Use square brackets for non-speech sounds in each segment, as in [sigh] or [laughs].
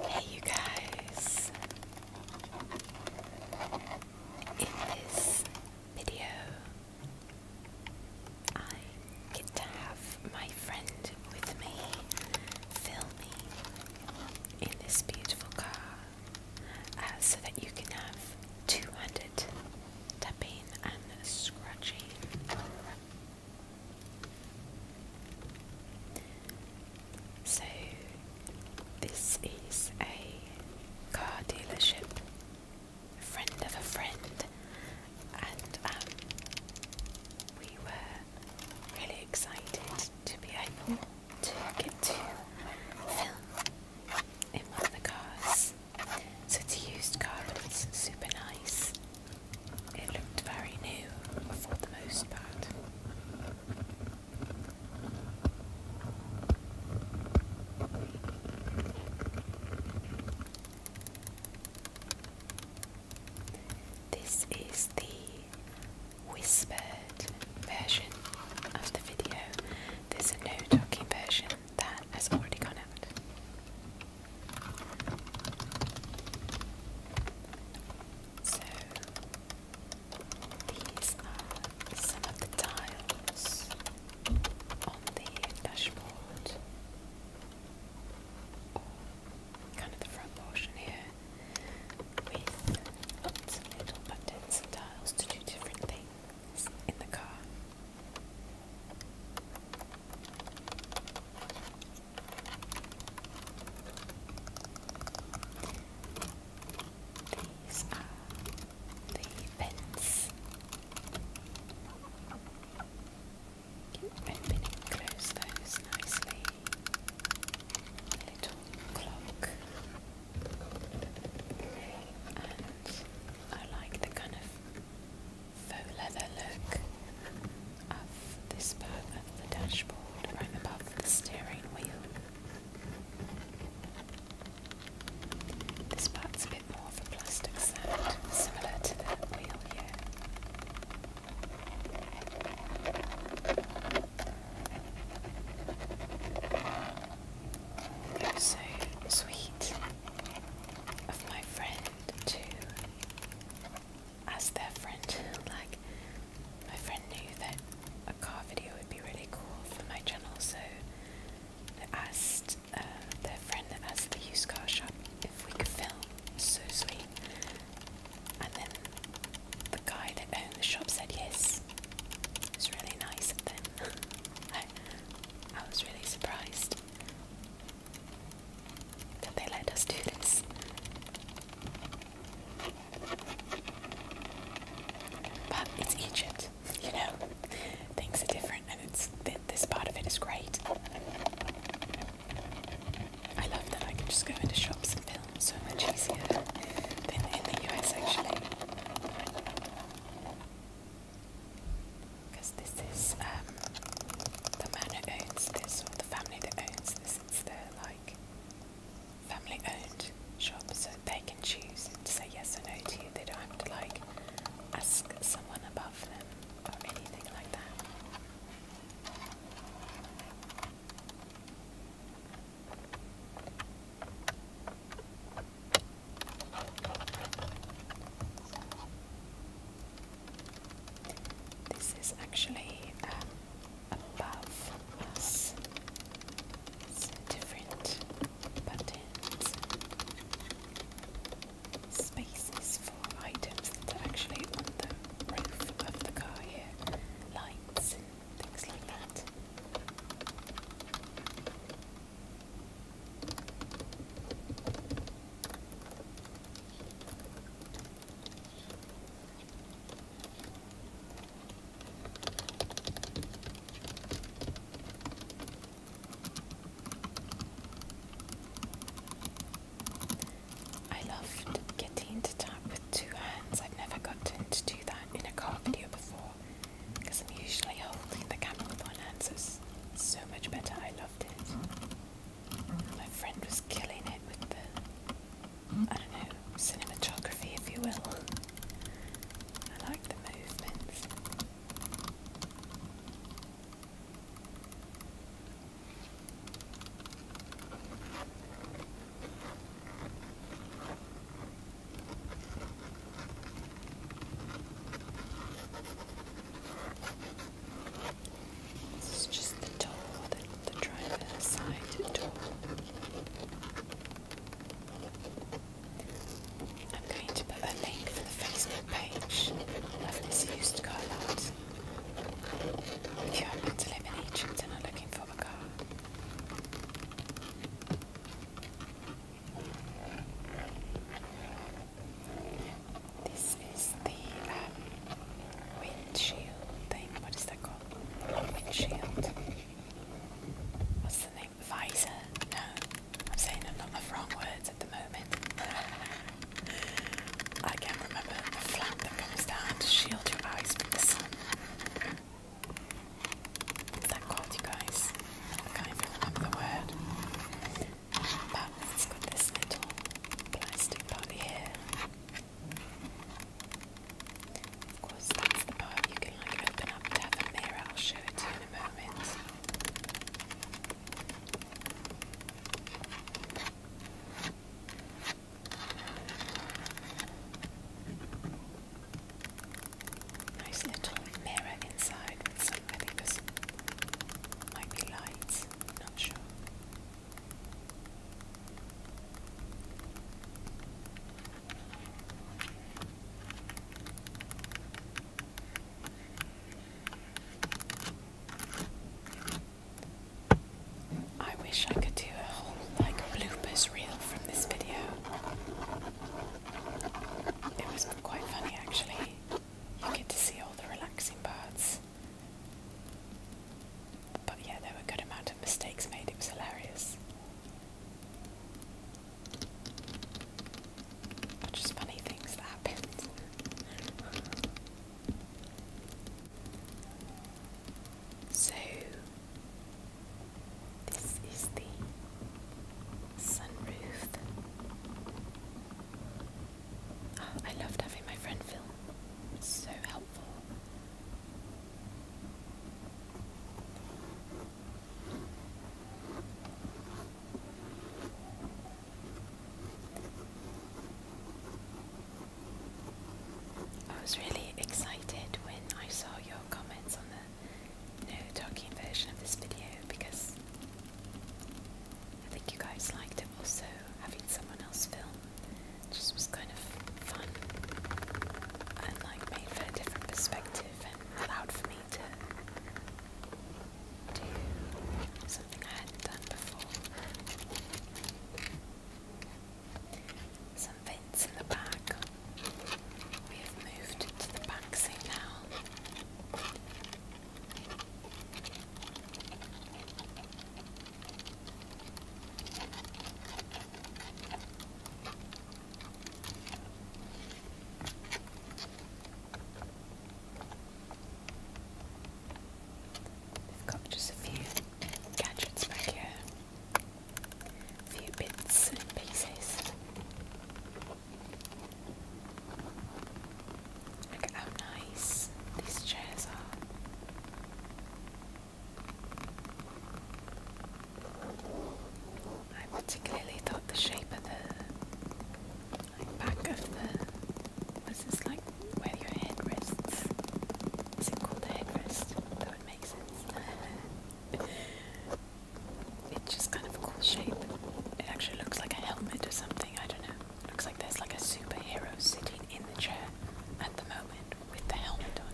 Hey, you guys! In this video, I get to have my friend with me filming in this beautiful car uh, so that you can have 200 Tapping and scratching. So, this is a car dealership, friend of a friend, and um, we were really excited to be able to get to film in one of the cars. So it's used car, it's super nice. It looked very new for the most part. This is the whispered version of the video. There's a no talking version that has already gone out. So these are some of the tiles on the dashboard, or kind of the front portion here, with buttons and tiles to do different things in the car. These are the pins. and close those nicely. little clock. I like the kind of faux leather look of this part of the dashboard right above the steering wheel. This part's a bit more of a plastic sound, similar to that wheel here. so sweet of my friend to as their friend. like my friend knew that a car video would be really cool for my channel, so they asked uh, their friend that has the used car shop if we could film. So sweet. And then the guy that owned the shop said yes. It was really nice of them. [laughs] I, I was really surprised that they let us do this. But it's Egypt, you know. Things are different, and it's th this part of it is great. I love that I can just go into shops and film so much easier than in the US, actually. Because this is um, the man who owns this, or the family that owns this, it's their like family owned shop, so they can choose to say yes or no to you. They don't have to like ask someone above them or anything like that. This is actually um, above us. different buttons, spaces for items that actually on the roof of the car here, lights, things like that. I loved getting to tap with two hands. I've never gotten to do that in a car video before because I'm usually holding the camera with one hand, so it's so much better. I loved it. My friend was killing it with the, I don't know, cinematography, if you will. I like the movements. This is just the door, the, the driver's side toe. I'm going to put a link to the Facebook page of this used car lot. If you happen to live in Egypt and are looking for a car. This is the um, windshield thing. What is that called? Windshield. What's the name? Visor? No. I'm saying a lot of wrong words at the moment. [laughs] I can't remember the flap that comes down to shield your eyes from the sun. What's that called, you guys? can't remember the word it's got this little plastic part here. Of course, the part you can like open up to have a mirror. I'll show it to you in a moment. Nice little mirror inside with some, I think lights. Not sure. I wish I could do a whole like bloopers reel from this video. It was quite funny actually. You get to see all the relaxing parts. But yeah, there were a good amount of mistakes made, it was hilarious. just funny things that happened. [laughs] so, this is the sunroof. I loved having my friend Phil. so helpful. I was really excited when I saw your comments on the no talking version of this video because I think you guys liked it also, having someone else film just was kind of fun and like made for a different perspective and allowed for me to do something I hadn't done before. Some vents in the back. We have moved to the back seat now. We've got just a few gadgets back here, a few bits and pieces. Look at how nice these chairs are. I particularly thought the shape of the back of the was this like where your head rests. Is it called a headrest? That would make sense. [laughs] it's just kind of a cool shape. It actually looks like a helmet or something, I don't know. Looks like there's like a superhero sitting in the chair at the moment with the helmet on.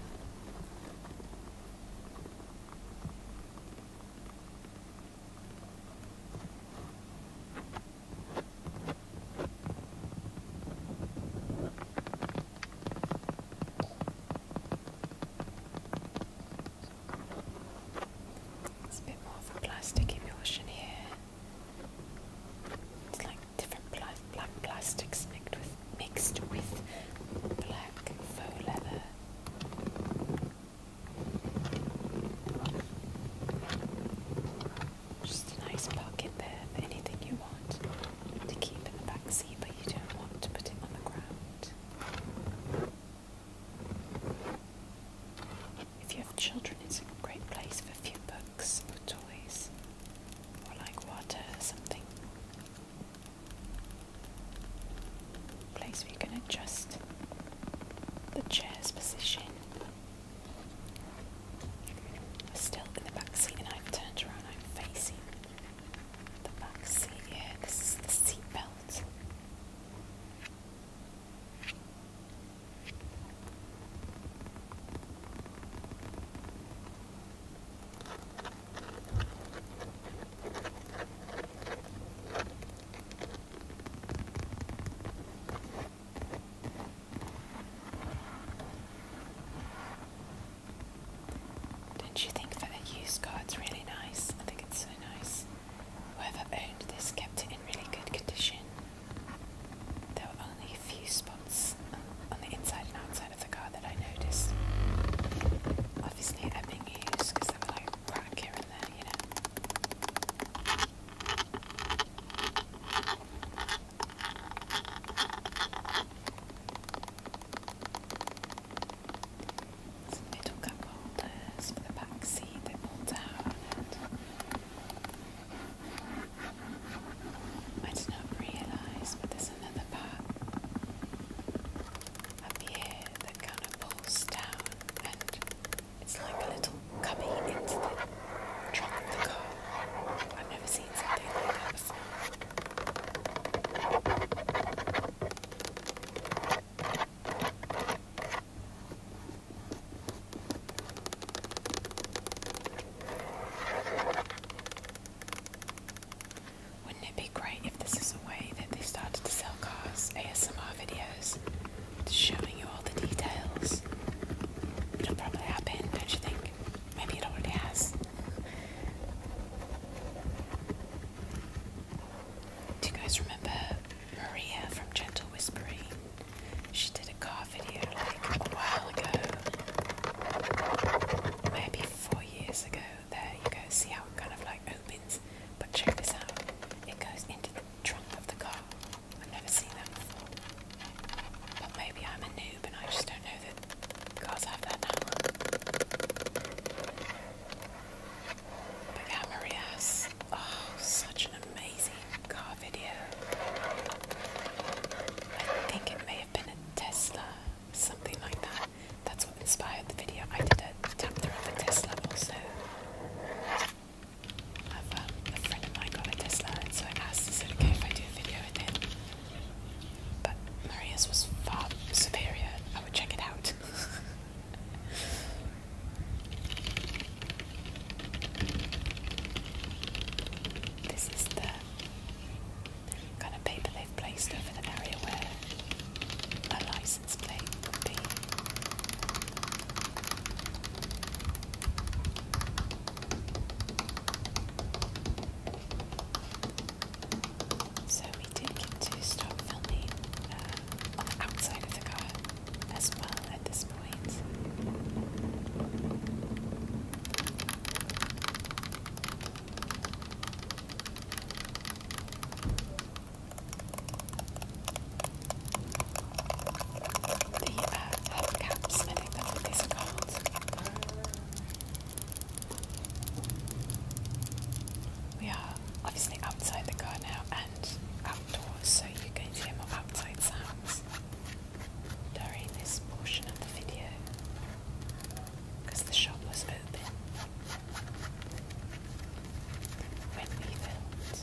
There's a bit more of a plastic emulsion here. It's like different black plastics mixed with mixed with black faux leather. Just a nice pocket there for anything you want to keep in the back seat, but you don't want to put it on the ground. If you have children, it's a great place for a few books or toys or like water or something. Place where you can adjust the chair's position. We're still in the back seat and I've turned around, I'm facing the back seat here. This is the seat belt. Don't you think that a used card's really nice? I think it's so nice. Whoever owned this kept it in really good condition. There were only a few spots on the inside and outside of the car that I noticed. Obviously, i used because they were like crack here and there, you know. Some little cup holders for the back seat that pull down I did not realize, but there's another part. Up here that kind of pulls down, and it's like a little cubby into the trunk of the car. I've never seen something like that wouldn't it be great if this is a way that they started to sell cars ASMR videos, showing you all the details? It'll probably happen, don't you think? Maybe it already has. Do you guys remember Maria from Gentle Whispering? She did a car video like a while ago, maybe four years ago. There you go, see how it kind of like opens, but check this out it goes into the trunk of the car. I've never seen that before, but maybe I'm a noob and I just don't know that cars have that But yeah, Maria oh, such an amazing car video. I think it may have been a Tesla, something like that. That's what inspired the video. I did a tap through of a Tesla also. I've, um, a friend of mine got a Tesla, and so I asked, to it okay if I do a video with it. But Maria's was far superior. I would check it out. [laughs] This is the kind of paper they've placed over an area where a license plate would be. So we did get to stop filming uh, on the outside of the car as well at this point. The uh, hub caps, I these are We are obviously outside the car now and outdoors, so you can hear more outside sounds during this portion of the video because the shop was open when we filmed.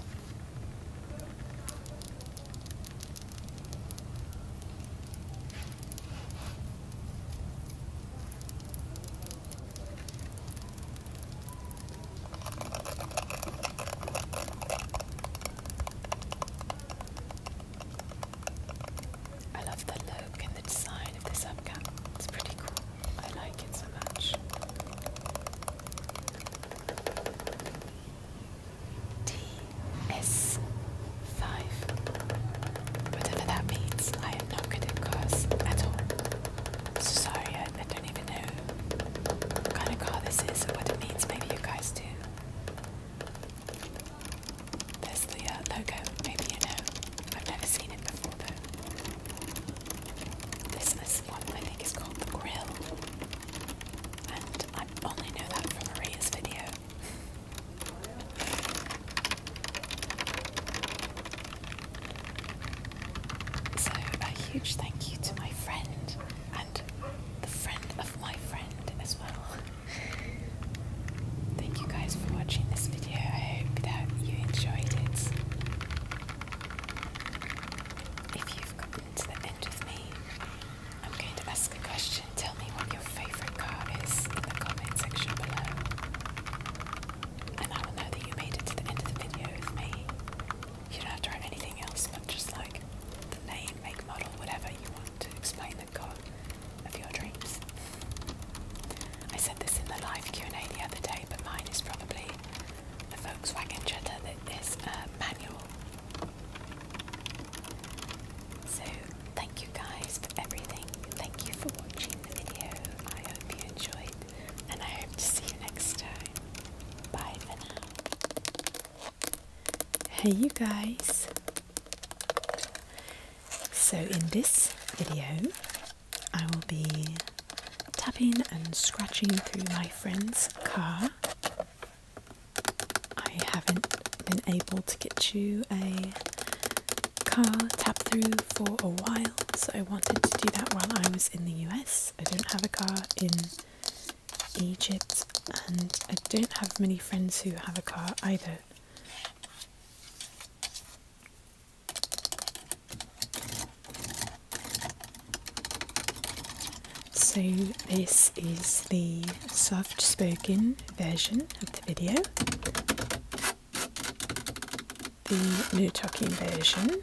I love the look and the design of this hubcap. It's pretty cool. I like it so much. DS5. Whatever that means, I am not good at cars at all. sorry, I don't even know what kind of car this is or what it means. Maybe you guys do. There's the uh, logo, maybe you know. I've never seen it before though. this one I think is called The Grill. And I only know that from Maria's video. So a huge thank you to my friend and the friend of my friend as well. Thank you guys for watching this video. I hope that you enjoyed it. If you've gotten to the end with me, I'm going to ask a question. Tell me what your favourite car is in the comment section below. And I will know that you made it to the end of the video with me. You don't have to write anything else, but just like the name, make, model, whatever you want to explain of your dreams. I said this in the live Q&A the other day, but mine is probably the Volkswagen Jetta that is manual. So thank you guys for everything. Thank you for watching the video. I hope you enjoyed, and I hope to see you next time. Bye for now. Hey you guys. So in this video I will be tapping and scratching through my friend's car. I haven't been able to get you a car tap through for a while so I wanted to do that while I was in the US. I don't have a car in Egypt, and I don't have many friends who have a car either. So, this is the soft spoken version of the video. The new talking version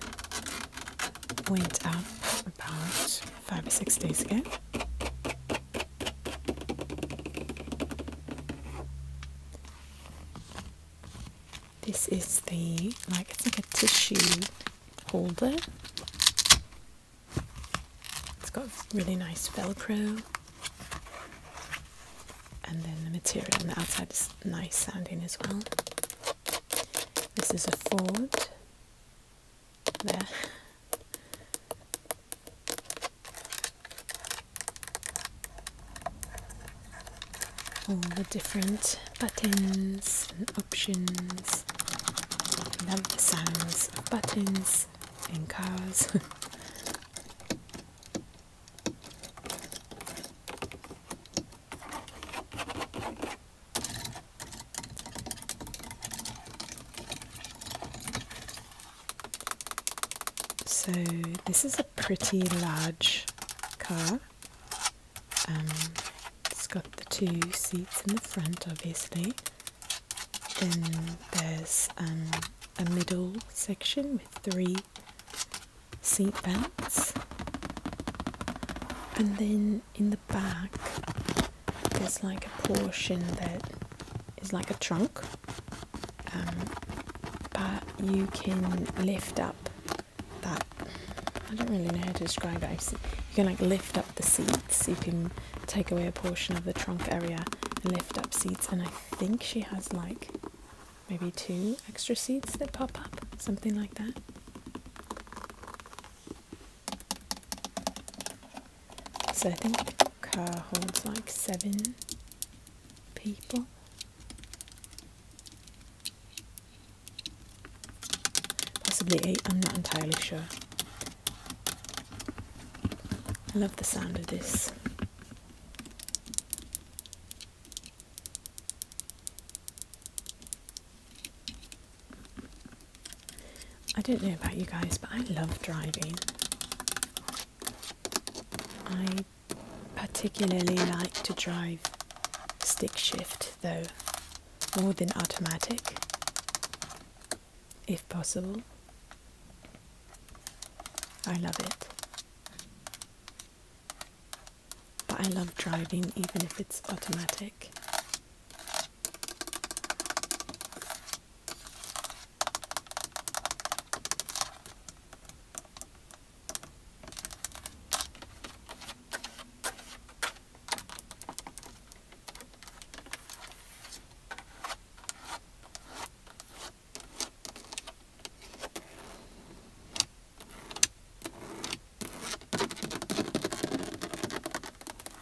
went up about five or six days ago. This is the like it's like a tissue holder. It's got really nice velcro and then the material on the outside is nice sounding as well. This is a fold. All the different buttons and options. I love the sounds of buttons and cars. [laughs] So this is a pretty large car. Um, it's got the two seats in the front, obviously. Then there's um, a middle section with three seat belts. And then in the back, it's like a portion that is like a trunk, um, but you can lift up that. I don't really know how to describe it. You can like lift up the seats. You can take away a portion of the trunk area lift up seats. And I think she has like maybe two extra seats that pop up, something like that. So I think car holds like seven people. Possibly eight, I'm not entirely sure. I love the sound of this. I don't know about you guys, but I love driving. I particularly like to drive stick shift though, more than automatic, if possible. I love it. But I love driving even if it's automatic.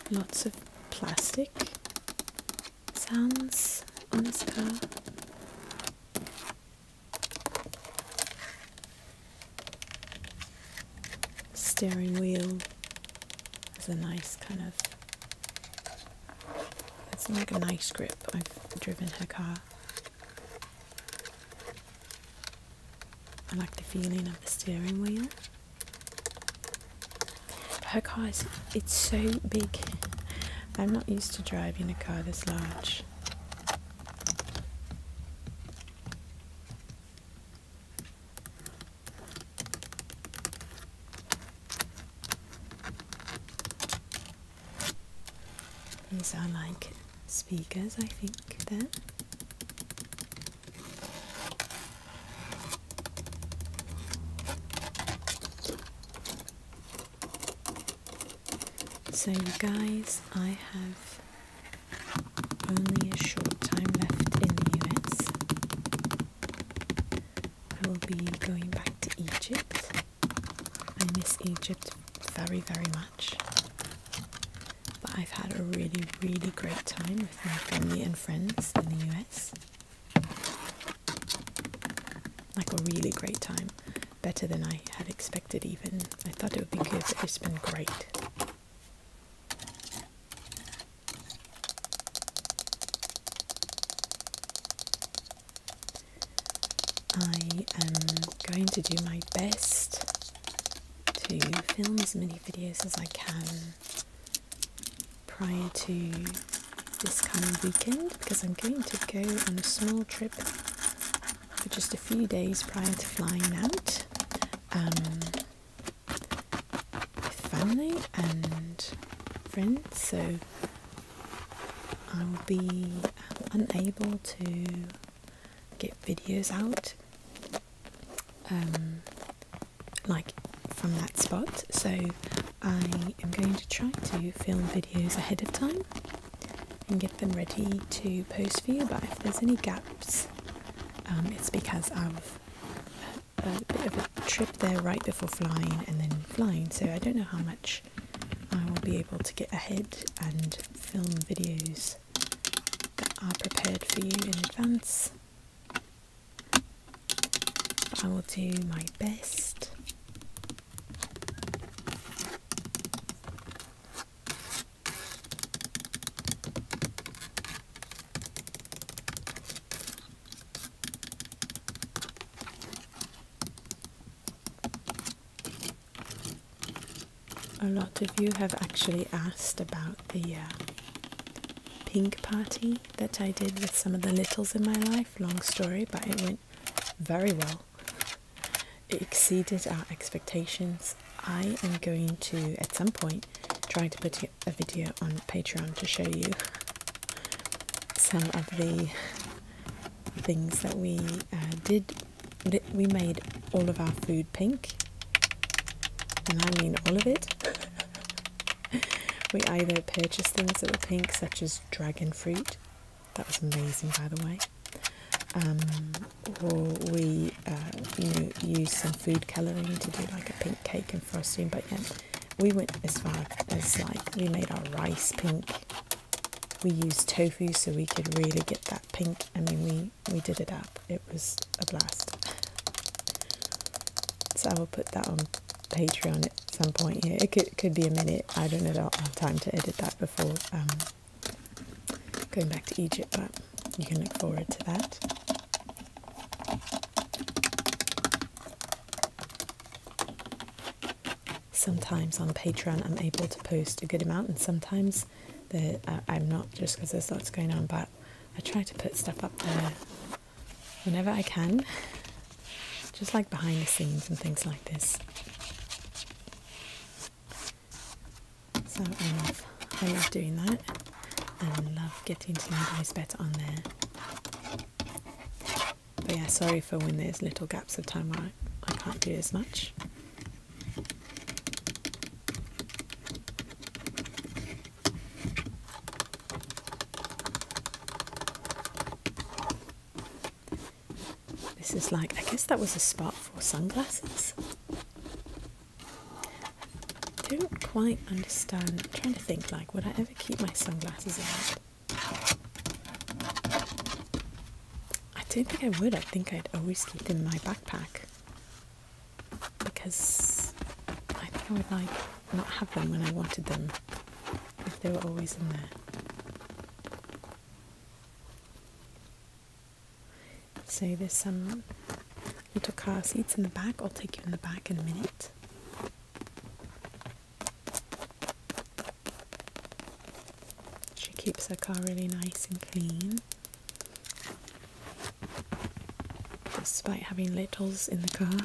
Lots of plastic sounds on a car. Steering wheel is a nice kind of. It's like a nice grip. I've driven her car. I like the feeling of the steering wheel. Her oh, car it's so big. I'm not used to driving a car this large. These are like speakers, I think, there. So guys, I have only a short time left in the US. I will be going back to Egypt. I miss Egypt very, very much. But I've had a really, really great time with my family and friends in the US. Like a really great time. Better than I had expected, even. I thought it would be good, it's been great. I am going to do my best to film as many videos as I can prior to this coming weekend because I'm going to go on a small trip for just a few days prior to flying out um, with family and friends. So I will be um, unable to get videos out um, like from that spot so I am going to try to film videos ahead of time and get them ready to post for you but if there's any gaps um, it's because I've had a bit of a trip there right before flying and then flying so I don't know how much I will be able to get ahead and film videos that are prepared for you in advance I will do my best. A lot of you have actually asked about the uh, pink party that I did with some of the littles in my life. Long story, but it went very well. It exceeded our expectations. I am going to, at some point, try to put a video on Patreon to show you some of the things that we uh, did. We made all of our food pink, and I mean all of it. [laughs] we either purchased things that were pink, such as dragon fruit, that was amazing by the way, um, or we uh, used some food colouring to do like a pink cake and frosting, but yeah, we went as far as like we made our rice pink. We used tofu so we could really get that pink. I mean, we, we did it up. It was a blast. [laughs] So I will put that on Patreon at some point here. It could, could be a minute. I don't know that I'll have time to edit that before um, going back to Egypt, but you can look forward to that. Sometimes on Patreon I'm able to post a good amount, and sometimes the, uh, I'm not just because there's lots going on, but I try to put stuff up there whenever I can, just like behind the scenes and things like this. So I love, I love doing that and I love getting to know guys better on there. But yeah, sorry for when there's little gaps of time where I can't do as much. This is like, I guess that was a spot for sunglasses. I don't quite understand. trying to think, like, would I ever keep my sunglasses in? I don't think I would. I think I'd always keep them in my backpack because I think I would like not have them when I wanted them if they were always in there. So there's some little car seats in the back. I'll take you in the back in a minute. She keeps her car really nice and clean. Despite having littles in the car.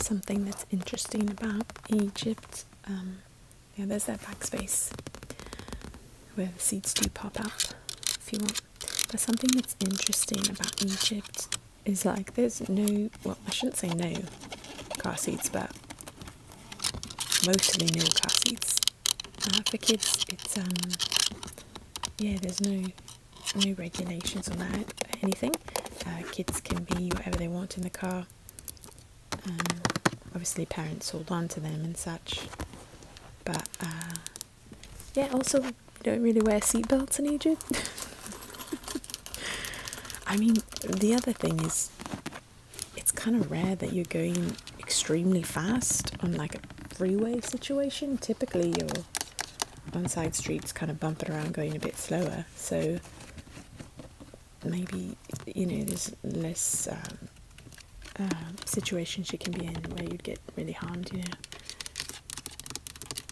Something that's interesting about Egypt, um, yeah, there's that backspace where the seeds do pop up if you want. But something that's interesting about Egypt is like there's no, well, I shouldn't say no car seeds, but mostly no car seeds. Uh, for kids it's um, yeah there's no no regulations on that anything uh, kids can be whatever they want in the car um, obviously parents hold on to them and such but uh, yeah also don't really wear seatbelts in egypt [laughs] i mean the other thing is it's kind of rare that you're going extremely fast on like a freeway situation, typically your one side streets kind of bumping around going a bit slower. So maybe, you know, there's less um, um, situations you can be in where you'd get really harmed, you know.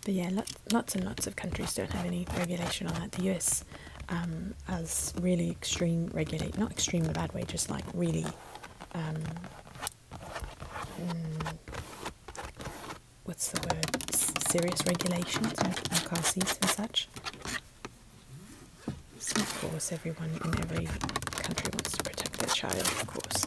But yeah, lots, lots and lots of countries don't have any regulation on that. The US um, has really extreme regulate, not extreme in a bad way, just like really um, mm, what's the word? serious regulations on, car seats and such. of course, everyone in every country wants to protect their child. Of course,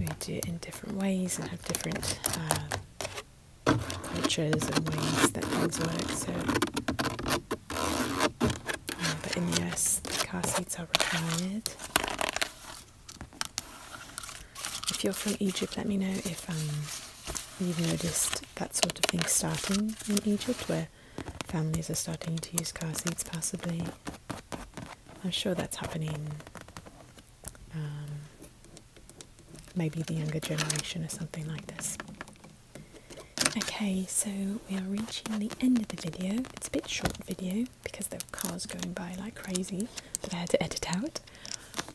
we do it in different ways and have different uh, cultures and ways that things work. So, uh, but in car seats if you're from Egypt, let me know if um, you've noticed that sort of thing starting in Egypt, where families are starting to use car seats possibly. I'm sure that's happening. Um, maybe the younger generation or something like this. Okay, so we are reaching the end of the video it's a bit short video because there were cars going by like crazy that I had to edit out.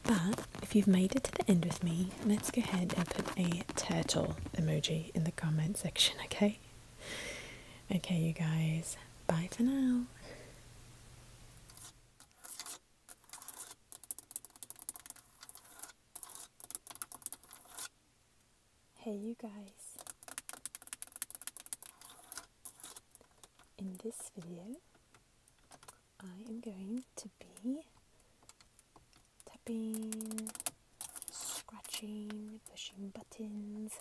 But if you've made it to the end with me, let's go ahead and put a turtle emoji in the comment section, okay? Okay, you guys, bye for now. Hey, you guys! In this video, I am going to be tapping, scratching, pushing buttons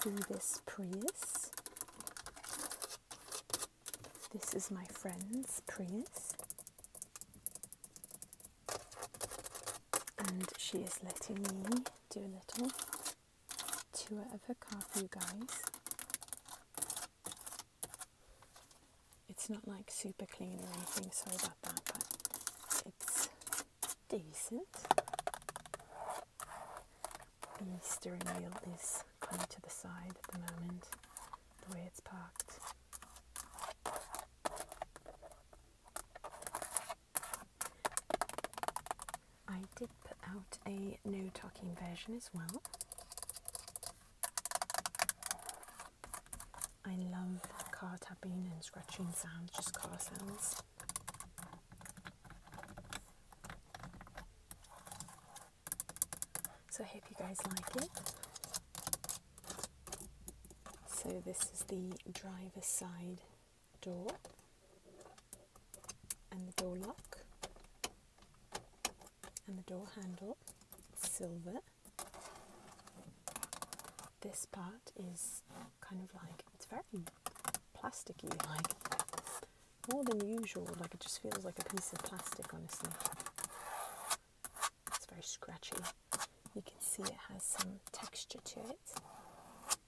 through this Prius. This is my friend's Prius and she is letting me do a little tour of her car for you guys. It's not like super clean or anything, sorry about that, but it's decent. The steering wheel is kind of to the side at the moment, the way it's parked. I did put out a no talking version as well. I love car tapping and scratching sounds, just car sounds. So I hope you guys like it. So this is the driver's side door and the door lock and the door handle silver this part is kind of like it's very plasticky like more than usual like it just feels like a piece of plastic honestly it's very scratchy you can see it has some texture to it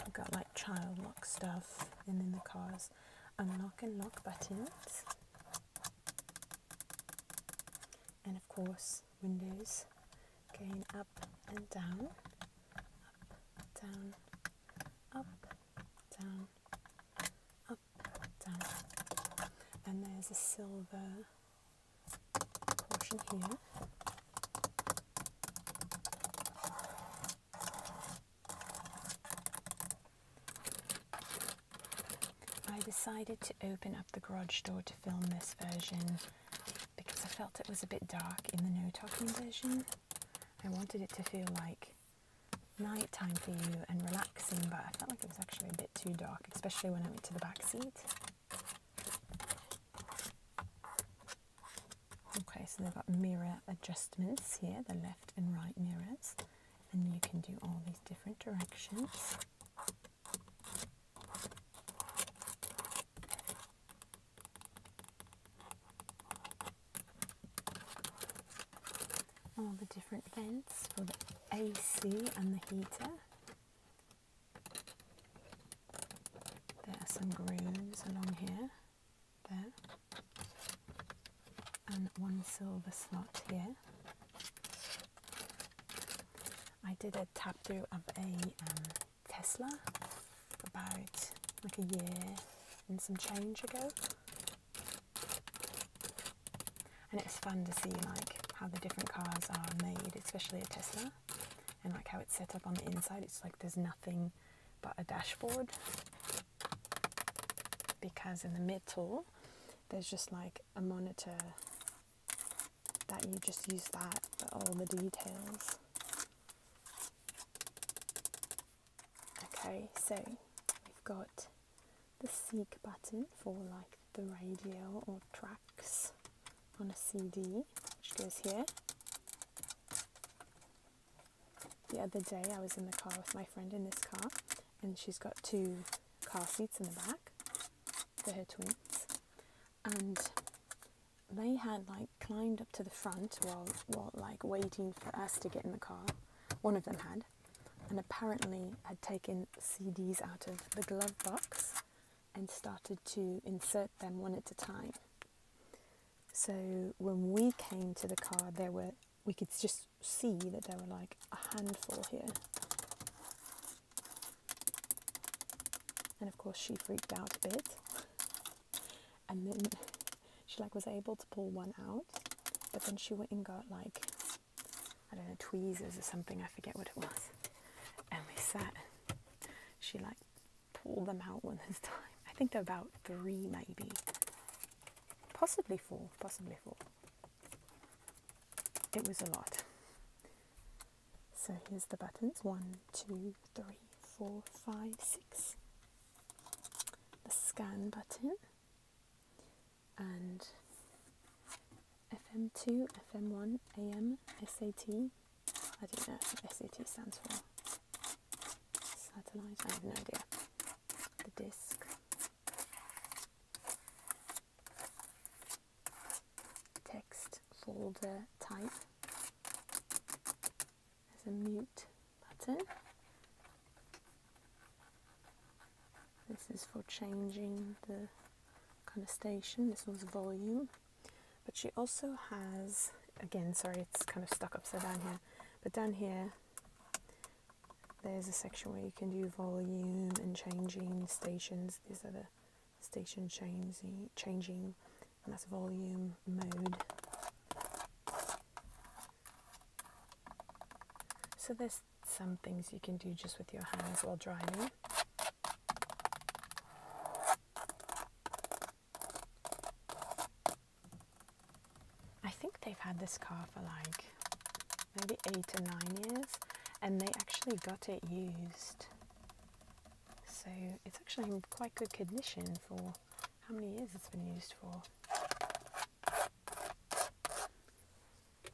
I've got like child lock stuff and then the cars unlock and lock buttons and of course windows going up and down up down up down up down and there's a silver I decided to open up the garage door to film this version because I felt it was a bit dark in the no talking version. I wanted it to feel like night time for you and relaxing, but I felt like it was actually a bit too dark, especially when I went to the back seat. Okay, so they've got mirror adjustments here, the left and right mirrors, and you can do all these different directions. All the different vents for the AC and the heater. There are some grooves along here, there, and one silver slot here. I did a tap through of a um, Tesla about like a year and some change ago and it's fun to see like how the different cars are made, especially a Tesla, and like how it's set up on the inside. It's like there's nothing but a dashboard because in the middle there's just like a monitor that you just use that for all the details. Okay, so we've got the seek button for like the radio or tracks on a CD, which goes here. The other day, I was in the car with my friend in this car, and she's got two car seats in the back for her twins, and they had like climbed up to the front while, while like waiting for us to get in the car. One of them had, and apparently had taken CDs out of the glove box and started to insert them one at a time. So when we came to the card, there were we could just see that there were like a handful here. And of course, she freaked out a bit. And then she like was able to pull one out, but then she went and got like I don't know, tweezers or something, I forget what it was. And we sat and she like pulled them out one at [laughs] a time. I think they're about three maybe. Possibly four, possibly four. It was a lot. So here's the buttons. One, two, three, four, five, six. The scan button and FM2, FM1, AM, SAT. I don't know what SAT stands for. Satellite, I have no idea. The disc. Text folder type. There's a mute button. This is for changing the kind of station. This was volume. But she also has, again, sorry, it's kind of stuck upside down here, but down here, there's a section where you can do volume and changing stations. These are the station changing, changing and that's volume mode. So there's some things you can do just with your hands while driving. I think they've had this car for like maybe eight or nine years, and they actually got it used. So it's actually in quite good condition for how many years it's been used for.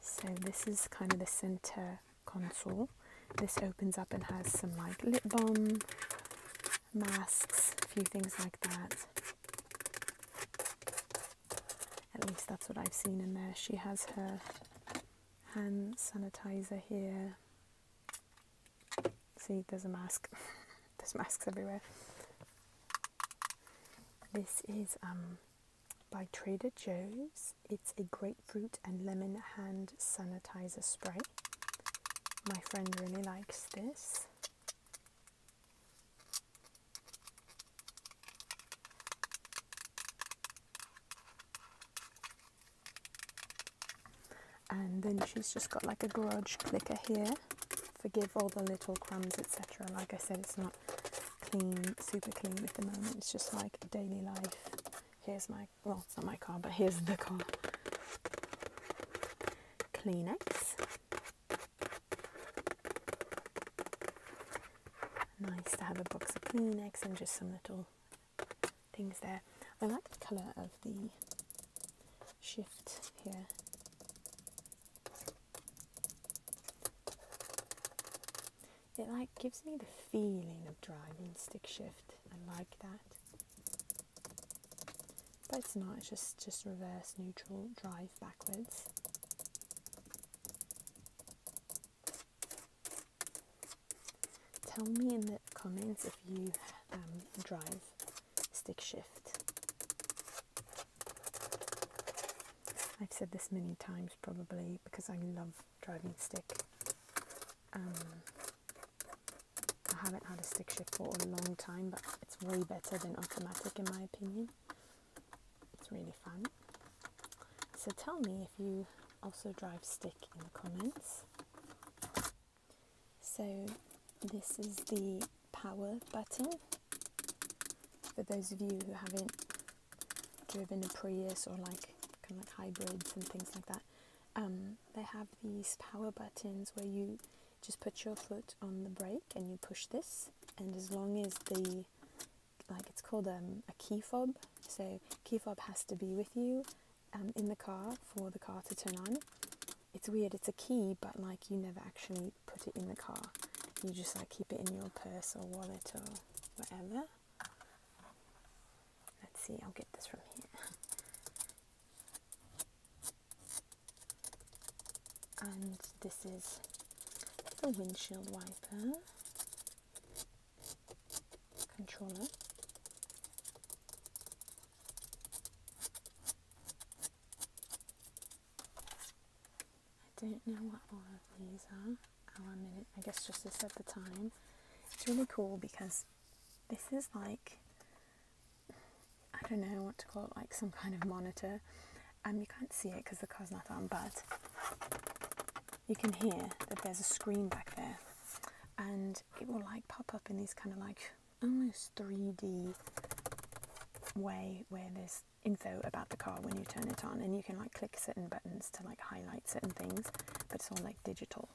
So this is kind of the center console. This opens up and has some like lip balm, masks, a few things like that. At least that's what I've seen in there. She has her hand sanitizer here. See, there's a mask. [laughs] there's masks everywhere. This is um, by Trader Joe's. It's a grapefruit and lemon hand sanitizer spray. My friend really likes this. And then she's just got like a garage clicker here. Forgive all the little crumbs, etc. Like I said, it's not clean, super clean at the moment. It's just like daily life. Here's my well, it's not my car, but here's the car. Kleenex. Nice to have a box of Kleenex and just some little things there. I like the colour of the shift here it like gives me the feeling of driving stick shift. I like that. But it's not, it's just, just reverse neutral drive backwards. Tell me in the comments if you um, drive stick shift. I've said this many times probably because I love driving stick. Um, I haven't had a stick shift for a long time, but it's way better than automatic in my opinion. It's really fun. So tell me if you also drive stick in the comments. So this is the power button. For those of you who haven't driven a Prius or like kind of like hybrids and things like that, um, they have these power buttons where you just put your foot on the brake and you push this, and as long as the like it's called um, a key fob, so key fob has to be with you um, in the car for the car to turn on. It's weird, it's a key, but like you never actually put it in the car. You just like keep it in your purse or wallet or whatever. Let's see, I'll get this from here. And this is the windshield wiper controller. I don't know what all of these are. Oh, I, mean, I guess just this at the time. It's really cool because this is like I don't know what to call it, like some kind of monitor. and um, you can't see it because the car's not on, but you can hear that there's a screen back there, and it will like pop up in this kind of like almost 3D way where there's info about the car when you turn it on, and you can like click certain buttons to like highlight certain things, but it's all like digital.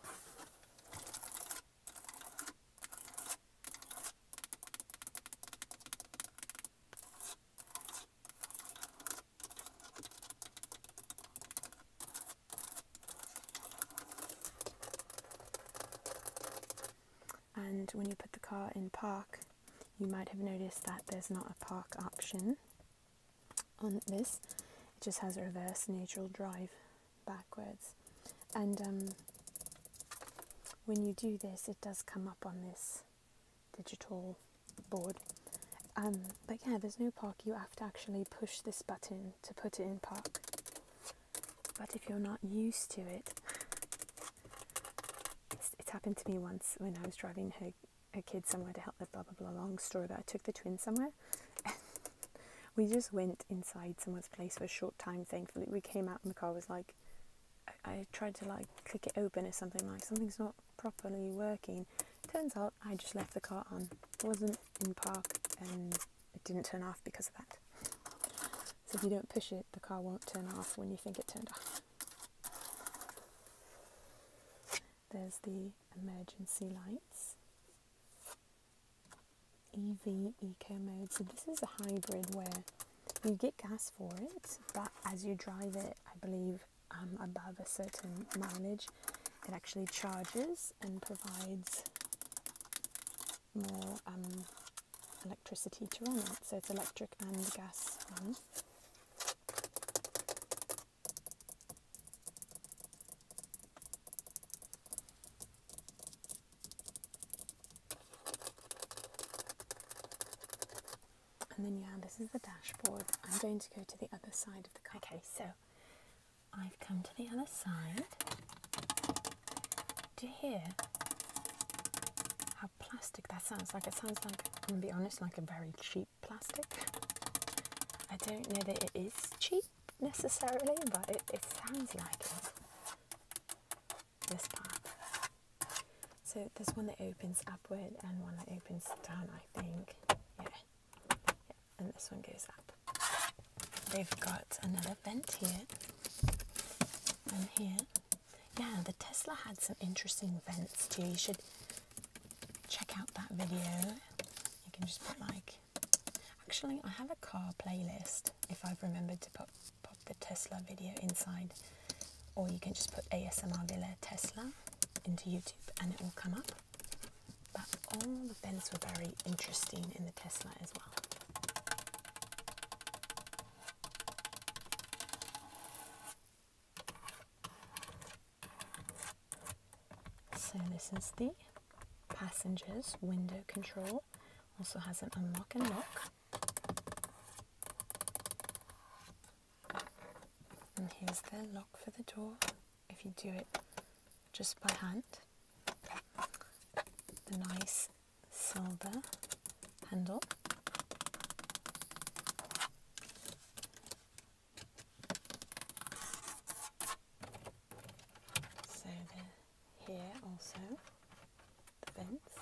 And when you put the car in park, you might have noticed that there's not a park option on this. It just has a reverse neutral drive backwards, and um, when you do this, it does come up on this digital board. Um, but yeah, there's no park. You have to actually push this button to put it in park. But if you're not used to it, it happened to me once when I was driving her a kid somewhere to help their blah blah blah long story, but I took the twin somewhere. [laughs] we just went inside someone's place for a short time. Thankfully, we came out and the car was like, I, tried to like click it open or something like something's not properly working. Turns out I just left the car on. It wasn't in park and it didn't turn off because of that. So if you don't push it, the car won't turn off when you think it turned off. There's the emergency lights. EV eco mode. So this is a hybrid where you get gas for it, but as you drive it, I believe um, above a certain mileage, it actually charges and provides more um, electricity to run it. So it's electric and gas one. And then you this is the dashboard. I'm going to go to the other side of the car. Okay, so I've come to the other side. Do you hear how plastic that sounds like? It sounds like, I'm gonna be honest, like a very cheap plastic. I don't know that it is cheap, necessarily, but it, it sounds like it. This part. So there's one that opens upward and one that opens down, I think. Yeah. And this one goes up. They've got another vent here and here. Yeah, the Tesla had some interesting vents too. You should check out that video. You can just put like Actually, I have a car playlist if I've remembered to pop the Tesla video inside, or you can just put ASMR Villa Tesla into YouTube and it will come up. But all the vents were very interesting in the Tesla as well. So this is the passenger's window control. Also has an unlock and lock. And here's the lock for the door if you do it just by hand. The nice silver handle. So the, here also the vents.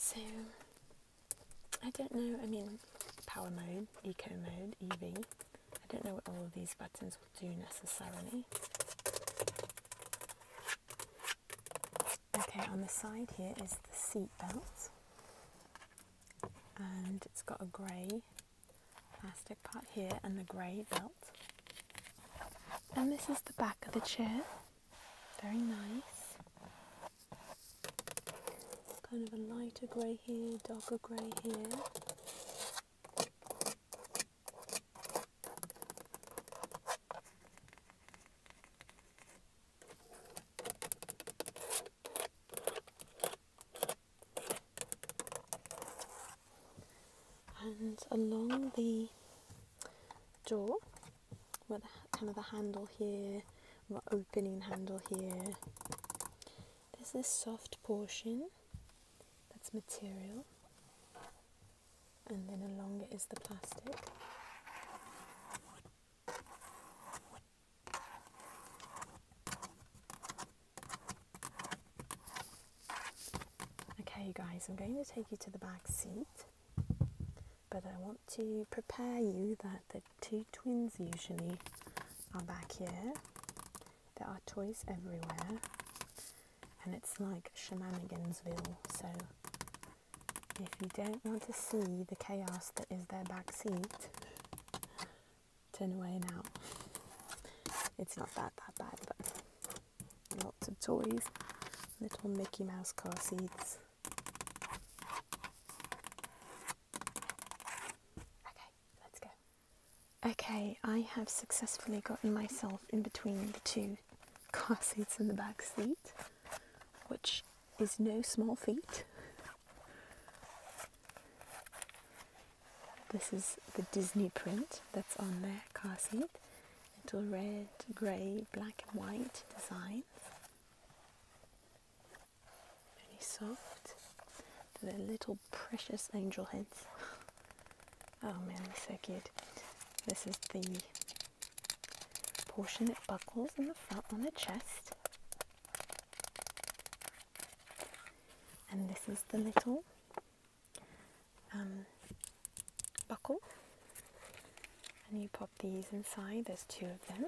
So I don't know, I mean power mode, eco mode, EV. I don't know what all of these buttons do necessarily. Okay, on the side here is the seat belt, and it's got a grey plastic part here and the grey belt. And this is the back of the chair, very nice. Kind of a lighter grey here, darker grey here and along the door, with kind of a handle here an opening handle here there's this soft portion that's material and then along it is the plastic. Okay, guys, I'm going to take you to the back seat, but I want to prepare you that the two twins usually are back here. There are toys everywhere, and it's like Shenanigansville. So if you don't want to see the chaos that is their back seat, turn away now. It's not that that bad, but lots of toys, little Mickey Mouse car seats. Okay, let's go. Okay, I have successfully gotten myself in between the two [laughs] car seats in the back seat, which is no small feat. This is the Disney print that's on their car seat. Little red, grey, black and white design. Really soft. The little precious angel heads. [laughs] Oh man, this is so cute. This is the portion that buckles in the front on the chest. And this is the little um, buckle. And you pop these inside, there's two of them.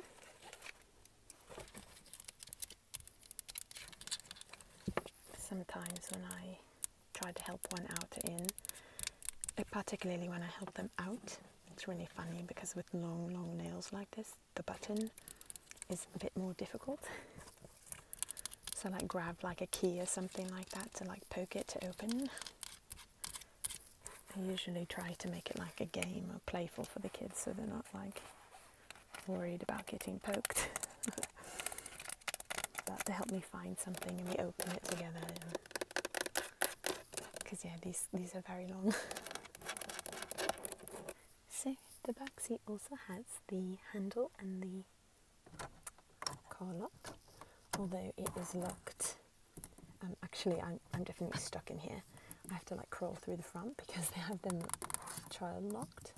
Sometimes when I Try to help one out in, particularly when I help them out. It's really funny because with long, long nails like this, the button is a bit more difficult. [laughs] so like grab like a key or something like that to like poke it to open. I usually try to make it like a game or playful for the kids so they're not like worried about getting poked. [laughs] that to help me find something and we open it together because yeah these these are very long [laughs] so the back seat also has the handle and the car lock although it is locked um, actually I'm, I'm definitely stuck in here I have to like crawl through the front because [laughs] they have them child locked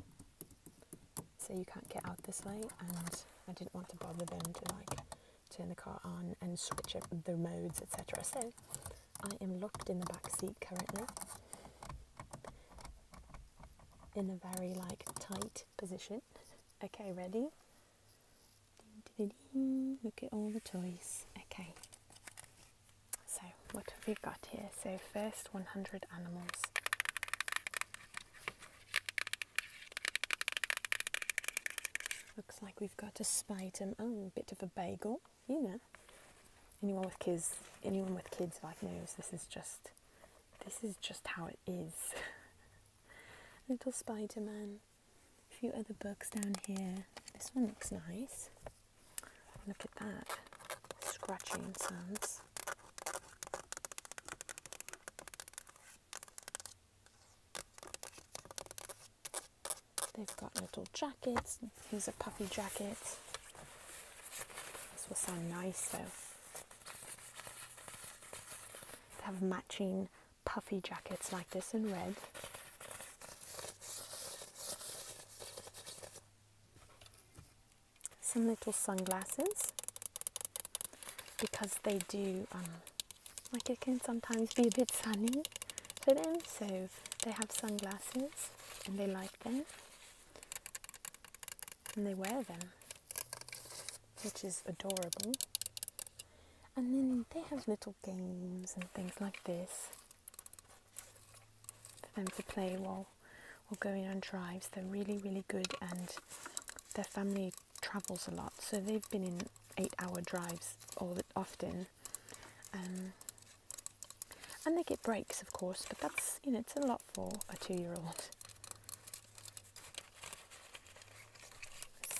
so you can't get out this way and I didn't want to bother them to like turn the car on and switch the modes etc so I am locked in the back seat currently in a very like tight position okay ready look at all the toys okay so what have we got here so first 100 animals Looks like we've got a spitum. Oh, a bit of a bagel, you know. Anyone with kids, anyone with kids like knows this is just, this is just how it is. [laughs] Little Spider-Man. A few other books down here. This one looks nice. Look at that. Scratching sounds. They've got little jackets. Here's a puffy jacket. This will sound nice though. They have matching puffy jackets like this in red. Some little sunglasses because they do um, like it can sometimes be a bit sunny for them so they have sunglasses and they like them and they wear them which is adorable and then they have little games and things like this for them to play while, while going on drives they're really really good and their family travels a lot, so they've been in eight-hour drives all often, um, and they get breaks, of course. But that's you know it's a lot for a two-year-old.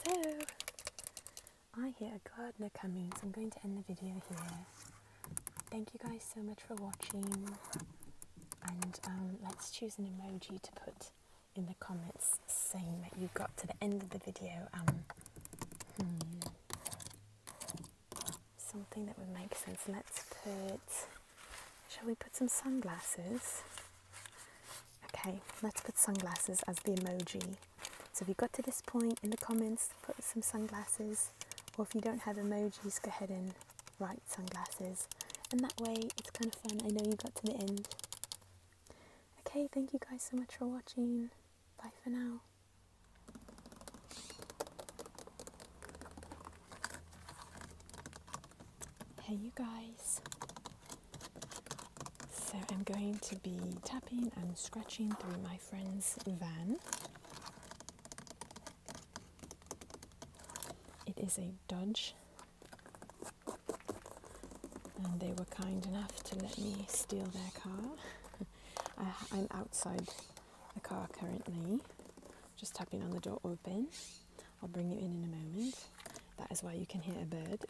So I hear a gardener coming, so I'm going to end the video here. Thank you guys so much for watching, and um, let's choose an emoji to put in the comments saying that you got to the end of the video um, hmm, something that would make sense. Let's put, shall we put some sunglasses? Okay, let's put sunglasses as the emoji. So if you got to this point in the comments, put some sunglasses, or if you don't have emojis, go ahead and write sunglasses. And that way it's kind of fun. I know you got to the end Okay, thank you guys so much for watching. Bye for now. Hey you guys. So I'm going to be tapping and scratching through my friend's van. It is a Dodge and they were kind enough to let me steal their car. [laughs] I, am outside the car currently, just tapping on the door open. I'll bring you in in a moment. That is why you can hear a bird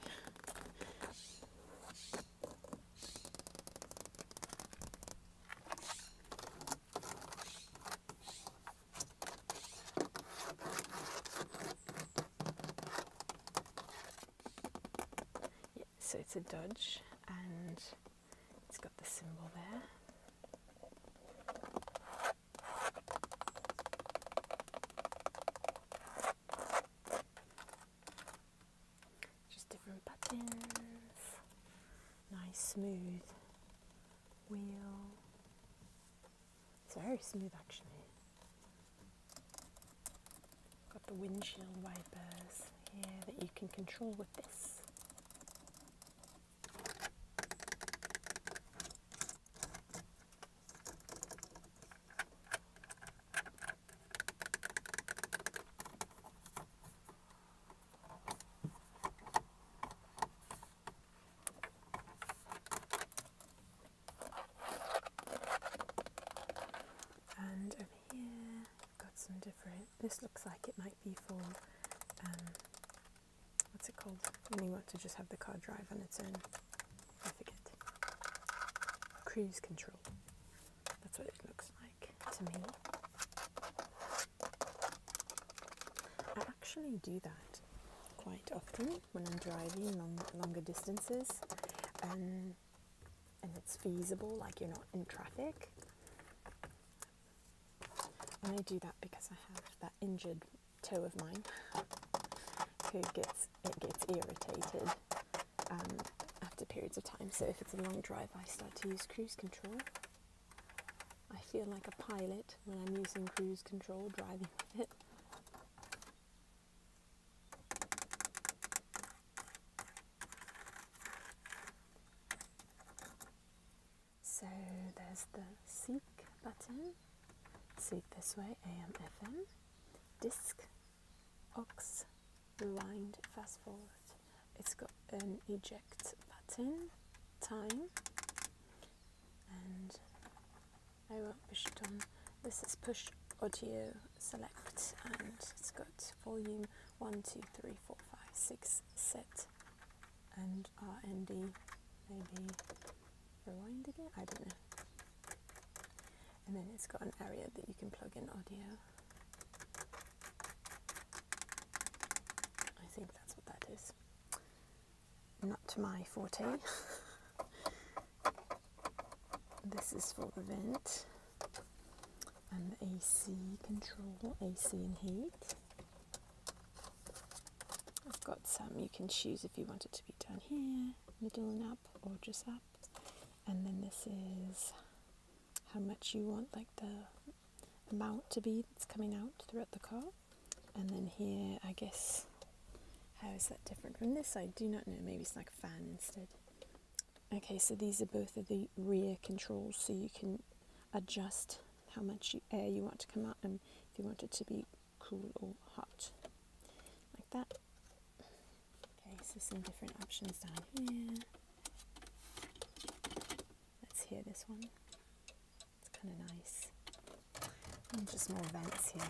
so it's a Dodge and it's got the symbol there. Just different buttons, nice smooth wheel. It's very smooth actually. Got the windshield wipers here that you can control with this. And over here, got some different. This looks like it might be for um, what's it called? When you want to just have the car drive on its own. I forget. Cruise control. That's what it looks like to me. I actually do that quite often when I'm driving long, longer distances um, and it's feasible, like you're not in traffic. And I do that because I have that injured toe of mine [laughs] who gets it gets irritated um, after periods of time. So if it's a long drive, I start to use cruise control. I feel like a pilot when I'm using cruise control, driving [laughs] with it. So there's the seek button, seek this way, AM, FM, disc, Ox. rewind, fast forward. It's got an eject button, time, and I won't push it on. This is push audio select and it's got volume 1, 2, 3, 4, 5, 6, set and RND maybe rewind again, I don't know. And then it's got an area that you can plug in audio. I think that's what that is not to my forte. [laughs] this is for the vent and AC control, AC and heat. I've got some you can choose if you want it to be down here, middle and up, or just up. And then this is how much you want, like the amount to be that's coming out throughout the car. And then here, I guess how is that different from this I Do not know. Maybe it's like a fan instead. Okay, so these are both of the rear controls, so you can adjust how much air you want to come out and if you want it to be cool or hot, like that. Okay, so some different options down here. Let's hear this one. It's kind of nice just more vents here.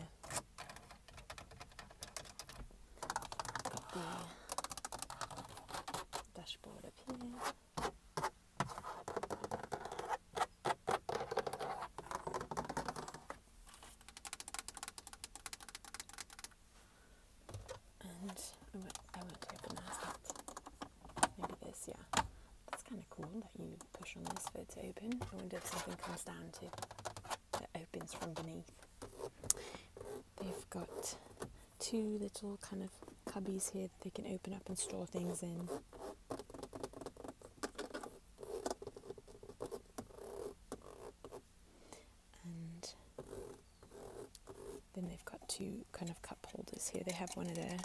dashboard up here. And I will I won't open that. Maybe this, yeah. That's kind of cool that you push on this for it to open. wonder if something comes down to that opens from beneath. They've got two little kind of cubbies here that they can open up and store things in. And then they've got two kind of cup holders here. They have one of their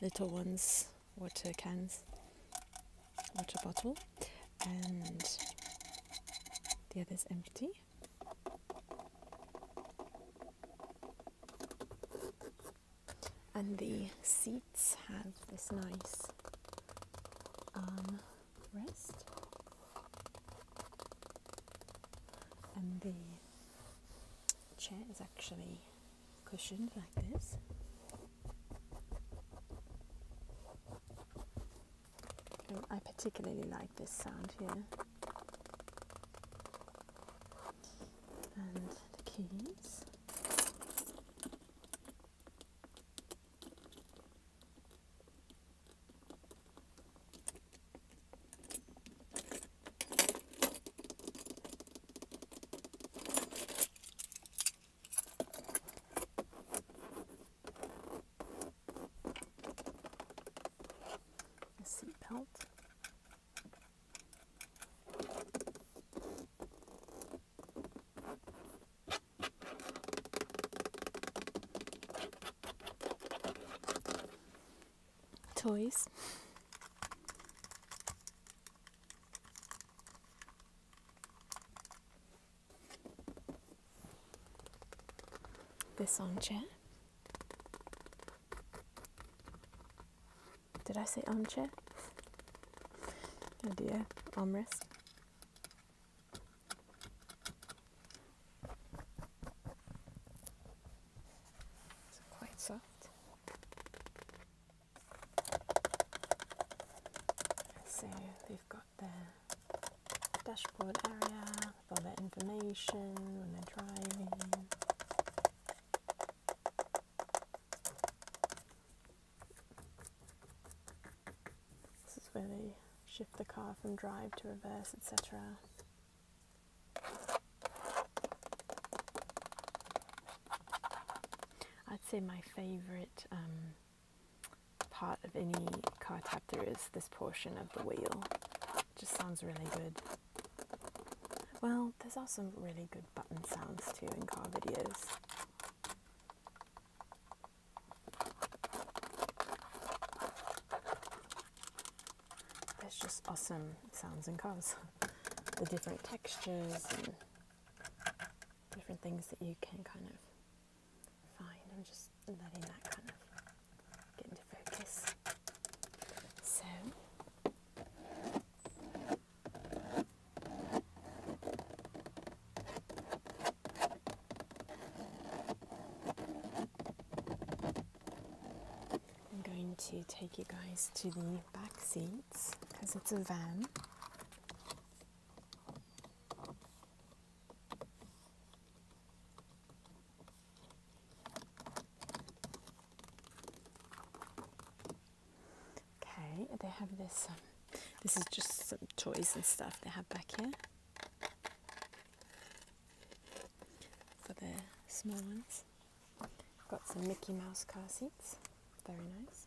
little ones water cans, water bottle, and the other is empty. And the seats have this nice arm and the chair is actually cushioned I particularly like this sound here. And the keys a seat belt. Toys. This armchair. Did I say armchair? Oh dear, armrest. quite soft. Let's see, they've got the dashboard area, with all got information when they're driving. This is where they shift the car from drive to reverse, etc. I'd say my favourite um, part of any car chapter is this portion of the wheel. It just sounds really good. Well, there's also some really good button sounds too in car videos. There's just awesome sounds in cars. [laughs] The different textures and different things that you can kind of Fine, I'm just letting that kind of get into focus. So, I'm going to take you guys to the back seats because it's a van. Okay, they have this. Um, this is just some toys and stuff they have back here for the small ones. Got some Mickey Mouse car seats, very nice.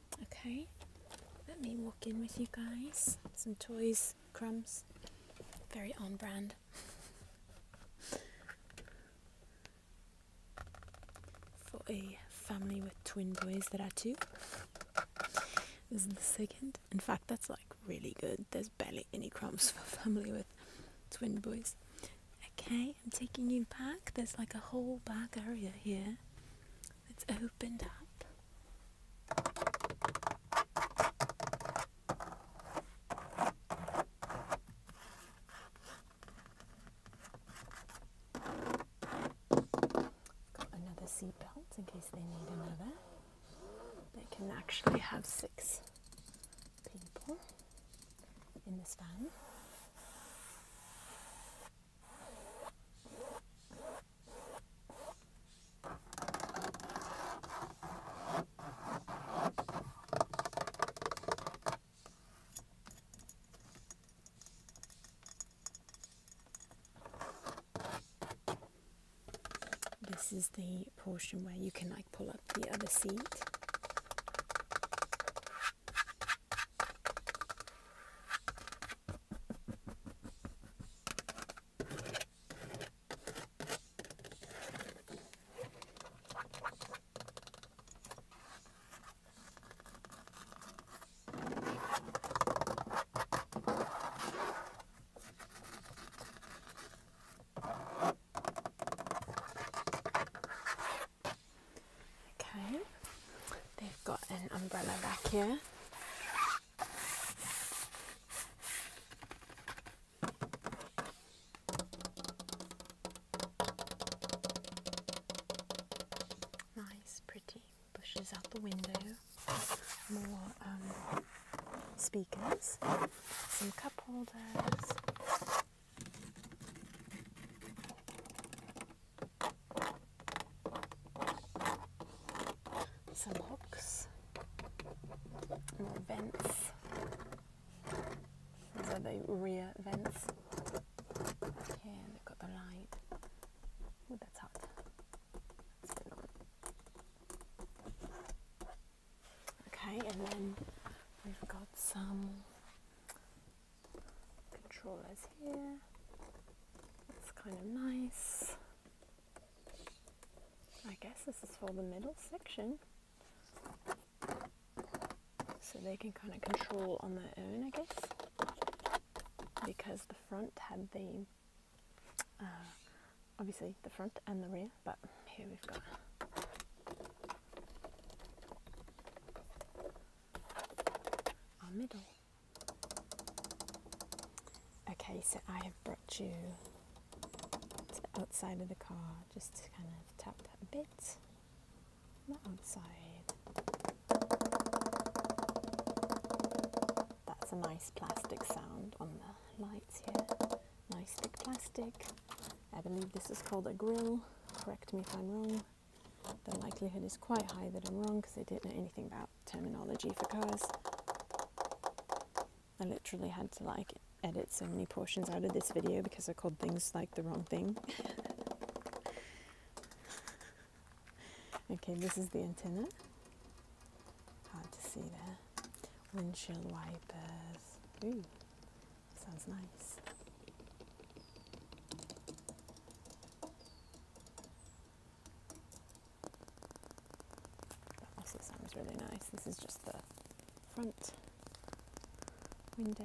Okay, let me walk in with you guys. Some toys, crumbs, very on brand. [laughs] For a family with twin boys There are two. This is the second. In fact, that's like really good. There's barely any crumbs [laughs] for family with twin boys. Okay, I'm taking you back. There's like a whole back area here. It's opened up. Got another seat belt in case they need another. They can actually have six people in this van. This is the portion where you can like pull up the other seat. Okay, they've got an umbrella rack here Nice, pretty bushes out the window, more um, speakers, some cup holders some hooks, more vents. These are the rear vents. Here they've got the light. Ooh, that's hot. That's Okay, and then we've got some controllers here. That's kind of nice. I guess this is for the middle section. So they can kind of control on their own, I guess. Because the front had the, uh, obviously the front and the rear, but here we've got our middle. Okay, so I have brought you to the outside of the car just to kind of tap a bit on the outside. That's a nice plastic sound on the lights here. Nice thick plastic. I believe this is called a grill. Correct me if I'm wrong. The likelihood is quite high that I'm wrong because I did not know anything about terminology for cars. I literally had to like edit so many portions out of this video because I called things like the wrong thing. [laughs] okay, this is the antenna. Hard to see there. Windshield wipers. Ooh, sounds nice. That also sounds really nice. This is just the front window.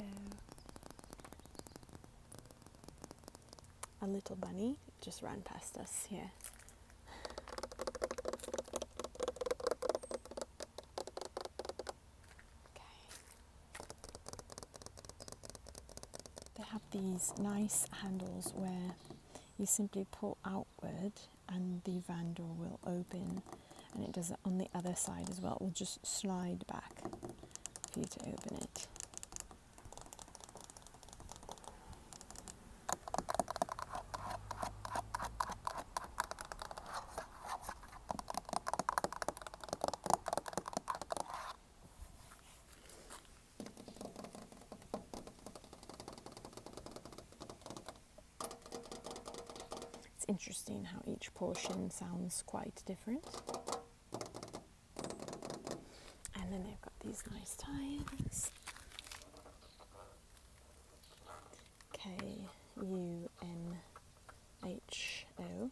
A little bunny just ran past us here. Okay. They have these nice handles where you simply pull outward and the van door will open and it does it on the other side as well. It will just slide back for you to open it. It's interesting how each portion sounds quite different. And then they've got these nice tires. K U N H O.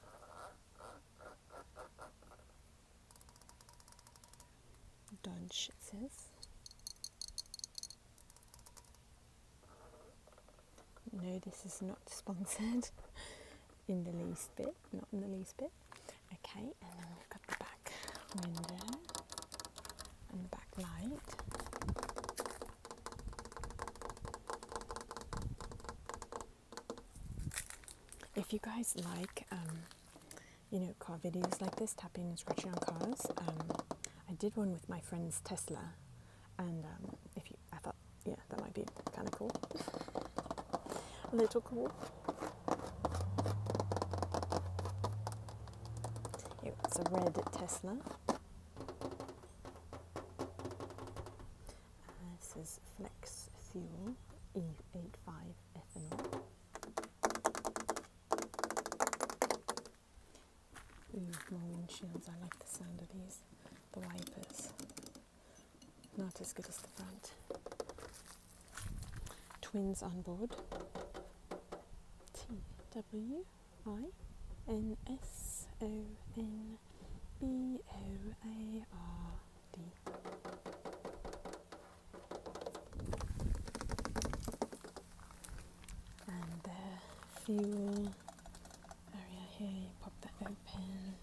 Dodge, it says. No, this is not sponsored [laughs] in the least bit, not in the least bit. Okay, and then we've got the back window and back light. If you guys like um, you know, car videos like this, tapping and scratching on cars. Um, I did one with my friend's Tesla, and um, if you, I thought, yeah, that might be kind of cool. [laughs] A little cool. Here, it's a red Tesla. Uh, this is Flex Fuel E85 ethanol. Ooh, more windshields. I like the sound of these. The wipers. Not as good as the front. Twins on board. T W I N S O N B O A R D and the fuel area here, pop that open.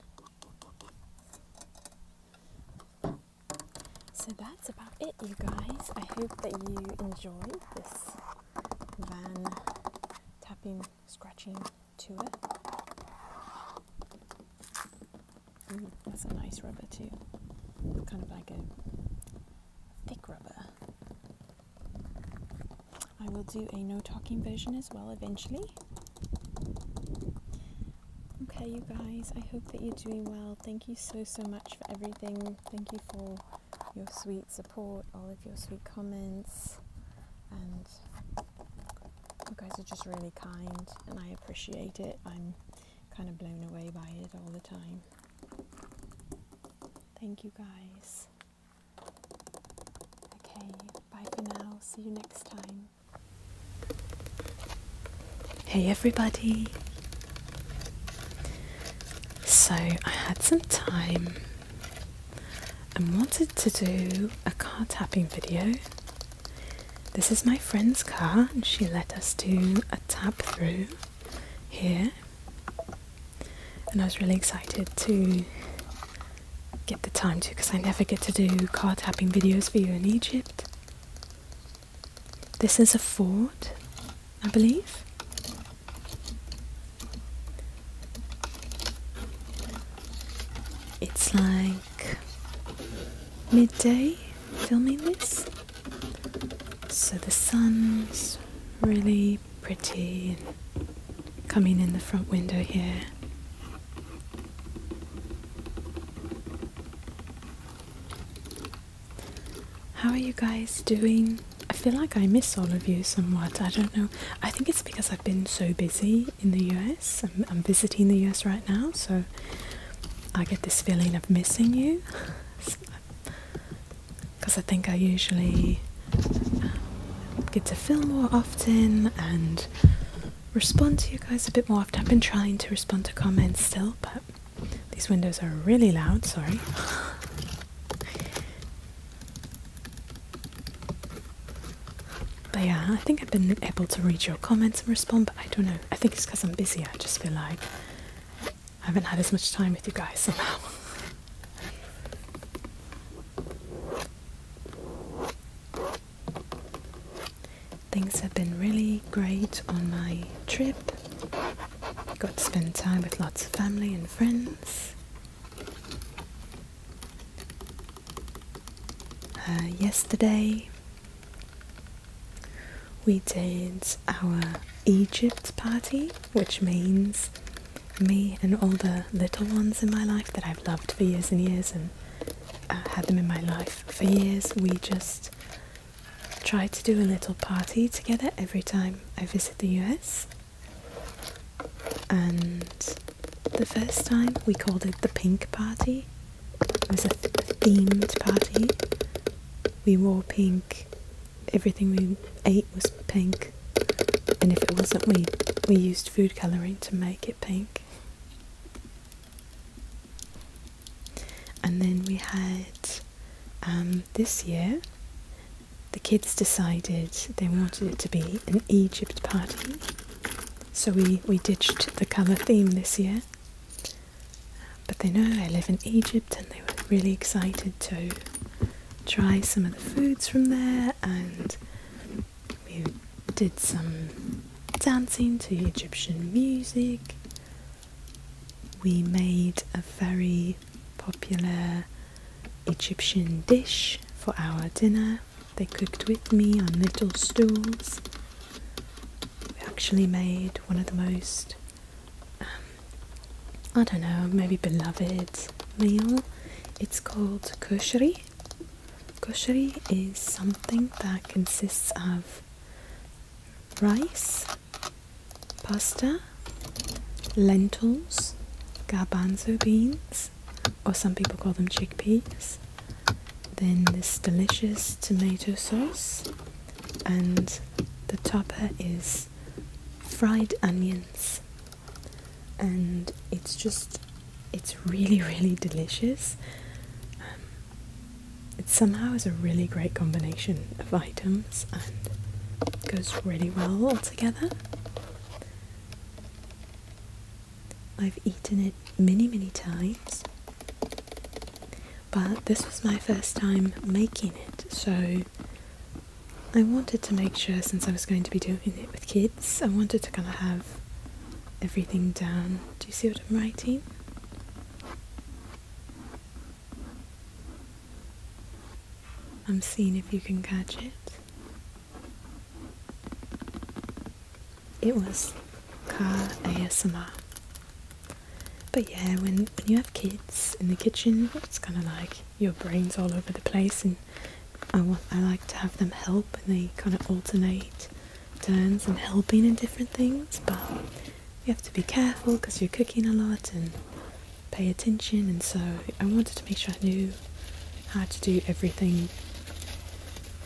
So that's about it you guys. I hope that you enjoyed this van tapping, scratching tour. Ooh, mm, that's a nice rubber too. kind of like a thick rubber. I will do a no talking version as well eventually. Okay, you guys, I hope that you're doing well. Thank you so, so much for everything. Thank you for your sweet support, all of your sweet comments, and you guys are just really kind, and I appreciate it. I'm kind of blown away by it all the time. Thank you guys. Okay, bye for now. See you next time. Hey everybody. So, I had some time and wanted to do a car tapping video. This is my friend's car and she let us do a tap through here, and I was really excited to get the time to because I never get to do car tapping videos for you in Egypt. This is a fort, I believe. It's like midday filming this. So the sun's really pretty coming in the front window here. How are you guys doing? I feel like I miss all of you somewhat. I don't know. I think it's because I've been so busy in the US. I'm, visiting the US right now, so I get this feeling of missing you. [laughs] because I think I usually um, get to film more often and respond to you guys a bit more often. I've been trying to respond to comments still, but these windows are really loud, sorry. But yeah, I think I've been able to read your comments and respond, but I don't know. I think it's because I'm busy. I just feel like I haven't had as much time with you guys somehow. Things have been really great on my trip. Got to spend time with lots of family and friends. Uh, yesterday we did our Egypt party, which means me and all the little ones in my life that I've loved for years and years and uh, had them in my life for years. We just try to do a little party together every time I visit the US. And the first time we called it the pink party. It was a themed party. We wore pink everything we ate was pink, and if it wasn't, we we used food coloring to make it pink. And then we had um, this year. The kids decided they wanted it to be an Egypt party, so we we ditched the color theme this year, but they know I live in Egypt and they were really excited to try some of the foods from there and we did some dancing to Egyptian music. We made a very popular Egyptian dish for our dinner. They cooked with me on little stools. We actually made one of the most um, I don't know, maybe beloved meal. It's called kosheri. Kosheri is something that consists of rice, pasta, lentils, garbanzo beans, or some people call them chickpeas. Then this delicious tomato sauce, and the topper is fried onions and it's just it's really really delicious um, it somehow is a really great combination of items and goes really well all together I've eaten it many many times but this was my first time making it so I wanted to make sure, since I was going to be doing it with kids, I wanted to kind of have everything down. Do you see what I'm writing? I'm seeing if you can catch it. It was car ASMR. But yeah, when, when you have kids in the kitchen, it's kind of like your brain's all over the place, and I want I like to have them help, and they kind of alternate turns and helping in different things. But you have to be careful because you're cooking a lot and pay attention. And so I wanted to make sure I knew how to do everything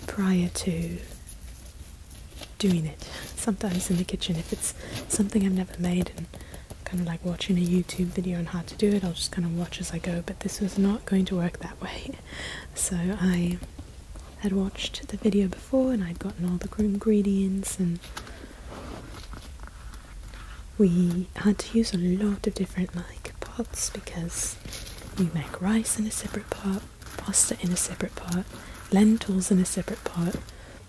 prior to doing it. [laughs] Sometimes in the kitchen, if it's something I've never made and kind of like watching a YouTube video on how to do it. I'll just kind of watch as I go, but this was not going to work that way. So I had watched the video before and I'd gotten all the ingredients and we had to use a lot of different like pots because we make rice in a separate pot, pasta in a separate pot, lentils in a separate pot,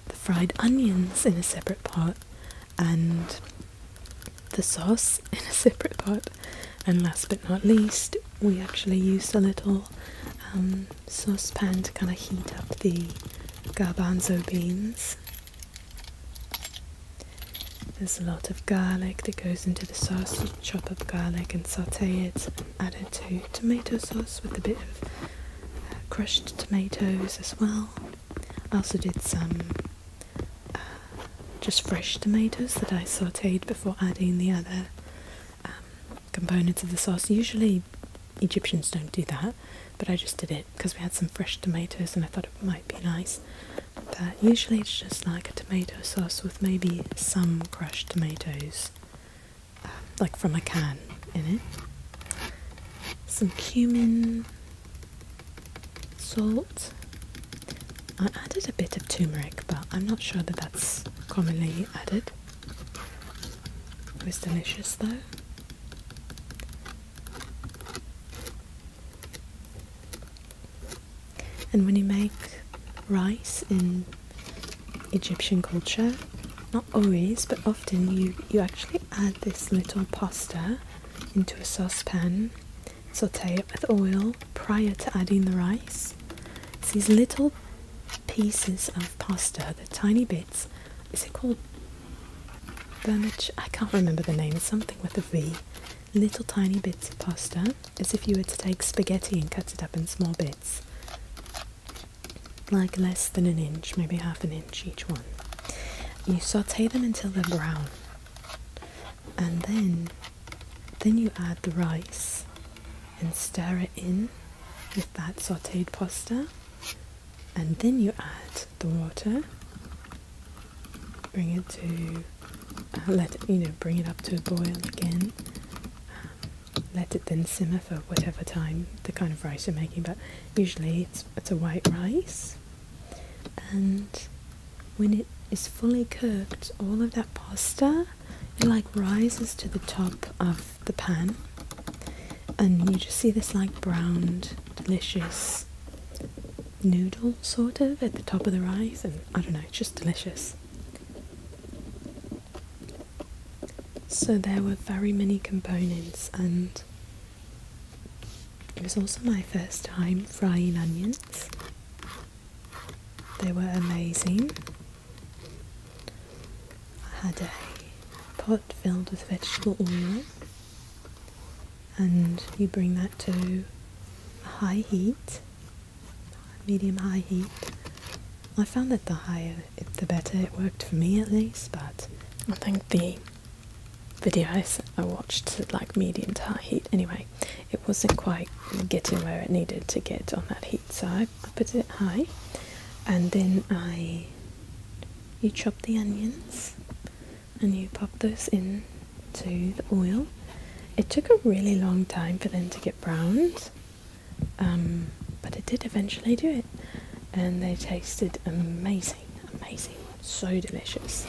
the fried onions in a separate pot and the sauce [laughs] in a separate pot. And last but not least, we actually used a little um, saucepan to kind of heat up the garbanzo beans. There's a lot of garlic that goes into the sauce. chop up garlic and saute it, add it to tomato sauce with a bit of uh, crushed tomatoes as well. I also did some uh, just fresh tomatoes that I sauteed before adding the other um, components of the sauce. Usually Egyptians don't do that, but I just did it because we had some fresh tomatoes and I thought it might be nice. But usually it's just like a tomato sauce with maybe some crushed tomatoes, um, like from a can in it some cumin, salt. I added a bit of turmeric, but I'm not sure that that's commonly added. It was delicious though. And when you make rice in Egyptian culture, not always but often you you actually add this little pasta into a saucepan saute it with oil prior to adding the rice these little pieces of pasta the tiny bits is it called vermicelli i can't remember the name something with a v little tiny bits of pasta as if you were to take spaghetti and cut it up in small bits like less than an inch, maybe half an inch each one. You saute them until they're brown, and then then you add the rice and stir it in with that sauteed pasta, and then you add the water. Bring it to let you know bring it up to a boil again. Um, let it then simmer for whatever time the kind of rice you're making, but Usually it's, it's a white rice, and when it is fully cooked, all of that pasta it like rises to the top of the pan, and you just see this like browned, delicious noodle sort of at the top of the rice, and I don't know, it's just delicious. So there were very many components, and it was also my first time frying onions. They were amazing. I had a pot filled with vegetable oil, and you bring that to a high heat, medium high heat. I found that the higher the better it worked for me at least, but I think the videos I watched, like medium to high heat. Anyway, it wasn't quite getting where it needed to get on that heat, side. I put it high, and then I you chop the onions and you pop those in to the oil. It took a really long time for them to get browned, um, but it did eventually do it, and they tasted amazing amazing, so delicious.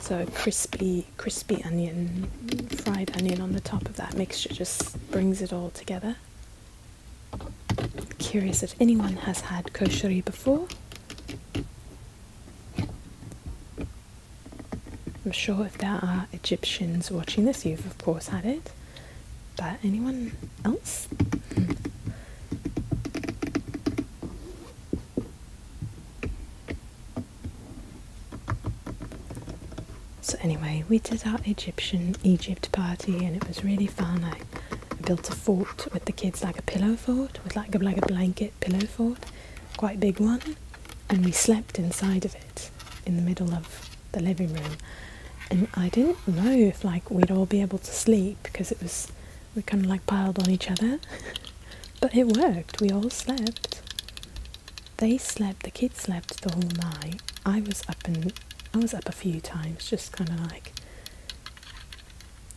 So crispy, crispy onion, fried onion on the top of that mixture just brings it all together. Curious if anyone has had koshari before. I'm sure if there are Egyptians watching this, you've of course had it. But anyone else? So anyway, we did our Egyptian Egypt party and it was really fun. I built a fort with the kids, like a pillow fort, with like a, like a blanket pillow fort, quite big one, and we slept inside of it in the middle of the living room. And I didn't know if like we'd all be able to sleep because it was we kind of like piled on each other. [laughs] but it worked. We all slept. They slept. The kids slept the whole night. I was up and I was up a few times, just kind of like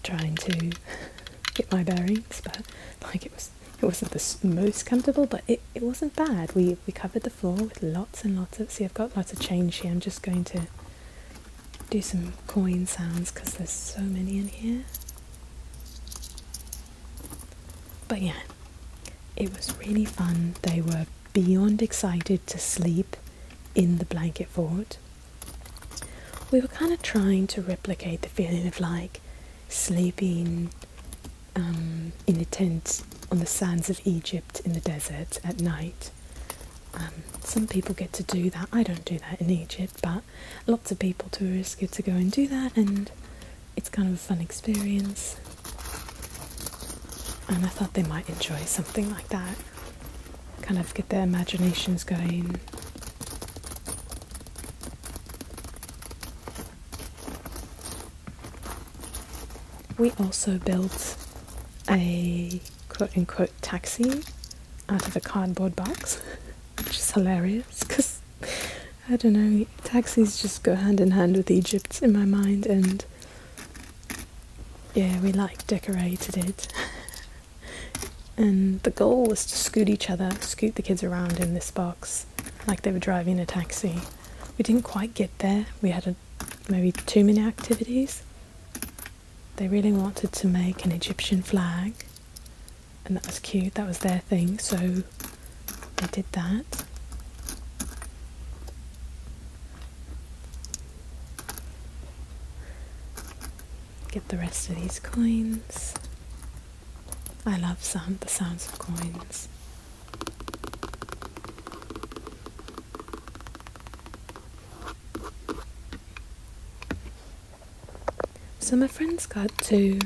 trying to [laughs] get my bearings. But like it was, it wasn't the most comfortable, but it, it wasn't bad. We we covered the floor with lots and lots of. See, I've got lots of change here. I'm just going to do some coin sounds because there's so many in here. But yeah, it was really fun. They were beyond excited to sleep in the blanket fort. We were kind of trying to replicate the feeling of like sleeping um, in a tent on the sands of Egypt in the desert at night. Um, some people get to do that. I don't do that in Egypt but lots of people, tourists, get to go and do that, and it's kind of a fun experience. And I thought they might enjoy something like that. Kind of get their imaginations going. We also built a quote unquote taxi out of a cardboard box, [laughs] which is hilarious because I don't know, taxis just go hand in hand with Egypt in my mind, and yeah, we like decorated it. [laughs] and the goal was to scoot each other, scoot the kids around in this box like they were driving a taxi. We didn't quite get there, we had maybe too many activities they really wanted to make an Egyptian flag, and that was cute, that was their thing, so they did that. Get the rest of these coins. I love sound, the sounds of coins. So my friend's got two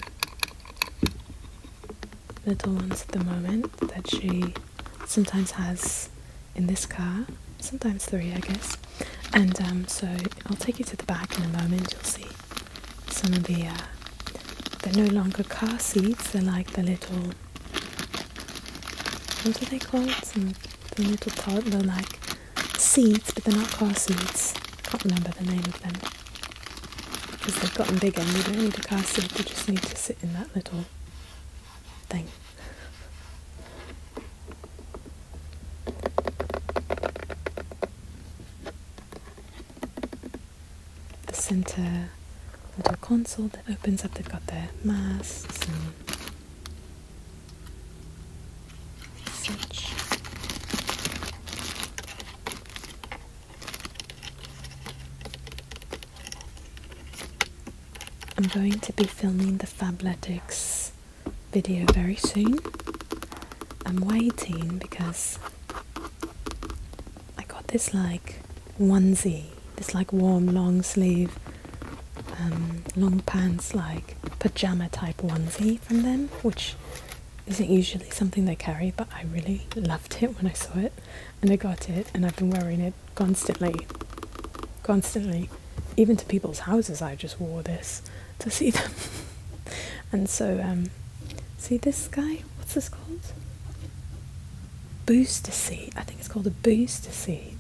little ones at the moment that she sometimes has in this car, sometimes three, I guess. And um, so I'll take you to the back in a moment. You'll see some of the. Uh, they're no longer car seats. They're like the little. What are they called? Some, the little toddler like seeds, but they're not car seeds. Can't remember the name of them because they've gotten bigger and we don't need a car seat. We just need to sit in that little thing. The centre little console that opens up. They've got their masks I'm going to be filming the Fabletics video very soon. I'm waiting because I got this like onesie, this like warm long sleeve, um, long pants like pajama type onesie from them, which isn't usually something they carry, but I really loved it when I saw it and I got it, and I've been wearing it constantly. Constantly. Even to people's houses, I just wore this to see them. [laughs] and so, um, see this guy? What's this called? Booster seat. I think it's called a booster seat.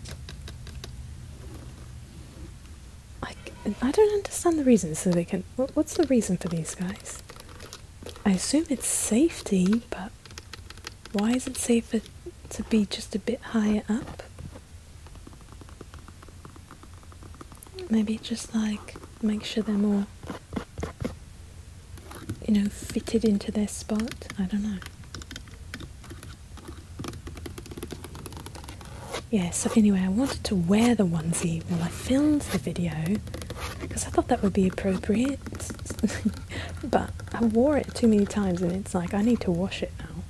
I, I don't understand the reason. So they can. what's the reason for these guys? I assume it's safety, but why is it safer to be just a bit higher up? Maybe just like make sure they're more, you know, fitted into their spot. I don't know. Yeah, so anyway, I wanted to wear the onesie while I filmed the video because I thought that would be appropriate, [laughs] but I wore it too many times and it's like I need to wash it now.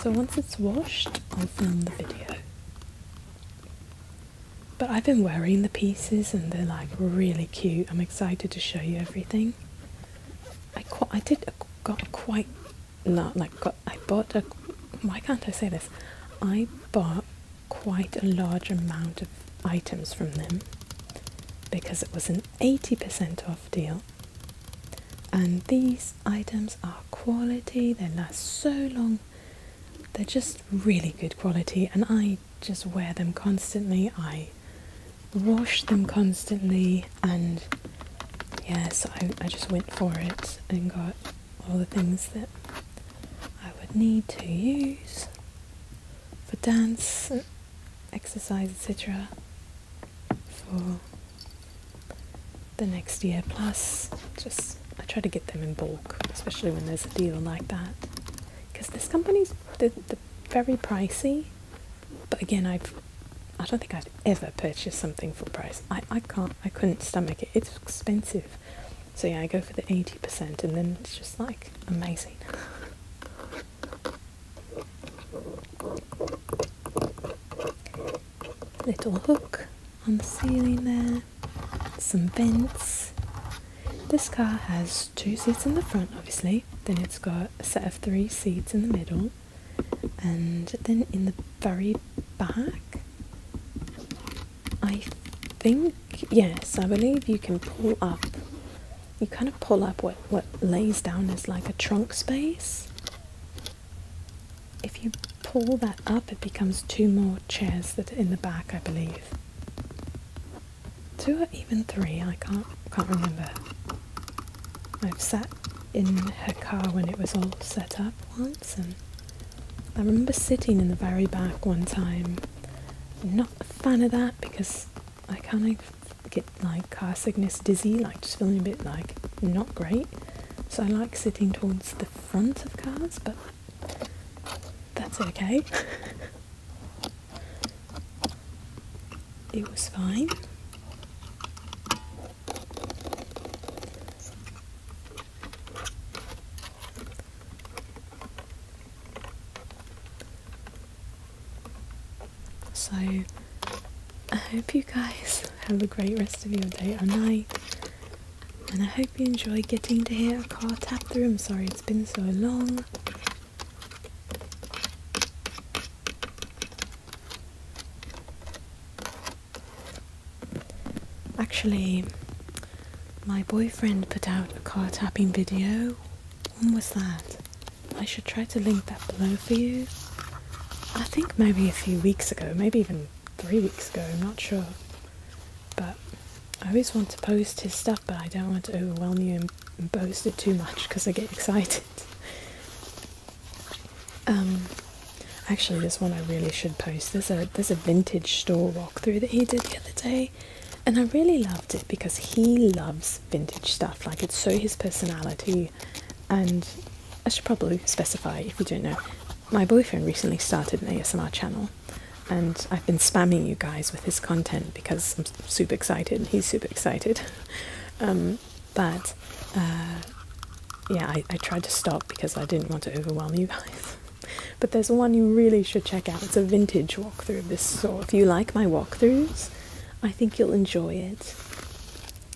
So once it's washed, I'll film the video. But I've been wearing the pieces and they're like really cute. I'm excited to show you everything. I, I did got quite not like got, I bought a why can't I say this? I bought quite a large amount of items from them because it was an 80% off deal. And these items are quality, they last so long, they're just really good quality, and I just wear them constantly. I wash them constantly, and yes, I, I just went for it and got all the things that I would need to use for dance, exercise, etc. for the next year plus. Just I try to get them in bulk, especially when there's a deal like that, because this company's they very pricey. But again, I've I don't think I've ever purchased something full price. I, I can't. I couldn't stomach it. It's expensive. So yeah, I go for the 80% and then it's just like amazing. Little hook on the ceiling there, some vents. This car has two seats in the front, obviously, then it's got a set of three seats in the middle, and then in the very back I think, yes, I believe you can pull up. You kind of pull up what, what lays down is like a trunk space. If you pull that up, it becomes two more chairs that are in the back, I believe. Two or even three, I can't, can't remember. I've sat in her car when it was all set up once, and I remember sitting in the very back one time. I'm not a fan of that because I kind of get like car sickness, dizzy, like just feeling a bit like not great. So I like sitting towards the front of cars, but that's okay. it was fine. So, I hope you guys [laughs] have a great rest of your day or night, and I hope you enjoy getting to hear a car tap the room. Sorry it's been so long. Actually, my boyfriend put out a car tapping video. When was that? I should try to link that below for you. I think maybe a few weeks ago, maybe even three weeks ago, I'm not sure. But I always want to post his stuff, but I don't want to overwhelm you and, and post it too much because I get [laughs] excited. Um, Actually, this one I really should post. There's a there's a vintage store walkthrough that he did the other day, and I really loved it because he loves vintage stuff. Like it's so his personality, and I should probably specify if you don't know. My boyfriend recently started an ASMR channel, and I've been spamming you guys with his content because I'm super excited. He's super excited, [laughs] um, but. Uh, yeah, I, tried to stop because I didn't want to overwhelm you guys. [laughs] but there's one you really should check out. It's a vintage walkthrough this so If you like my walkthroughs, I think you'll enjoy it.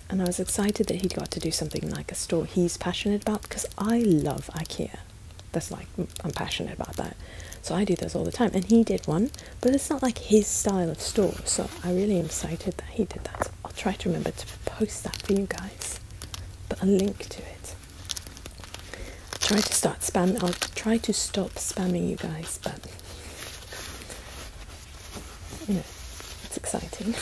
And I was excited that he'd got to do something like a store he's passionate about because I love IKEA. That's like, I'm passionate about that. So I do those all the time. And he did one, but it's not like his style of store. So I really am excited that he did that. So I'll try to remember to post that for you guys but a link to it. I'll try to start spam. I'll try to stop spamming you guys, but you it's exciting. [laughs]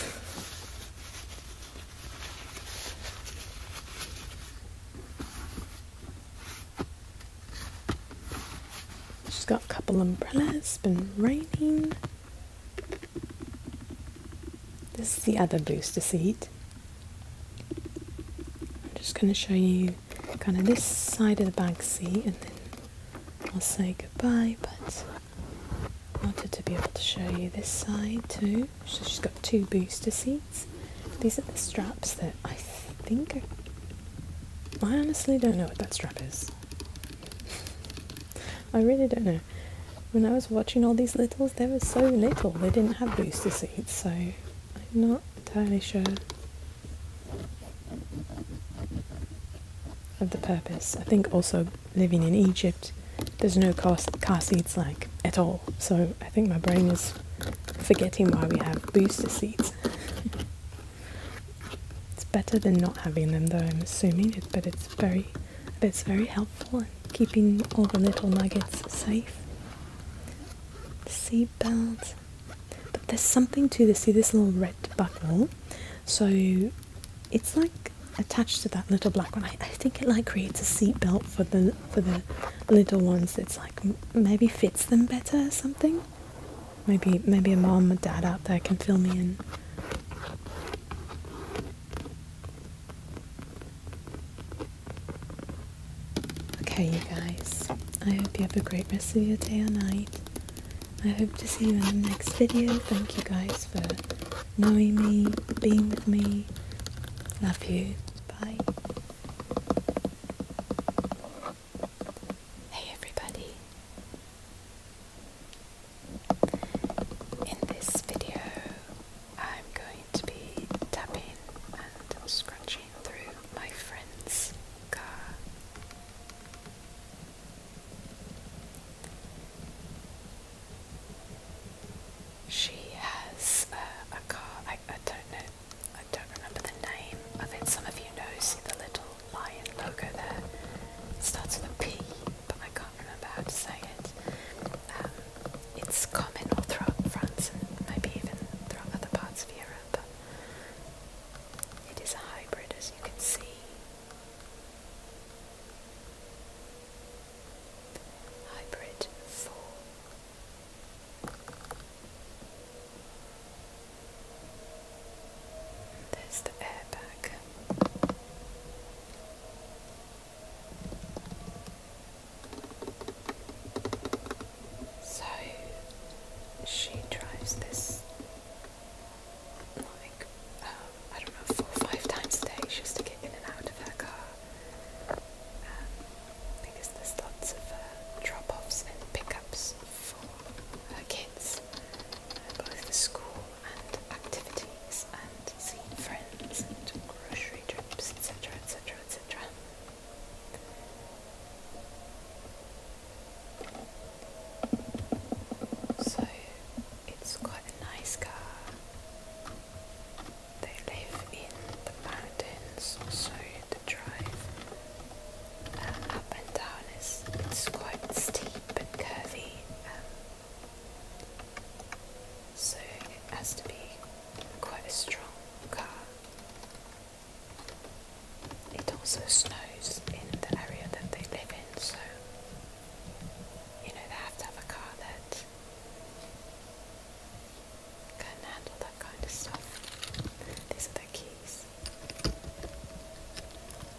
She's got a couple umbrellas. It's been raining. This is the other booster seat. I'm just going to show you kind of this side of the back seat and then I'll say goodbye, but I wanted to be able to show you this side too. So she's got two booster seats. These are the straps that I think I honestly don't know what that strap is. I really don't know. When I was watching all these littles, there was so little. They didn't have booster seats, so I'm not entirely sure of the purpose. I think also living in Egypt, there's no car, car seats like at all. So I think my brain is forgetting why we have booster seats. [laughs] it's better than not having them, though. I'm assuming it, but it's very but it's very helpful in keeping all the little nuggets safe. Seatbelt. But there's something to this. See this little red buckle? So it's like attached to that little black one. I, think it like creates a seatbelt for the for the little ones. It's like maybe fits them better or something. Maybe maybe a mom or dad out there can fill me in. Okay, you guys. I hope you have a great rest of your day or night. I hope to see you in the next video. Thank you guys for knowing me, being with me. Love you. Bye. Hey everybody. In this video, I'm going to be tapping and scratching through my friend's car. She has uh, a car, I, I don't know, I don't remember the name of it. Some of you know, see the little lion logo there. It starts with a P, but I can't remember how to say it. Um, it's common all throughout France and maybe even throughout other parts of Europe. It is a hybrid, as you can see. Hybrid 4. There's the airbag. So she drives this like um, I don't know four five times a day just to get in and out of her car um, because there's lots of uh, drop-offs and pickups for her kids, uh, both for school and activities and seen friends and grocery trips, etc., etc., etc. So it's quite a nice car. They live in the mountains, so the drive uh, up and down is it's quite steep and curvy. Um, so it has to be quite a strong car. It also snows in the area that they live in, so you know they have to have a car that can handle that kind of stuff. These are the keys.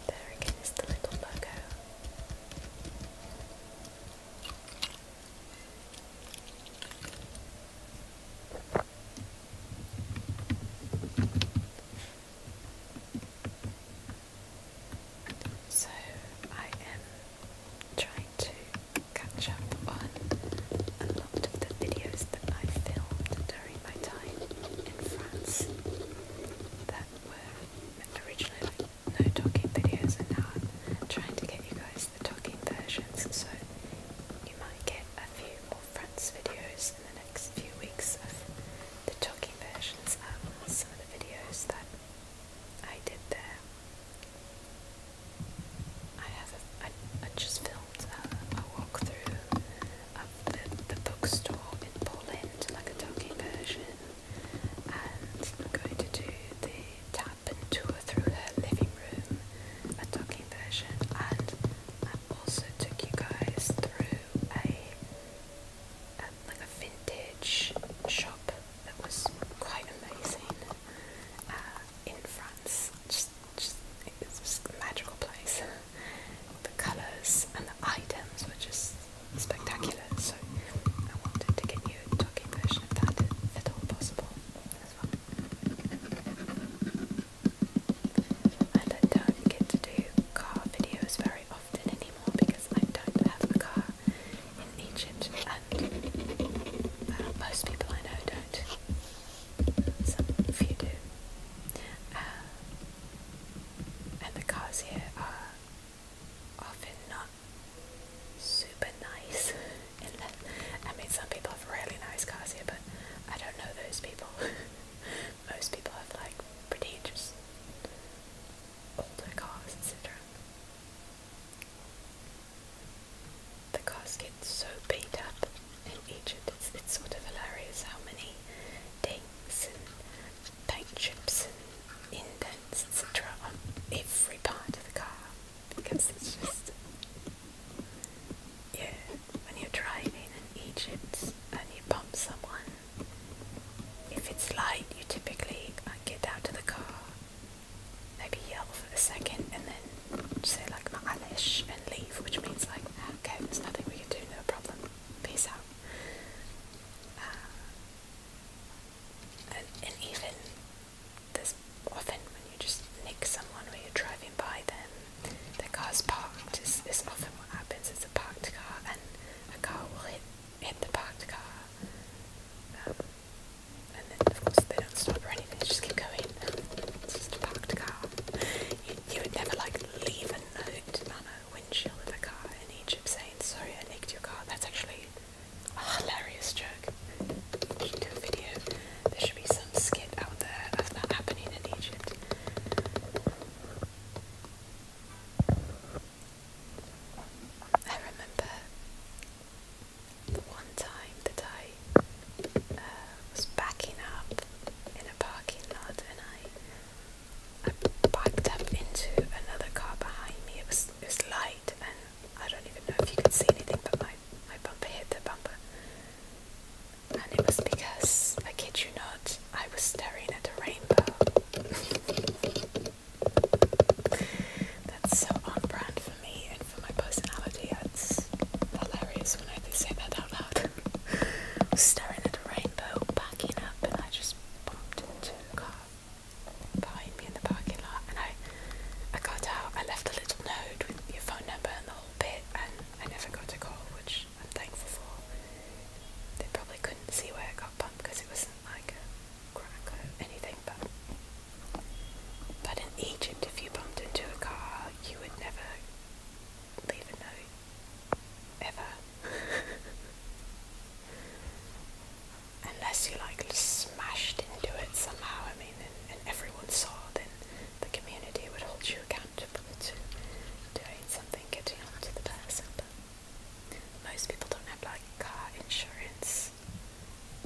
There again the little logo. So I am trying to catch up on a lot of the videos that I filmed during my time in France that were originally like no talking videos and now I'm trying to get you guys the talking versions so you might get a few more friends videos in the next few weeks of the talking versions of some of the videos that I did there. I have a, I, I just filmed a, walk through of the, the bookstore in Poland, like a talking version, and I'm going to do the Thai up and tour through her living room, a talking version, and I also took you guys through a, um, like a vintage shop that was quite amazing uh, in France. Just, just it was just a magical place. the colours and the items were just spectacular. So I wanted to give you you talking version of that at all possible And I don't get to do car videos very often anymore because I don't have a car in Egypt and uh, most people I know don't. Some few do. Uh, and the cars here are often not super nice in [laughs] that I mean some people have really nice cars here but I don't know those people. [laughs] Most people have like pretty just older cars, etc. The cars get so beat up in Egypt. It's, it's sort of hilarious how many dings and paint chips and indents, etc. on every part of the car because it's just yeah. When you're driving in Egypt and you bump someone, if it's light, you typically uh, get out of the car, maybe yell for a second, and then say like "Maalesh" and leave, which means like okay, there's nothing we can do, no problem, peace out. Uh, and even there's often when you just nick someone or you're driving by then the car's parked. Is is often what happens. It's a parked car, and a car will hit hit the parked car, um, and then of course they don't stop or anything. They just keep going. It's just a parked car. You, would never like leave a note on a windshield of a car in Egypt saying, "Sorry, I nicked your car." That's actually a oh, hilarious joke. do a video. There should be some skit out there of that happening in Egypt. I remember one time that I uh, was backing up in a parking lot and I, backed up into another car behind me. it was light and I don't even know if you can see anything, but my, my bumper hit the bumper. And it was because, I kid you not, I was staring at a rainbow. [laughs] That's so on brand for me and for my personality. It's hilarious when I say that out loud. [laughs] I was staring at a rainbow, backing up, and I just bumped into a car behind me in the parking lot and I I got out, I left a little note with your phone number and the whole bit and I never got a call, which I'm thankful for. They probably couldn't see where I got bumped because it wasn't like a crack or anything, but but in Egypt if you bumped into a car you would never leave a note. Ever. [laughs] unless you like smashed into it somehow, I mean, and, and everyone saw, then the community would hold you accountable to doing something, getting on to the person. But most people don't have like car insurance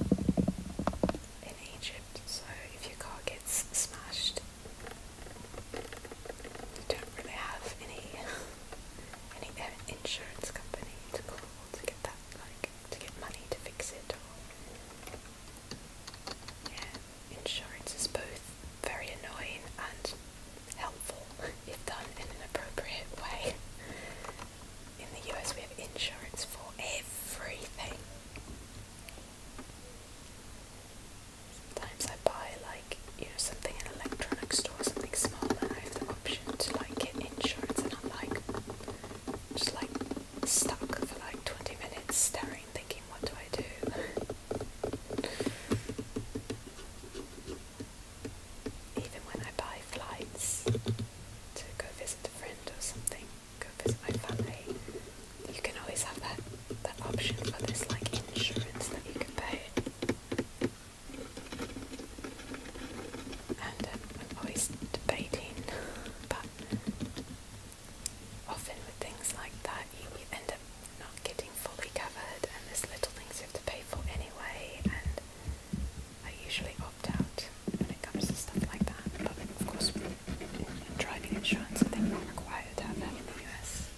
in Egypt, so if your car gets smashed, you don't really have any [laughs] any uh, insurance company to call to get that like to get money to fix it. yeah, insurance is both very annoying and helpful [laughs] if done in an appropriate way. In the US, we have insurance for everything. Sometimes I buy like you know something in an electronics store, something small, and I have the option to like get insurance, and I'm like, just like stuck for like 20 minutes staring, thinking, what do I do? Even when I buy flights to go visit a friend or something, go visit my family, you can always have that, that option for this like insurance that you can pay. And um, I'm always debating, but Often with things like that, you, you end up not getting fully covered, and there's little things you have to pay for anyway. And I usually opt out when it comes to stuff like that. But of course, in, in driving insurance, I think we're required to have that in the US.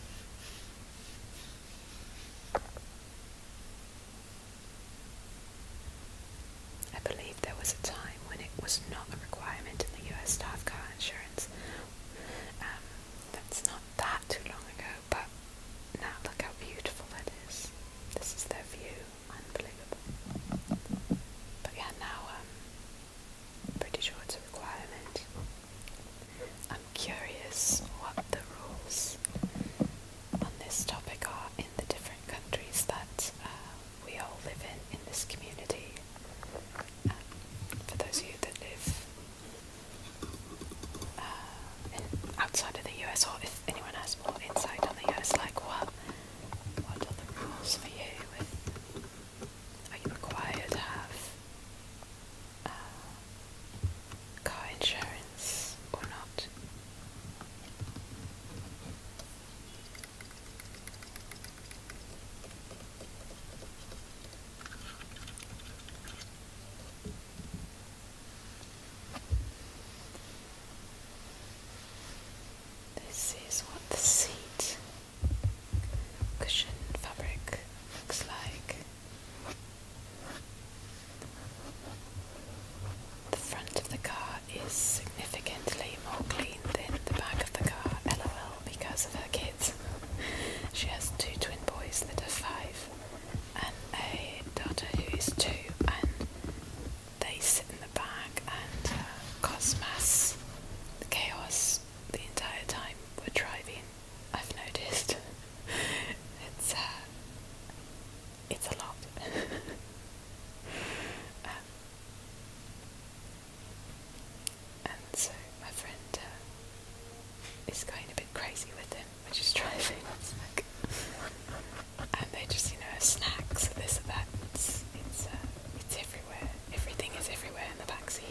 I believe there was a time when it was not a requirement in the US to have car insurance. Um, that's not that too long ago, but now look how beautiful that is. This is their view, unbelievable. But yeah, now um, I'm pretty sure it's a requirement. I'm curious what the rules on this topic are in the different countries that uh, we all live in in this community. Um, for those of you that live uh, outside of the US, or if anyone has more insight on the US, like what what are the rules for you? are you required to have uh, car insurance or not? This is what the seat cushion fabric looks like. The front of the car is significantly more clean than the back of the car, lol, because of her kids. she has two twin boys that are five and a daughter who is two, and they sit in the back and uh, cause mass chaos the entire time we're driving. I've noticed [laughs] it's uh, it's a lot. [laughs] Um, and so my friend uh, is going a bit crazy with him when she's driving. Like and they just, you know, snacks, this and that. It's uh, it's, everywhere. Everything is everywhere in the back seat.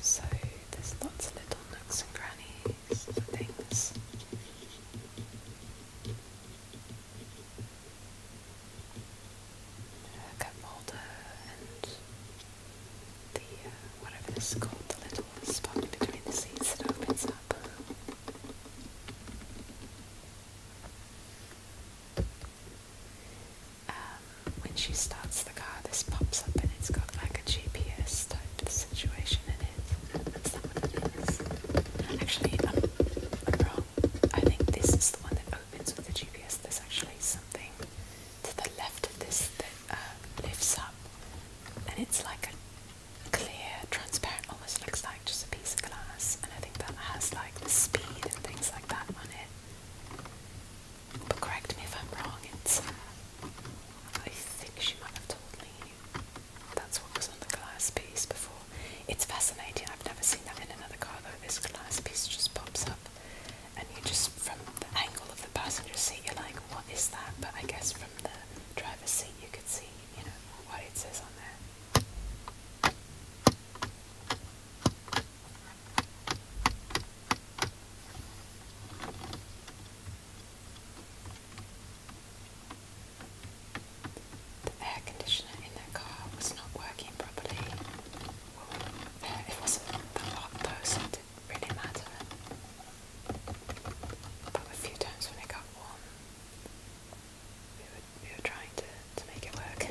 So there's lots of little nooks and crannies and things. A cup holder and the uh, whatever this is called, little spot between the seats that opens up. Um, when she starts the car, this pops up and it's got like a GPS type situation in it. That's not what it is. Actually, I'm, I'm wrong. I think this is the one that opens with the GPS. There's actually something to the left of this that uh, lifts up, and it's like a clear, transparent, almost looks like just a piece of glass, and I think that has like the speed and things like that on it. But correct me if I'm wrong, it's. Uh, I think she might have told me that's what was on the glass piece before. It's fascinating, I've never seen that in another car though. This glass piece just pops up, and you just, from the angle of the passenger seat, you're like, what is that? But I guess from the driver's seat, you could see, you know, what it says on there. The air conditioner in that car was not working properly. it wasn't that hot though, didn't really matter. But a few times when it got warm, we were, trying to, to make it work.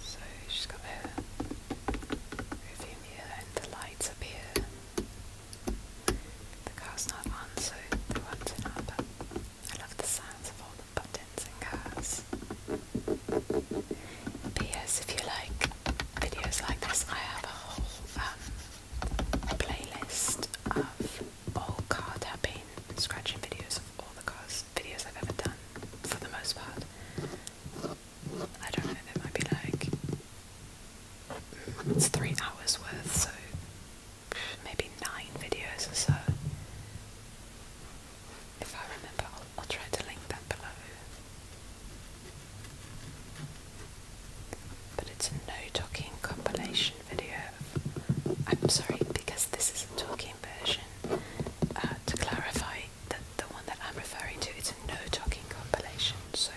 So she's got her review mirror and the lights up here. The car's not on, so they won't turn I love the sounds of all the buttons and cars. P.S. If you like videos like this, I have a whole um, playlist of all car tapping, scratching videos of all the cars, videos I've ever done, for the most part. I don't know, there might be like, it's three hours worth, so maybe nine videos or so. If I remember, I'll, try to link that below. But it's a no talking compilation video. I'm sorry, because this is a talking version. Uh, to clarify, that the one that I'm referring to is a no talking compilation. So,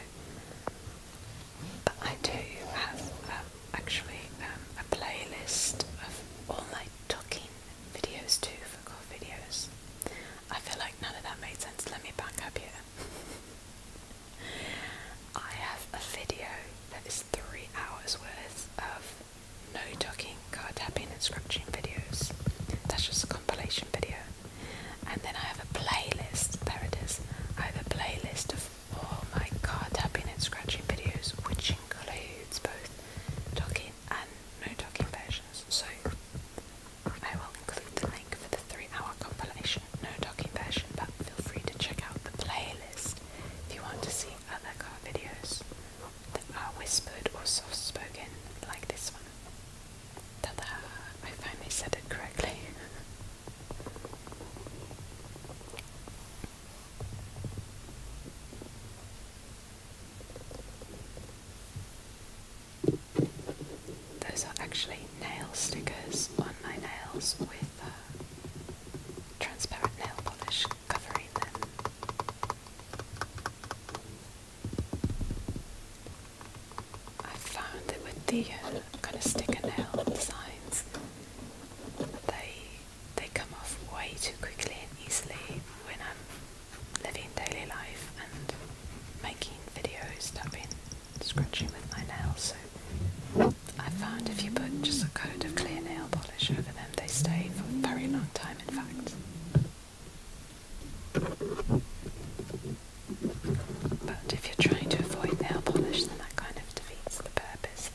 but I do have. Um, actually um, a playlist of all my talking videos too for core videos. I feel like none of that made sense. Let me back up here. [laughs] I have a video that is three hours worth of no talking, car tapping and scratching videos. That's just a compilation video. And then I have a playlist, there it is. I have a playlist of Oh my god, there have been in scratching videos which includes both talking and no talking versions, so I will include the link for the three hour compilation, no talking version, but feel free to check out the playlist if you want to see other car videos that are whispered or soft spoken like this one. Ta-da! I finally said it correctly. [laughs] Those are actually nail stickers on my nails with uh, transparent nail polish covering them. I found that with the uh, kind of sticker nail designs, they they come off way too quickly and easily when I'm living daily life and making videos that I've been scratching with my nails. So I found if you put just a coat of clear nail polish over them, they stay for a very long time, in fact. But if you're trying to avoid nail polish, then that kind of defeats the purpose,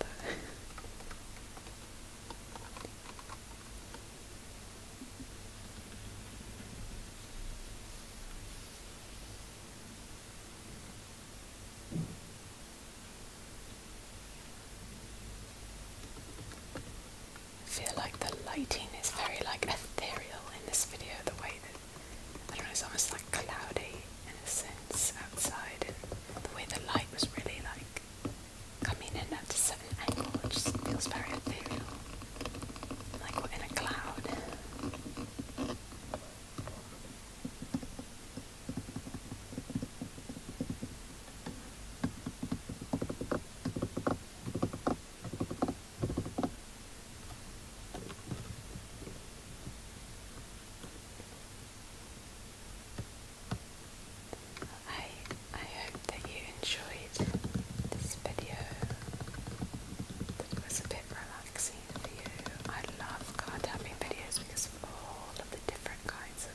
I feel like the lighting is very like ethereal in this video, the way that I don't know, it's almost like cloudy. In a sense outside the way the light was really like coming in at a certain angle it just feels very ethereal. Like we're in a cloud. I I hope that you enjoyed this video. It was a bit relaxing for you. I love card tapping videos because of all of the different kinds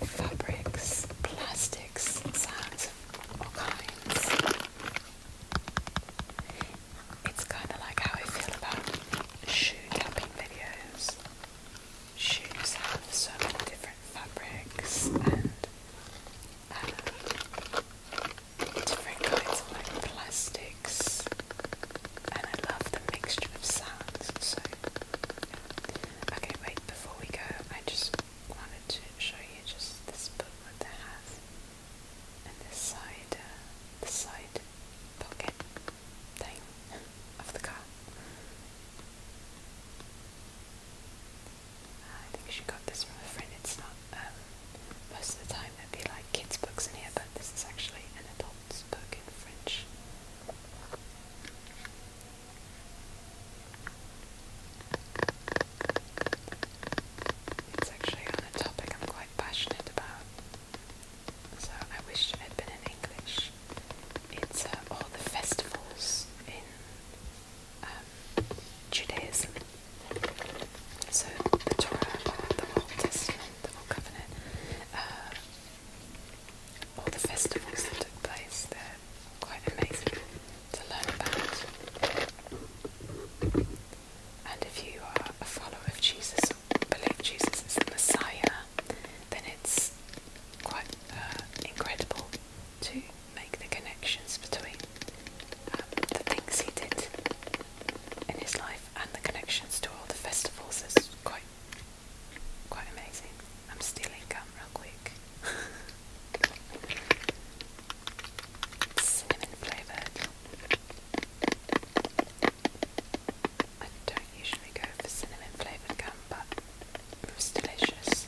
of fabrics, plastics, sounds of all kinds. It's kind of like how I feel about shoe tapping videos shoes have so many different fabrics and um, different kinds of plastics, and I love the mixture of sounds. So, okay, wait. Before we go, I just wanted to show you just this booklet that has and this side, the cider pocket thing of the car. I think she got this from a friend. It's not um, most of the time there'd be like kids' books in here, but this is actually an adult's book in French. It's actually on a topic I'm quite passionate about. So I wish it had been in English. It's uh, all the festivals in um, Judaism. So the Torah, and uh, the Old Testament, the Old Covenant, uh, all the festivals that took place, there quite amazing to learn about. And if you are a follower of Jesus below Jesus is the Messiah, then it's quite uh, incredible to make the connections between um, the things he did in his life and the connections to all the festivals It's quite quite amazing. I'm stealing gum real quick. [laughs] cinnamon flavoured. I don't usually go for cinnamon flavoured gum, but it was delicious.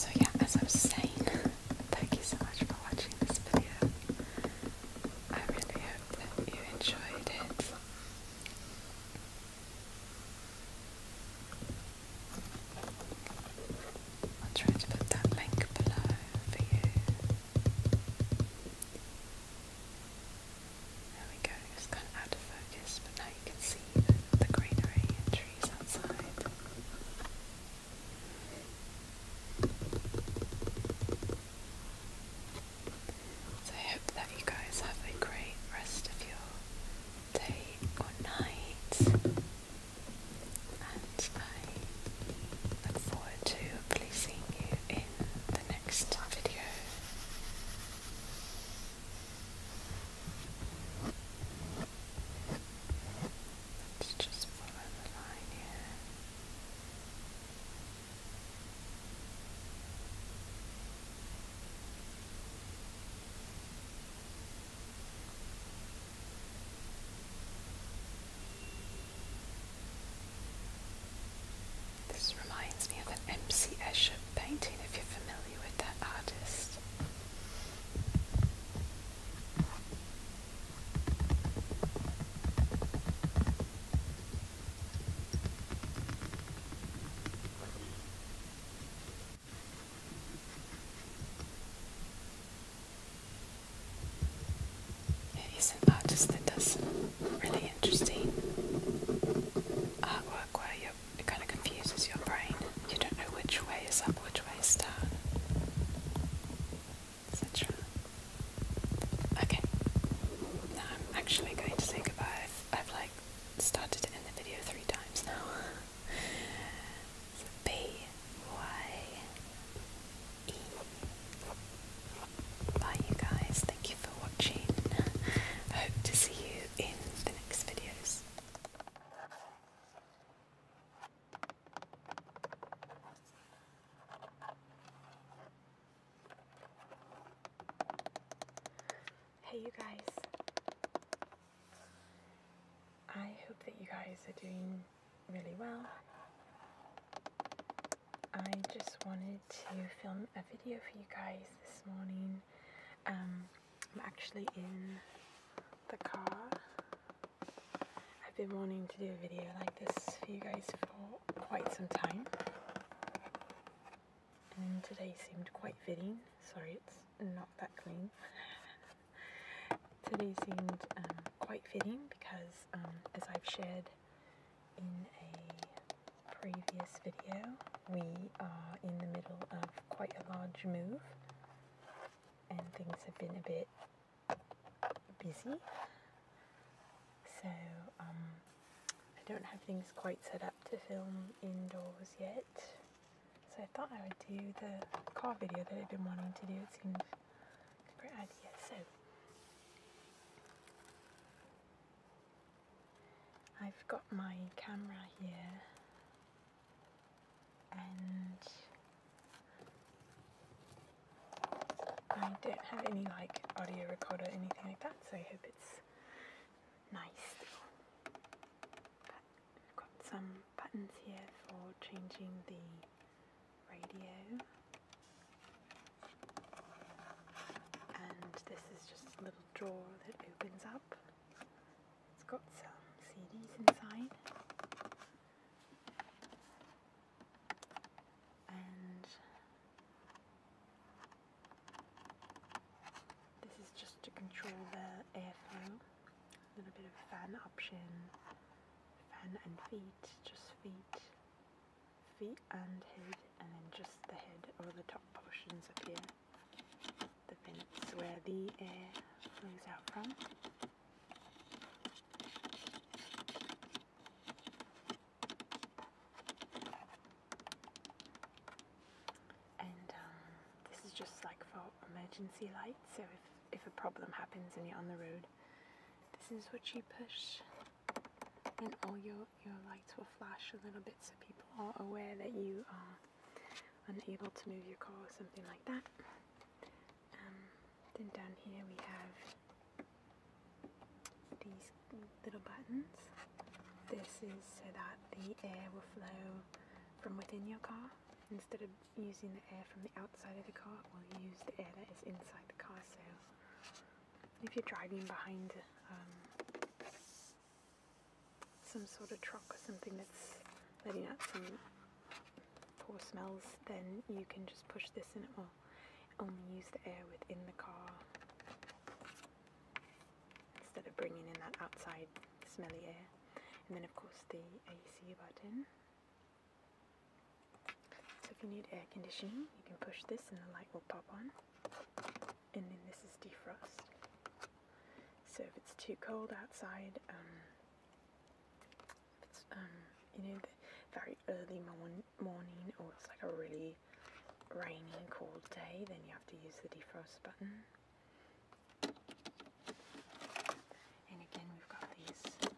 So, yeah, as I was saying, thank you so much for watching this video. I really hope that you enjoyed it i am trying to put that link below for you. There we go, it's kind of out of focus, but now you can see the greenery and trees outside. So I hope that you guys have a great rest of your day or night. And I look forward to hopefully seeing you in the next video. Let's just follow the line here. This reminds me of an M.C. Escher painting, if you're familiar with that artist. It is an artist that does really interesting artwork where it kind of confuses your brain. You don't know which way is up, which way is down, etc. Okay, now I'm actually going to say goodbye. I've, started to end the video three times now. B [laughs] Y E. Bye, you guys. Thank you for watching. hope to see you in the next videos. Hey, you guys. I hope that you guys are doing really well. I just wanted to film a video for you guys this morning. Um, I'm actually in the car. I've been wanting to do a video like this for you guys for quite some time and today seemed quite fitting. Sorry, it's not that clean. [laughs] today seemed um, quite fitting because, um, as I've shared in a previous video, we are in the middle of quite a large move and things have been a bit busy. So, um, I don't have things quite set up to film indoors yet. So I thought I would do the car video that I've been wanting to do. It seemed a great idea. So I've got my camera here and I don't have any like audio recorder or anything like that so I hope it's nice one. have got some buttons here for changing the radio. And this is just a little drawer that opens up. It's got some CDs inside. And this is just to control the airflow. A little bit of fan option. Fan and feet, just feet, feet and head, and then just the head or the top portions up here. The vents where the air flows out from. And um, this is just like for emergency lights, so if, if a problem happens and you're on the road, this is what you push and all your, your lights will flash a little bit so people are aware that you are unable to move your car or something like that. Um, then down here we have these little buttons. This is so that the air will flow from within your car. Instead of using the air from the outside of the car, we'll use the air that is inside the car. So if you're driving behind um, some sort of truck or something that's letting out some poor smells, then you can just push this in and it will only use the air within the car instead of bringing in that outside smelly air. And then of course the AC button. So if you need air conditioning, you can push this and the light will pop on. And then this is defrost. So if it's too cold outside, um, it's, um, you know, very early morn morning or it's like a really really rainy cold day, then you have to use the defrost button. And again, we've got these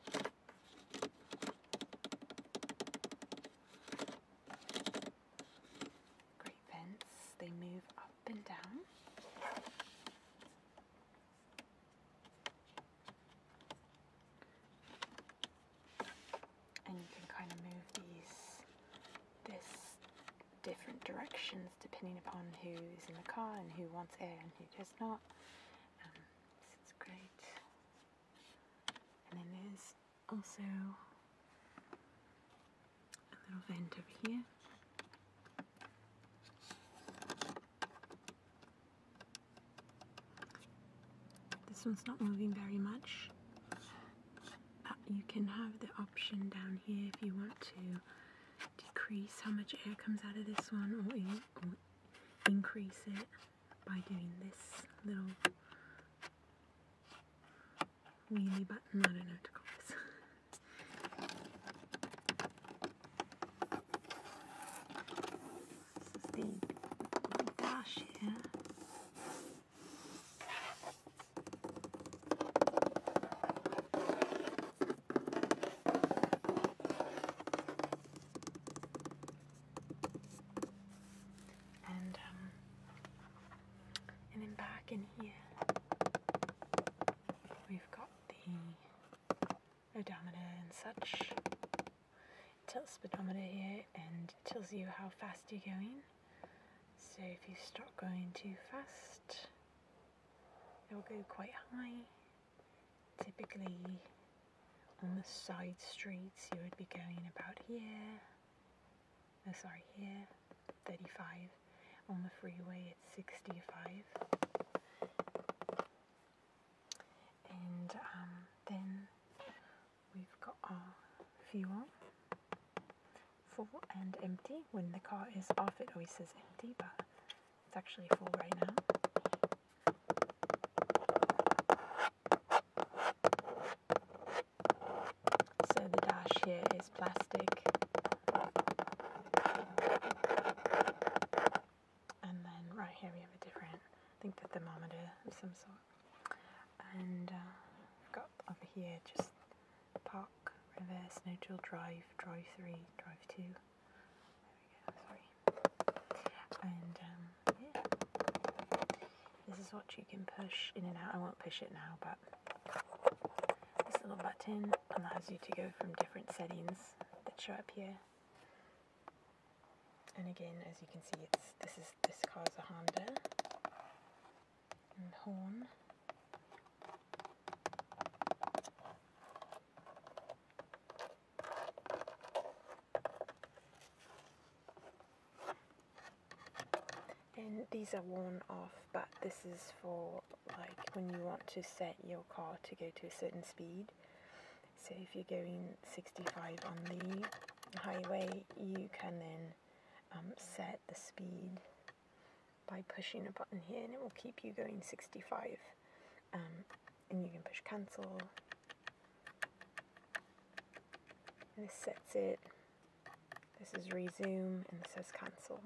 great vents. They move up and down. And you can kind of move these this different directions depending upon who's in the car and who wants air and who does not. Um, so great. And then there's also a little vent over here. This one's not moving very much. Uh, you can have the option down here if you want to decrease how much air comes out of this one or, increase it by doing this little wheelie button, I don't know to call this. [laughs] this is the dash here and um and then back in here we've got the odometer and such. It tells speedometer here and it tells you how fast you're going. So if you start going too fast, it will go quite high. Typically on the side streets, you would be going about here, oh, sorry, here, 35. On the freeway, it's 65. And um, then we've got our fuel full and empty. When the car is off, it always says empty, but it's actually full right now. So the dash here is plastic. And then right here we have a different, I think the thermometer of some sort. And uh, have got over here just park, reverse, no drill, drive, drive 3, drive 2. There we go, sorry. And um, yeah, this is what you can push in and out. I won't push it now, but this little button allows you to go from different settings that show up here. And again, as you can see, it's this is this car's a Honda and horn. And these are worn off, but this is for like when you want to set your car to go to a certain speed. So if you're going 65 on the highway, you can then um, set the speed by pushing a button here and it will keep you going 65 um, and you can push cancel this sets it this is resume and this says cancel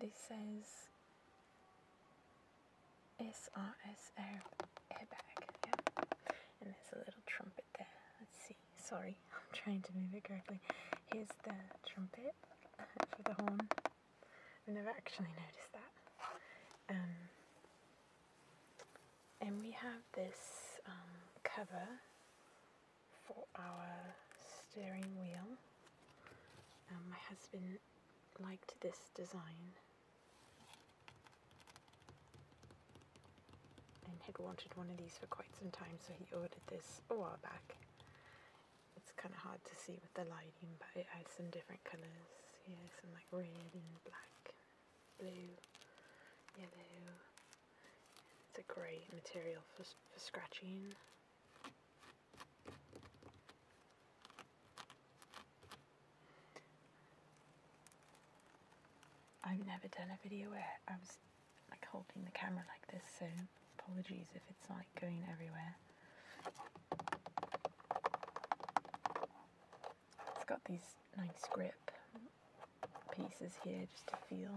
this says SRSO airbag. Yeah. And there's a little trumpet there. Let's see. Sorry, [laughs] I'm trying to move it correctly. Here's the trumpet [laughs] for the horn. I've never actually noticed that. Um, and we have this um, cover for our steering wheel. Um, my husband liked this design and had wanted one of these for quite some time so he ordered this a while back it's kind of hard to see with the lighting but it has some different colours yeah some like red and black blue yellow it's a great material for, for scratching I've never done a video where I was like holding the camera like this, so apologies if it's like going everywhere. It's got these nice grip pieces here just to feel.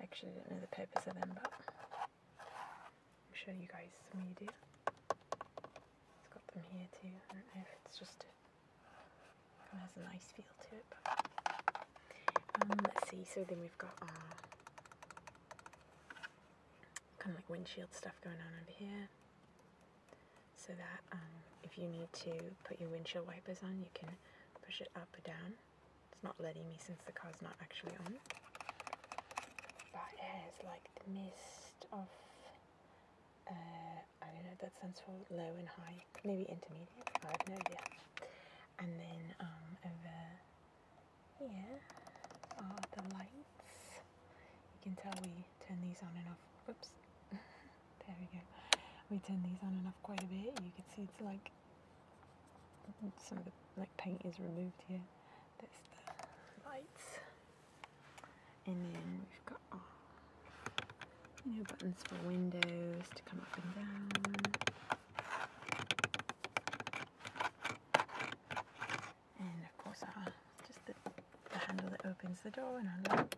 I Actually, I don't know the purpose of them, but I'll show you guys some media. It's got them here too. I don't know if it's just it has a nice feel to it. Um, let's see. So then we've got our kind of like windshield stuff going on over here. So that um, if you need to put your windshield wipers on, you can push it up or down. It's not letting me since the car's not actually on. But it has like mist of uh, I don't know, that stands for low and high, maybe intermediate, I have no idea. And then um, over here are the lights. You can tell we turn these on and off. Whoops, [laughs] there we go. We turn these on and off quite a bit. You can see it's like some of the like paint is removed here there's the lights. And then we've got oh, new buttons for windows to come up and down. And of course our, uh, just the, the handle that opens the door and unlocks.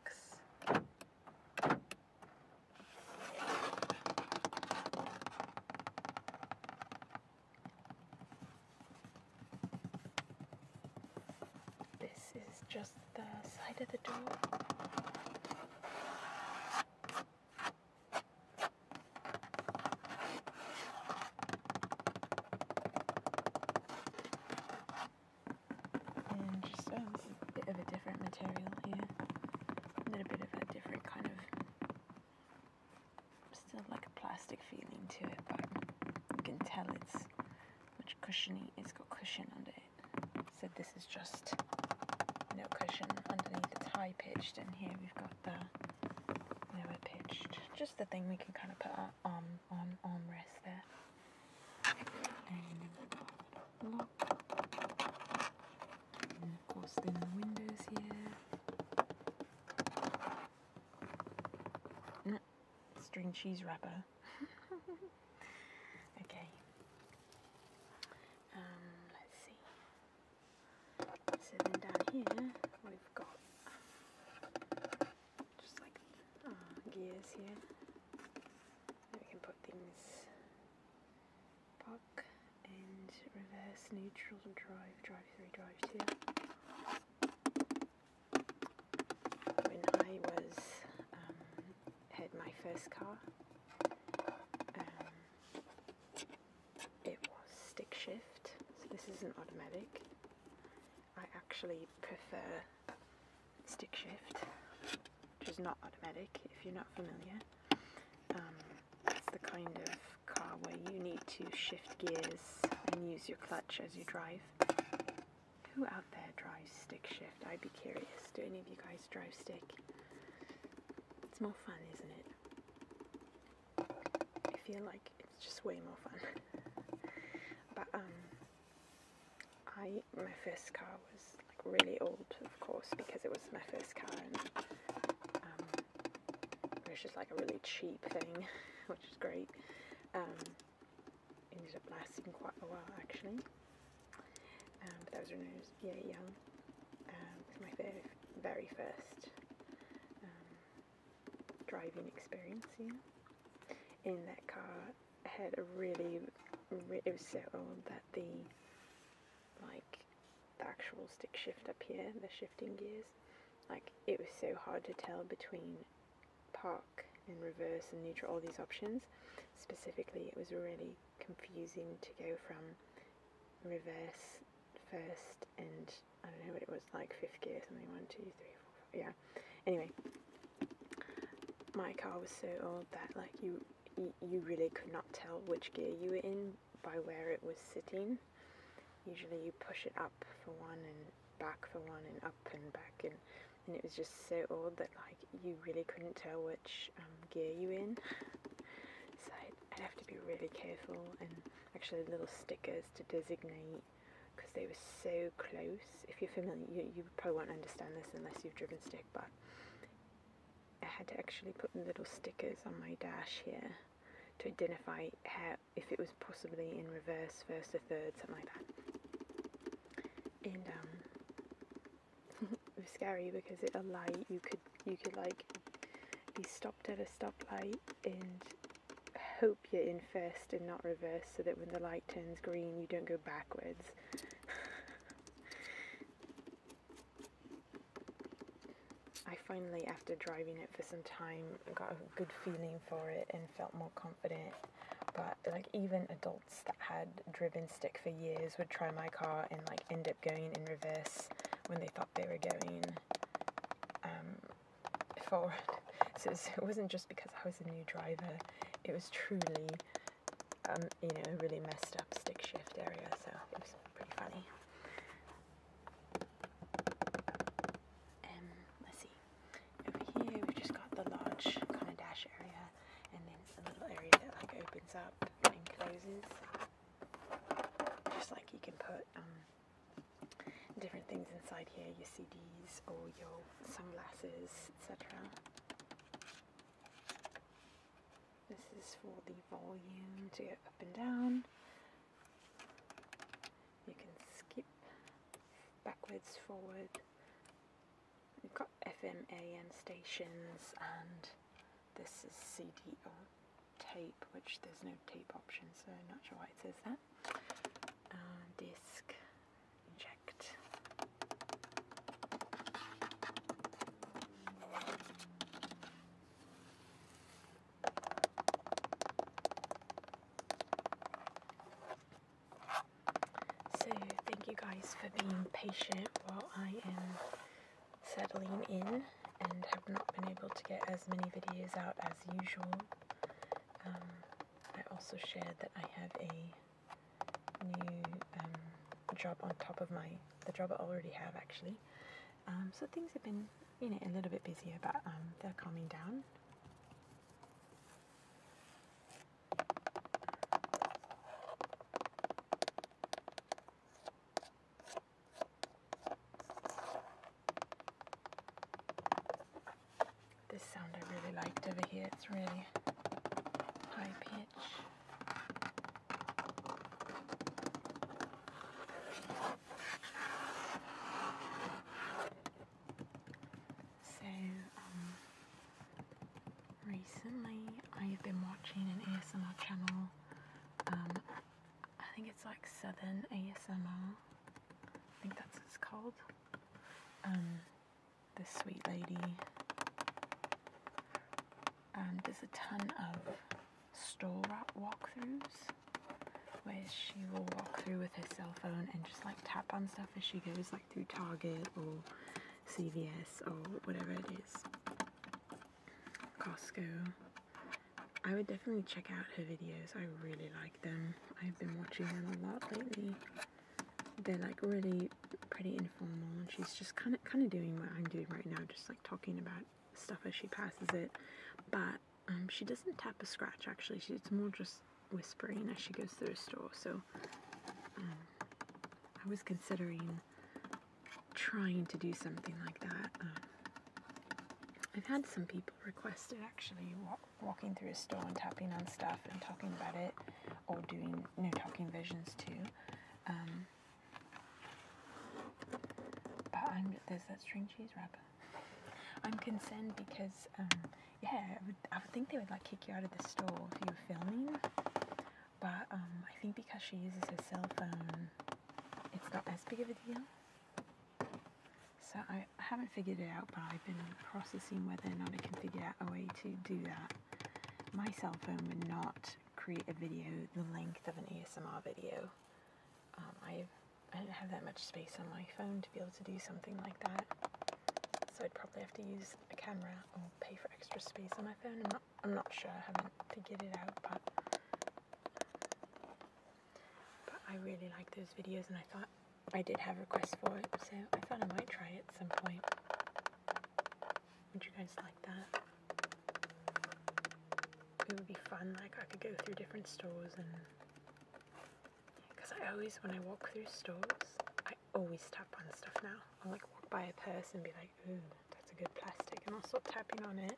This is just the side of the door. And just a bit of a different material here. A little bit of a different kind of still like a plastic feeling to it, but you can tell it's much cushiony. It's got cushion under it. So this is just no cushion underneath. It's high pitched, and here we've got the lower pitched. Just the thing we can kind of put our arm on armrest there. And And of course, then the windows here string cheese wrapper. [laughs] okay. Um, let's see. So then down here we've got just like gears here. we can put things park and reverse neutral drive, drive through, drive two when I was um, had my first car. Um, it was stick shift, so this is not automatic. I actually prefer stick shift, which is not automatic if you're not familiar. Um, it's the kind of car where you need to shift gears and use your clutch as you drive. Who out there drives stick shift? I'd be curious. Do any of you guys drive stick? It's more fun, isn't it? I feel like it's just way more fun. [laughs] but um, I my first car was like really old, of course, because it was my first car, and um, it was just like a really cheap thing, [laughs] which is great. Um, ended up lasting quite a while actually. Um, but that was when I was yeah, young. Um, it was my very, first um, driving experience, In that car had a really, it was so old that the, like, the actual stick shift up here, the shifting gears, like, it was so hard to tell between park in reverse and neutral, all these options. Specifically, it was really confusing to go from reverse first and I don't know what it was like fifth gear something one two three four five, yeah anyway my car was so old that like you you really could not tell which gear you were in by where it was sitting usually you push it up for one and back for one and up and back and, and it was just so odd that like you really couldn't tell which um, gear you in so I'd, I'd have to be really careful and actually little stickers to designate because they were so close if you're familiar you, you probably won't understand this unless you've driven stick but I had to actually put little stickers on my dash here to identify how, if it was possibly in reverse, first or third, something like that. And um, [laughs] it was scary because at a light you could you could like be stopped at a stoplight and hope you're in first and not reverse, so that when the light turns green you don't go backwards. I finally, after driving it for some time, got a good feeling for it and felt more confident but like even adults that had driven stick for years would try my car and like end up going in reverse when they thought they were going um, forward. [laughs] So, it wasn't just because I was a new driver; it was truly, um, you know, really messed up stick shift area. So it was pretty funny. Um, let's see. Over here we've just got the large kind of dash area and then a little area that like opens up and closes. Just like you can put um, different things inside here, your CDs or your sunglasses, etc. This is for the volume to go up and down you can skip backwards, forward. We've got FM, stations and this is CD or tape, which there's no tape option, so I'm not sure why it says that. Uh, disc, inject. So, thank you guys for being patient while I am settling in and have not been able to get as many videos out as usual. Um, I also shared that I have a new um, job on top of my the job I already have actually. Um, so things have been you know a little bit busier, but they're calming down. This sound I really liked over here, it's really high pitch. So, um, recently I've been watching an ASMR channel. Um, I think it's like Southern ASMR. I think that's what it's called. Um, this sweet lady um, does a ton of store walk-throughs, where she will walk through with her cell phone and just like tap on stuff as she goes through Target or CVS or whatever it is, Costco. I would definitely check out her videos. I really like them. I've been watching them a lot lately. They're like really pretty informal, and she's just kind of kind of doing what I'm doing right now, just like talking about stuff as she passes it. But um, she doesn't tap a scratch actually. She, it's more just whispering as she goes through the store. So um, I was considering trying to do something like that. Um, I've had some people request it actually, walking through a store and tapping on stuff and talking about it, or doing you talking visions too. Um, but there's that string cheese wrapper. [laughs] I'm concerned because yeah, I would, I would think they would like kick you out of the store if you were filming. But um, I think because she uses her cell phone, it's not as big of a deal. So I, haven't figured it out, but I've been processing whether or not I can figure out a way to do that. My cell phone would not create a video the length of an ASMR video. Um, I I don't have that much space on my phone to be able to do something like that so I'd probably have to use a camera or pay for extra space on my phone. I'm not, I'm not sure, I haven't figured it out, but, but I really like those videos and I thought I did have requests for it, so I thought I might try it at some point. Would you guys like that? It would be fun, like I could go through different stores and because I always, when I walk through stores, I always tap on stuff now. I'll like walk by a purse and be like, ooh, that's a good plastic, and I'll start tapping on it.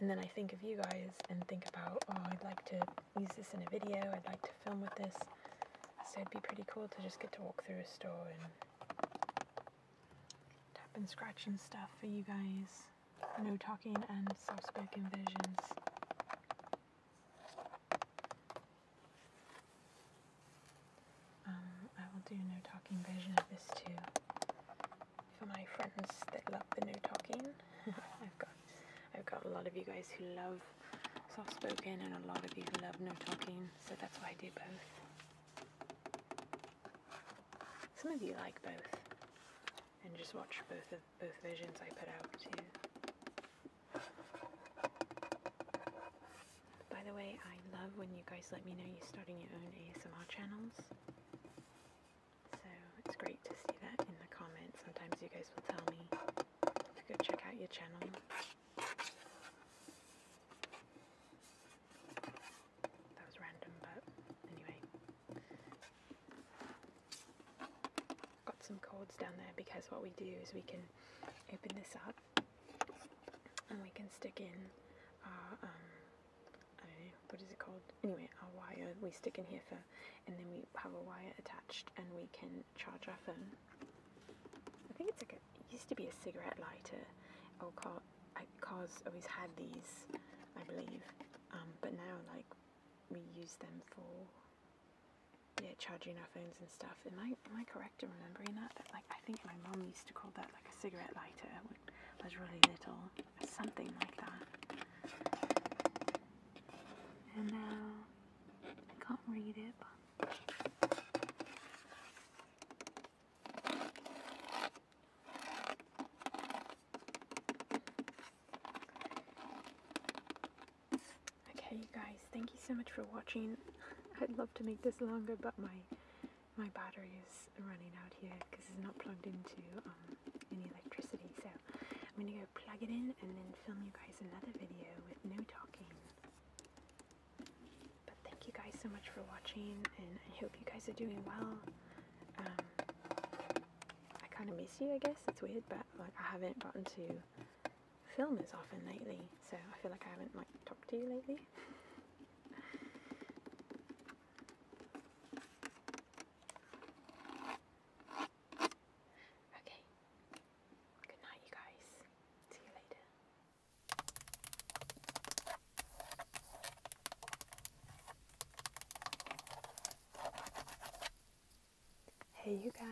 And then I think of you guys and think about, oh, I'd like to use this in a video, I'd like to film with this. So it'd be pretty cool to just get to walk through a store and tap and scratch and stuff for you guys. No talking and soft spoken versions. Um, I will do no talking version of this too. For my friends that love the new talking, [laughs] I've got I've got a lot of you guys who love soft spoken and a lot of you who love no talking, so that's why I do both. Some of you like both and just watch both of both versions I put out too. By the way, I love when you guys let me know you're starting your own ASMR channels. So it's great to see that in the comments. Sometimes you guys will tell me to go check out your channel. That was random, but anyway got some cords down there because what we do is we can open this up and we can stick in our, um, I don't know, what is it called? Anyway, our wire we stick in here for, and then we have a wire attached and we can charge our phone. I think it's like a, it used to be a cigarette lighter. Or car, cars always had these, I believe, um, but now like we use them for yeah, charging our phones and stuff. Am I am I correct in remembering that? like I think my mom used to call that like a cigarette lighter when I was really little, something like that. And now I can't read it. Okay, you guys, thank you so much for watching. [laughs] I'd love to make this longer, but my my battery is running out here because it's not plugged into um, any electricity. So I'm gonna go plug it in and then film you guys another video with no talking. But thank you guys so much for watching, and I hope you guys are doing well. Um, I kind of miss you, I guess. It's weird, but like I haven't gotten to film is often lately, so I feel like I haven't like talked to you lately. okay. Good night you guys. See you later. Hey you guys.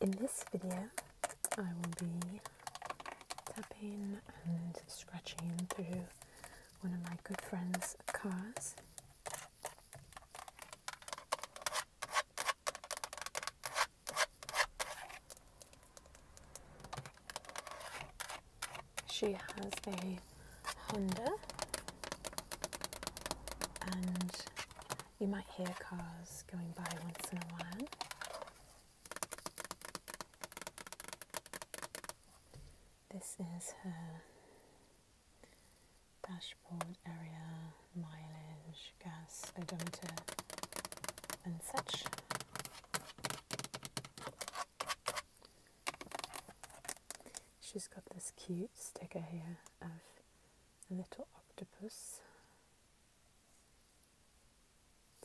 In this video, I will be tapping and scratching through one of my good friend's cars. She has a Honda and you might hear cars going by once in a while. This is her dashboard area, mileage, gas, odometer, and such. She's got this cute sticker here of a little octopus.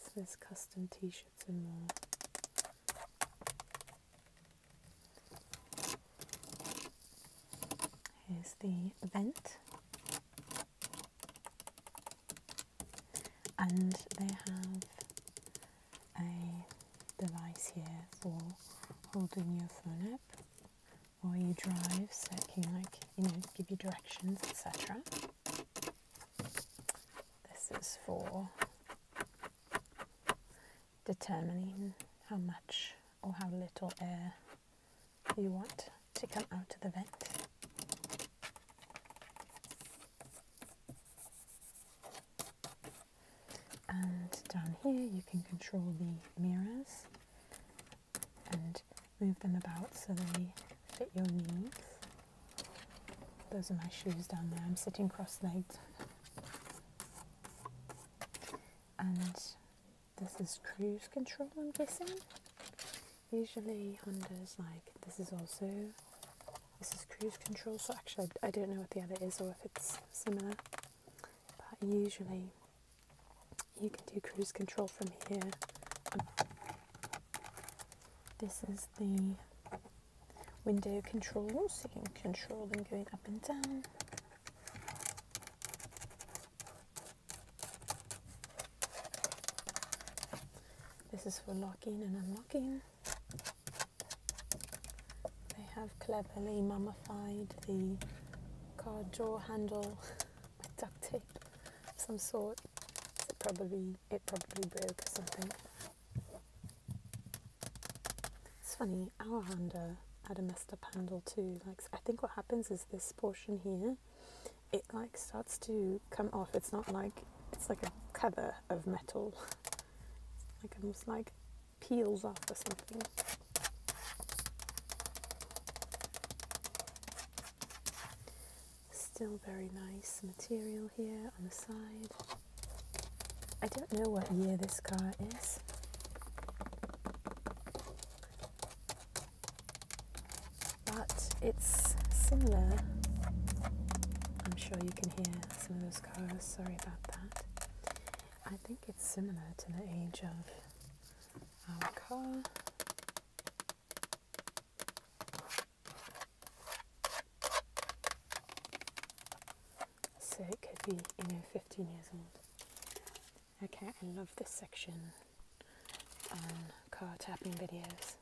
So there's custom t-shirts and more. Here's the vent. And they have a device here for holding your phone up while you drive so it can like you know give you directions etc this is for determining how much or how little air you want to come out of the vent and down here you can control the mirrors and move them about so they fit your needs. Those are my shoes down there. I'm sitting cross-legged. And this is cruise control, I'm guessing. Usually Honda's like, this is also, this is cruise control. So actually, I don't know what the other is or if it's similar but usually you can do cruise control from here. This is the window controls, you can control them going up and down. This is for locking and unlocking. They have cleverly, Mama mummified, the car door handle [laughs] with duct tape of some sort. it probably it probably broke or something. It's funny, our Honda had a messed up handle too. Like I think what happens is this portion here, it like starts to come off. It's not like it's like a cover of metal. It's [laughs] like almost like peels off or something. Still very nice material here on the side. I don't know what year this car is. But it's similar. I'm sure you can hear some of those cars, sorry about that. I think it's similar to the age of our So it could be, you know, 15 years old. Okay, I love this section on car tapping videos.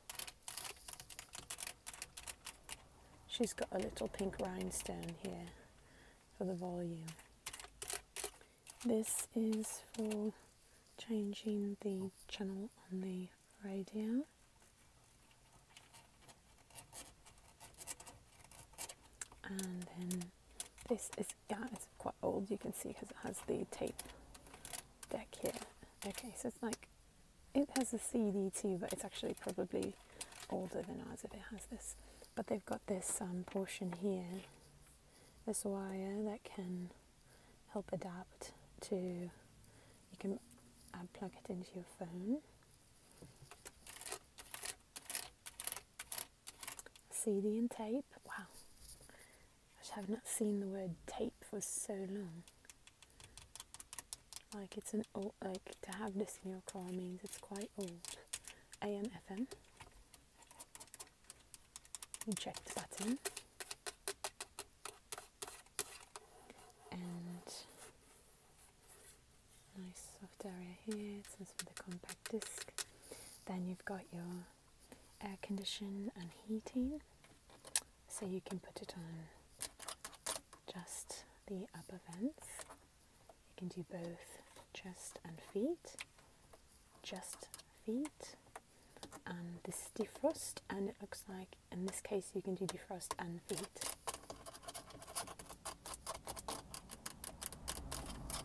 She's got a little pink rhinestone here for the volume. This is for changing the channel on the radio. And then this is yeah, it's quite old. You can see because it has the tape deck here. Okay, so it's like it has a CD too, but it's actually probably older than ours if it has this. But they've got this um, portion here this wire that can help adapt to you can uh, plug it into your phone CD and tape wow I have not seen the word tape for so long like it's an old like to have this in your car means it's quite old AM FM Eject button and nice soft area here. It says for the compact disc. Then you've got your air conditioning and heating, so you can put it on just the upper vents. You can do both chest and feet just feet and this is defrost and it looks like in this case you can do defrost and feet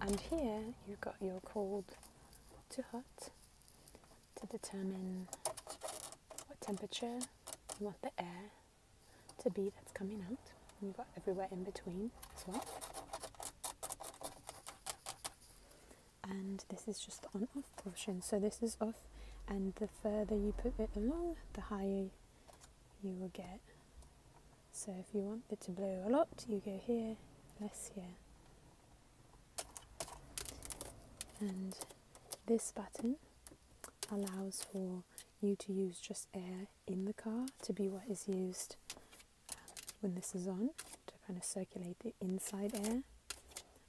and here you've got your cold to hot to determine what temperature and what the air to be that's coming out and you've got everywhere in between as well and this is just the on off portion so this is off and the further you put it along the higher you will get so if you want it to blow a lot you go here less here and this button allows for you to use just air in the car to be what is used um, when this is on to kind of circulate the inside air.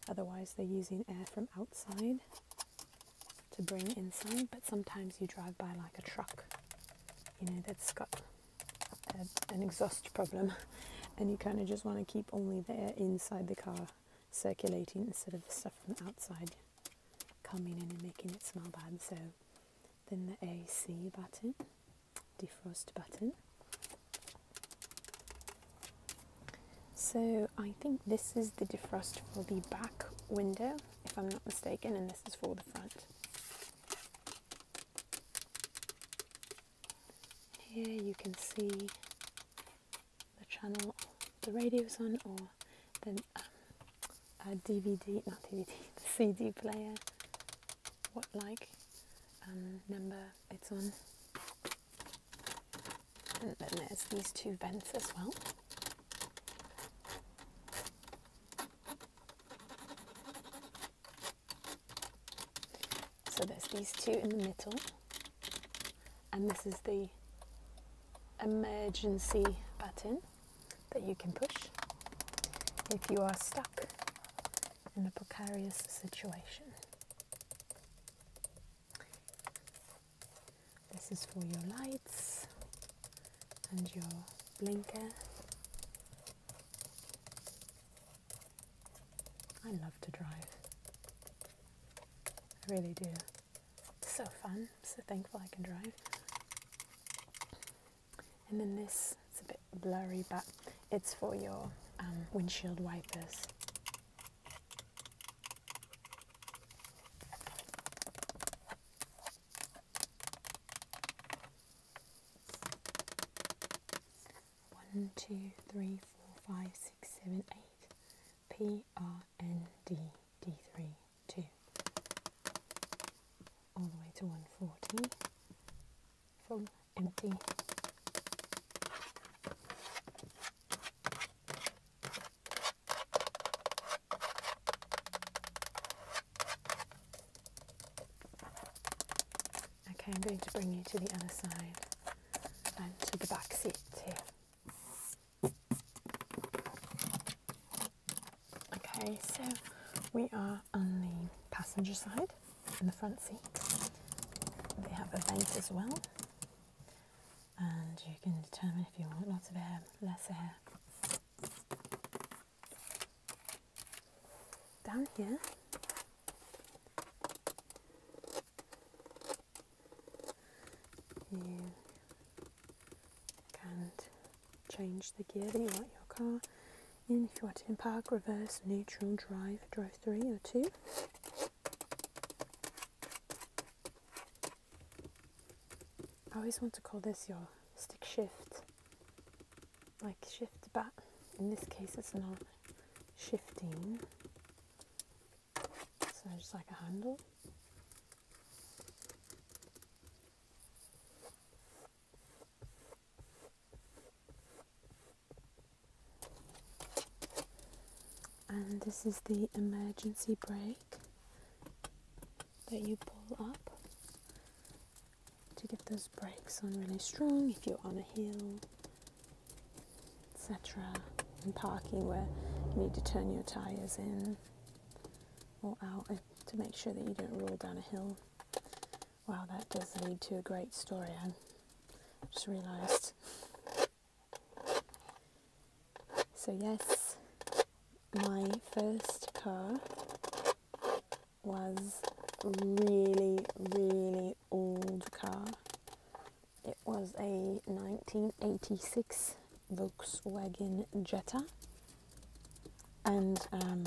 Otherwise, they're using air from outside to bring inside, but sometimes you drive by like a truck, you know, that's got an exhaust problem, [laughs] and you kind of just want to keep only the air inside the car circulating instead of the stuff from outside coming in and making it smell bad. So then the AC button defrost button. So I think this is the defrost for the back window, if I'm not mistaken, and this is for the front. Here you can see the channel the radio's on or um, [laughs] the um, DVD, not DVD, the CD player what like um, number it's on. And then there's these two vents as well. So there's these two in the middle, and this is the emergency button that you can push if you are stuck in a precarious situation. This is for your lights and your blinker. I love to drive. I really do. so fun. so thankful I can drive. And then this, it's a bit blurry, but it's for your um, windshield wipers. One, two, three, four, five, six, seven, eight. P R N D D three two. All the way to one forty from empty. Okay, I'm going to bring you to the other side and to the back seat here. Okay, so we are on the passenger side in the front seat. They have a vent as well, and you can determine if you want lots of air, less air. Down here, you can change the gear that you want your car and if you want to park, reverse, neutral, drive, drive three or two. I always want to call this your stick shift, like shift, but in this case it's not shifting, so just like a handle and this is the emergency brake that you pull up to get those brakes on really strong if you're on a hill etc in parking where you need to turn your tires in or out eh, to make sure that you don't roll down a hill Wow, that does lead to a great story. I just realised. So, yes, my first car was a really, really old car. It was a 1986 Volkswagen Jetta, and um,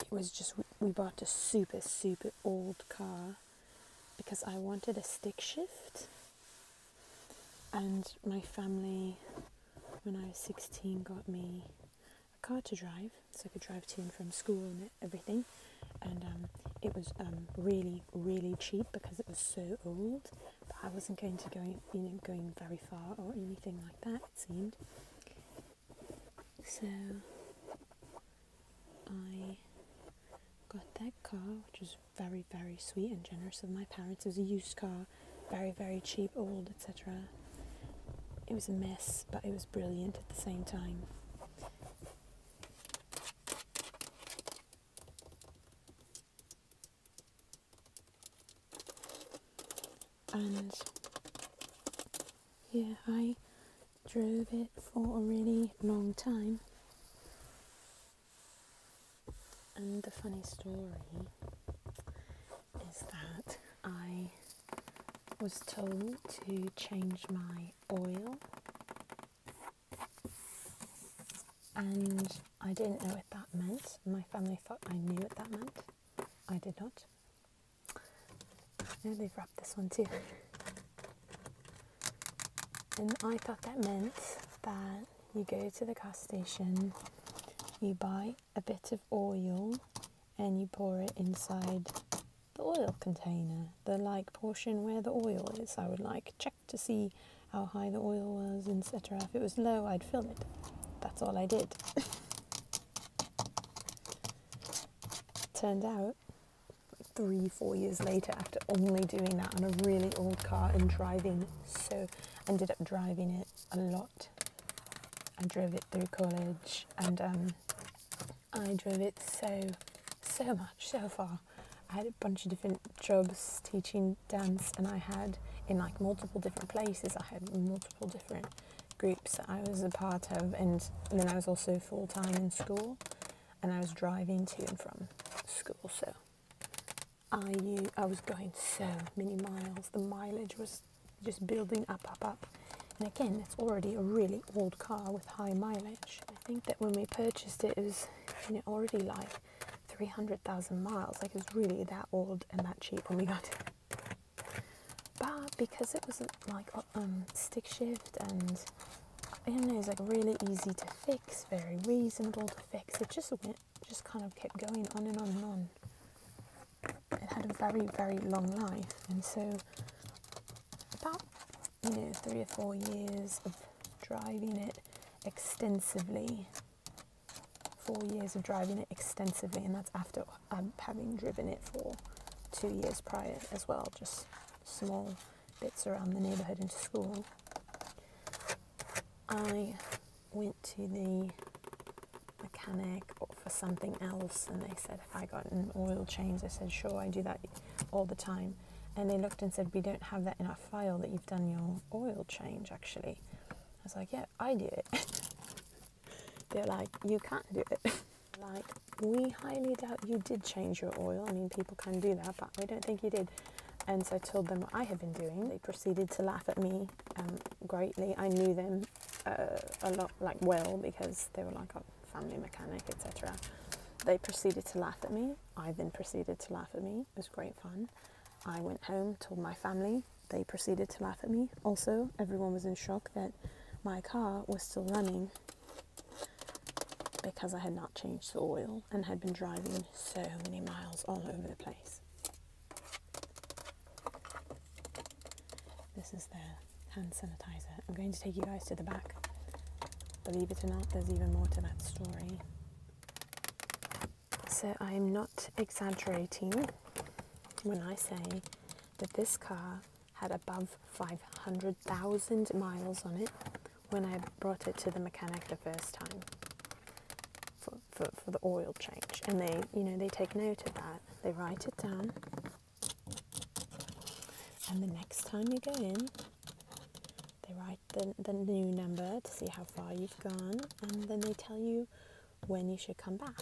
it was just we bought a super super old car because I wanted a stick shift and my family when I was 16 got me a car to drive so I could drive to and from school and everything and um, it was um, really really cheap because it was so old but I wasn't going to go you know going very far or anything like that it seemed so I got that car, which was very, very sweet and generous of my parents. It was a used car, very, very cheap, old, etc. It was a mess, but it was brilliant at the same time and yeah, I drove it for a really long time. And the funny story is that I was told to change my oil and I didn't know what that meant. My family thought I knew what that meant. I did not. I they've wrapped this one too. And I thought that meant that you go to the gas station, you buy a bit of oil, and you pour it inside the oil container, the like portion where the oil is. I would like check to see how high the oil was, etc. If it was low, I'd fill it. That's all I did. [laughs] turned out three, four years later, after only doing that on a really old car and driving, so ended up driving it a lot. I drove it through college and um, I drove it so, so much, so far. I had a bunch of different jobs teaching dance, and I had in like multiple different places. I had multiple different groups that I was a part of, and, then I was also full time in school, and I was driving to and from school, so I I was going so many miles. The mileage was just building up, up, up. And again, it's already a really old car with high mileage. I think that when we purchased it, it was you know, already like 300,000 miles. Like it was really that old and that cheap when we got it. But because it was not like um, stick shift and I don't know, it's like really easy to fix, very reasonable to fix. It just went, just kind of kept going on and on and on. It had a very, very long life, and so about you know three or four years of driving it extensively, four years of driving it extensively, and that's after um, having driven it for two years prior as well, just small bits around the neighbourhood and to school. I went to the mechanic for something else and they said, Have I got an oil change? I said, Sure, I do that all the time. And they looked and said, We don't have that in our file that you've done your oil change actually. I was like, Yeah, I do it. [laughs] they're like, you can't do it. [laughs] like, we highly doubt you did change your oil. I mean, people can do that, but we don't think you did. And so I told them what I had been doing. They proceeded to laugh at me um, greatly. I knew them uh, a lot, like well, because they were like a family mechanic, etc. They proceeded to laugh at me. I then proceeded to laugh at me. It was great fun. I went home, told my family. They proceeded to laugh at me. Also, everyone was in shock that my car was still running because I had not changed the oil and had been driving so many miles all over the place. This is the hand sanitizer. I'm going to take you guys to the back. Believe it or not, there's even more to that story. So I am not exaggerating when I say that this car had above 500,000 miles on it when I brought it to the mechanic the first time for, for, the oil change. And they, you know, they take note of that. They write it down. And the next time you go in, they write the, the new number to see how far you've gone, and then they tell you when you should come back.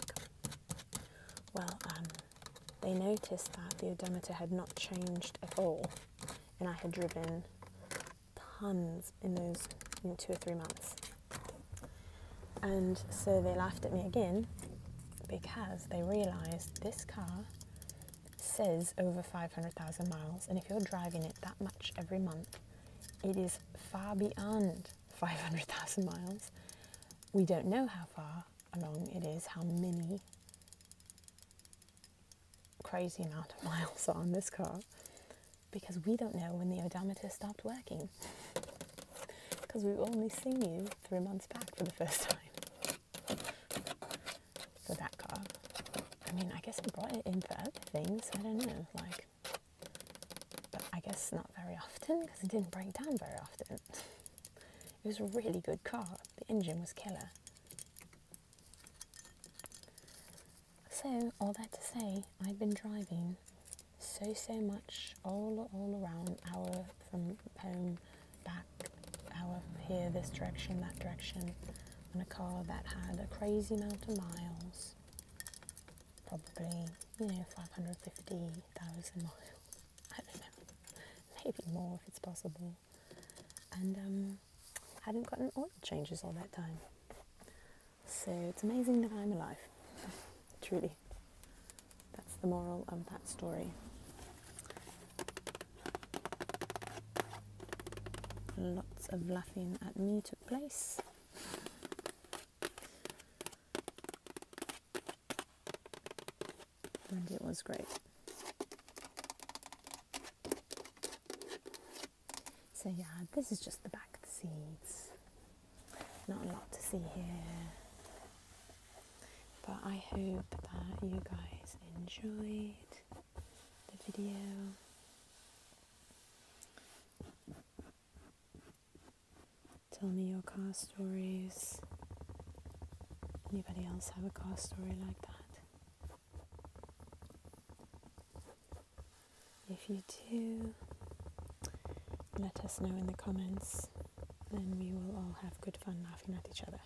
Well, um, they noticed that the odometer had not changed at all, and I had driven tons in those two or three months. And so they laughed at me again because they realised this car says over 500,000 miles, and if you're driving it that much every month, it is far beyond [laughs] 500,000 miles. We don't know how far, how long it is, how many crazy amount of [laughs] miles are on this car because we don't know when the odometer stopped working because [laughs] we've only seen you three months back for the first time for that car. I mean, I guess I brought it in for other things, I don't know, like, but I guess not very often because it didn't break down very often it was a really good car. The engine was killer. So, all that to say, i have been driving so, so much all, all around, our from home, back, our here, this direction, that direction, on a car that had a crazy amount of miles, probably, you know, 550,000 miles. I don't know, maybe more if it's possible. And um, I hadn't gotten oil changes all that time. So it's amazing that I'm alive, [sighs] truly. That's the moral of that story. Lots of laughing at me took place and it was great. So yeah, this is just the back of the seeds. Not a lot to see here. But I hope that you guys enjoyed the video. Tell me your cast stories. Anybody else have a car story like that? If you do, let us know in the comments, and we will all have good fun laughing at each other.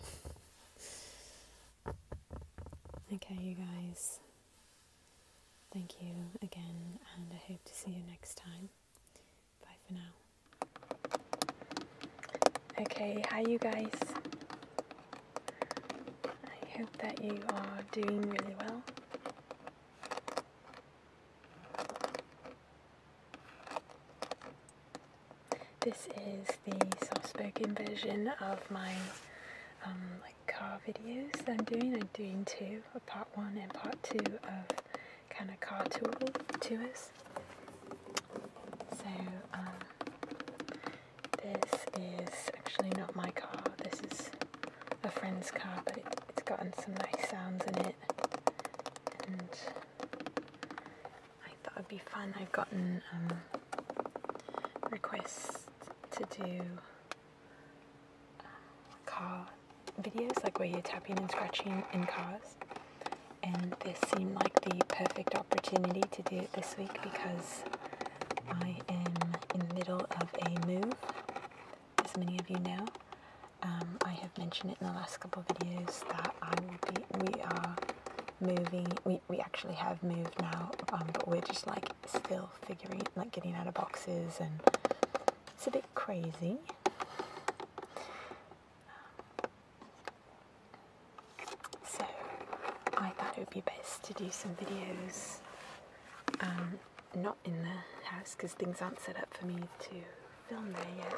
[laughs] okay, you guys, thank you again, and I hope to see you next time. Bye for now. Okay, hi you guys. I hope that you are doing really well. This is the soft-spoken version of my um, car videos that I'm doing. I'm doing two, a part one and part two of kind of car tour tours. So um, this is actually not my car. This is a friend's car, but it's gotten some nice sounds in it, and I thought it'd be fun. I've gotten um, requests to do uh, car videos, like where you're tapping and scratching in cars and this seemed like the perfect opportunity to do it this week because I am in the middle of a move, as many of you know. Um, I have mentioned it in the last couple of videos that I will be, we are moving, we, we actually have moved now, um, but we're just like still figuring, like getting out of boxes and it's a bit crazy. So I thought it would be best to do some videos um, not in the house because things aren't set up for me to film there yet.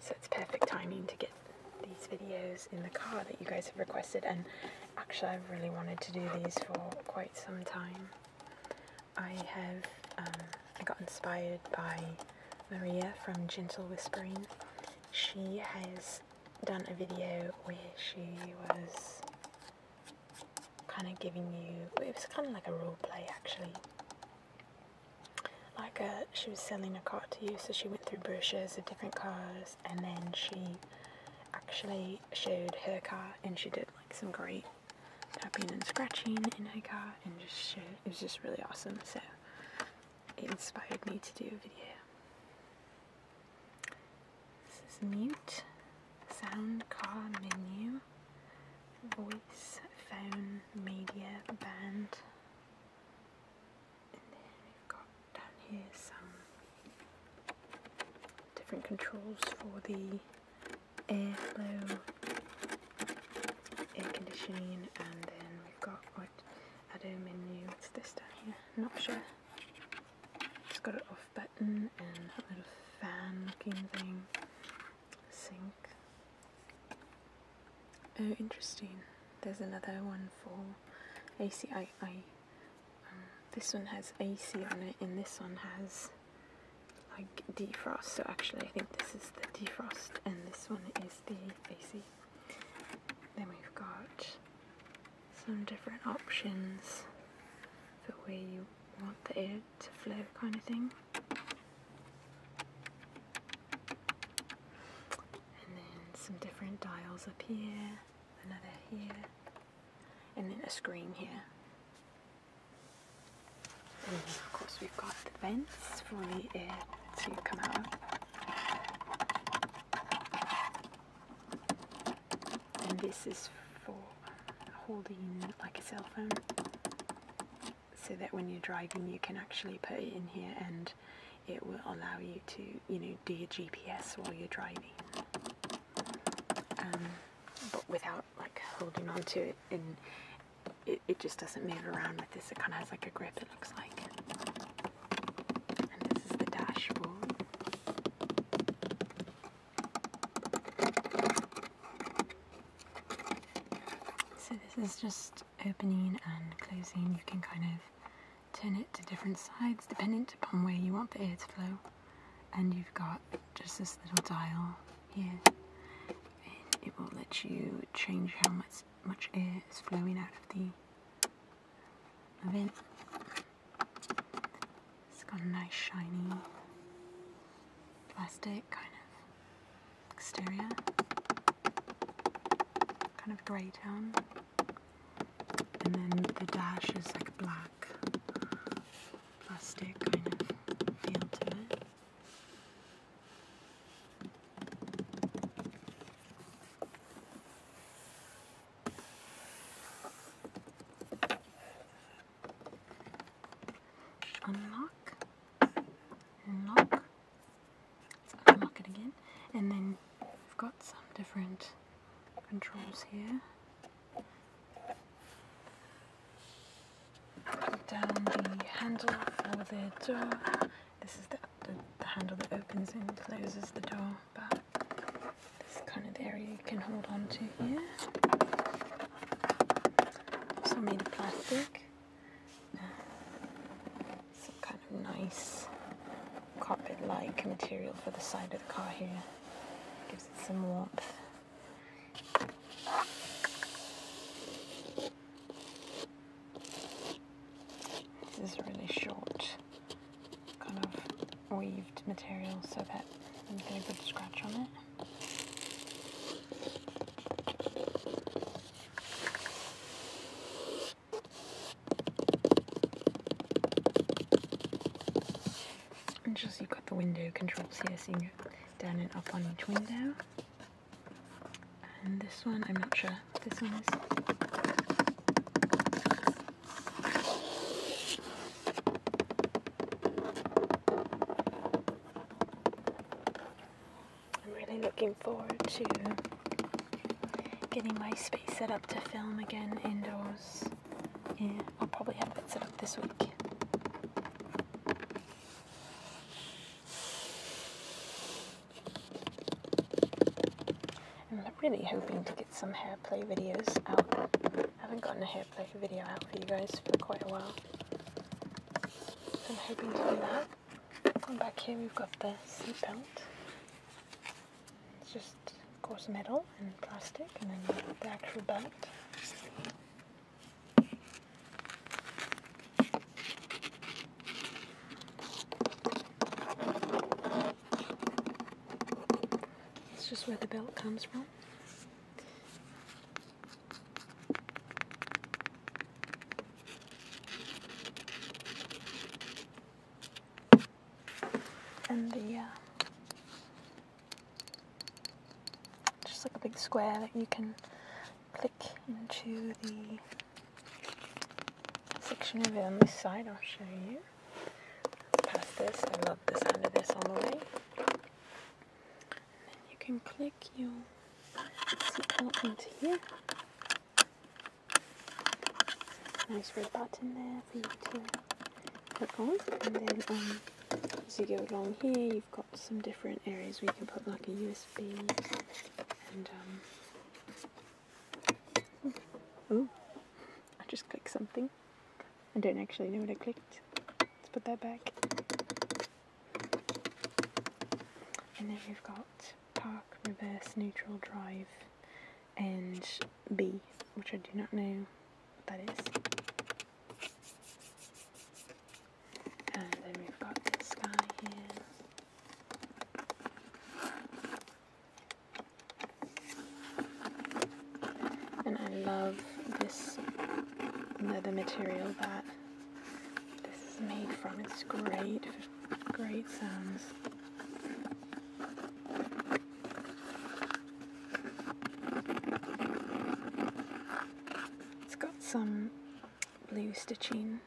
So it's perfect timing to get these videos in the car that you guys have requested and Actually, i really wanted to do these for quite some time. I have um, I got inspired by Maria from Gentle Whispering. She has done a video where she was kind of giving you, it was kind of like a role play actually. Like a, uh, she was selling a car to you, so she went through brochures of different cars and then she actually showed her car and she did like some great tapping and scratching and I got and just It was just really awesome. So it inspired me to do a video. This is mute, sound, car, menu, voice, phone, media, band. And then we've got down here some different controls for the airflow, air conditioning, and then we've got what add a menu. What's this down here? I'm not sure. It's got an off button and a little fan looking thing. Sink. Oh, interesting. There's another one for AC this one has AC on it, and this one has like defrost. So actually, I think this is the defrost, and this one is the AC. Then we've got some different options for where you want the air to flow, kind of thing. And then some different dials up here, another here and then a screen here. And of course we've got the vents for the air to come out And this is for holding like a cell phone so that when you're driving you can actually put it in here and it will allow you to you know do your GPS while you're driving um, but without like holding on to it and it, it just doesn't move around like this it kind of has like a grip it looks like and this is the dashboard so this is just opening and closing you can kind of turn it to different sides dependent upon where you want the air to flow and you've got just this little dial here and it will let you change how much much air is flowing out of the vent. It's got a nice shiny plastic kind of exterior. Kind of grey tone. And then the dash is like black plastic kind of feel to it. Unlock, lock, unlock it again, and then we've got some different controls here down the handle of the door. This is the, the, handle that opens and closes the door But This kind of area you can hold on to here. Also made of plastic. Uh, some kind of nice carpet-like material for the side of the car here. Gives it some warmth. This is really short kind of weaved material so that I'm going to put a scratch on it. And just you've got the window controls here, so you can go down and up on each window. And this one, I'm not sure this one is. I'm really looking forward to getting my space set up to film again indoors. Yeah, I'll probably have it set up this week. I'm really hoping to get some hair play videos out. I haven't gotten a hair play video out for you guys for quite a while. I'm hoping to do that. And back here we've got the seat belt. It's just, of course, metal and plastic, and then the actual belt. It's just where the belt comes from. And the uh, just like a big square that you can click into the section of it on this side, I'll show you. Pass this, I love the sound of this on the way. And you can click your seatbelt into here. Nice red button there for you to click on, and then um, as you go along here you've got some different areas where you can put like a USB and um oh I just clicked something I don't actually know what I clicked let's put that back and then we've got park reverse neutral drive and B which I do not know what that is and then we've got the sky here. And I love this leather material that this is made from. It's great, great sounds. It's got some blue stitching.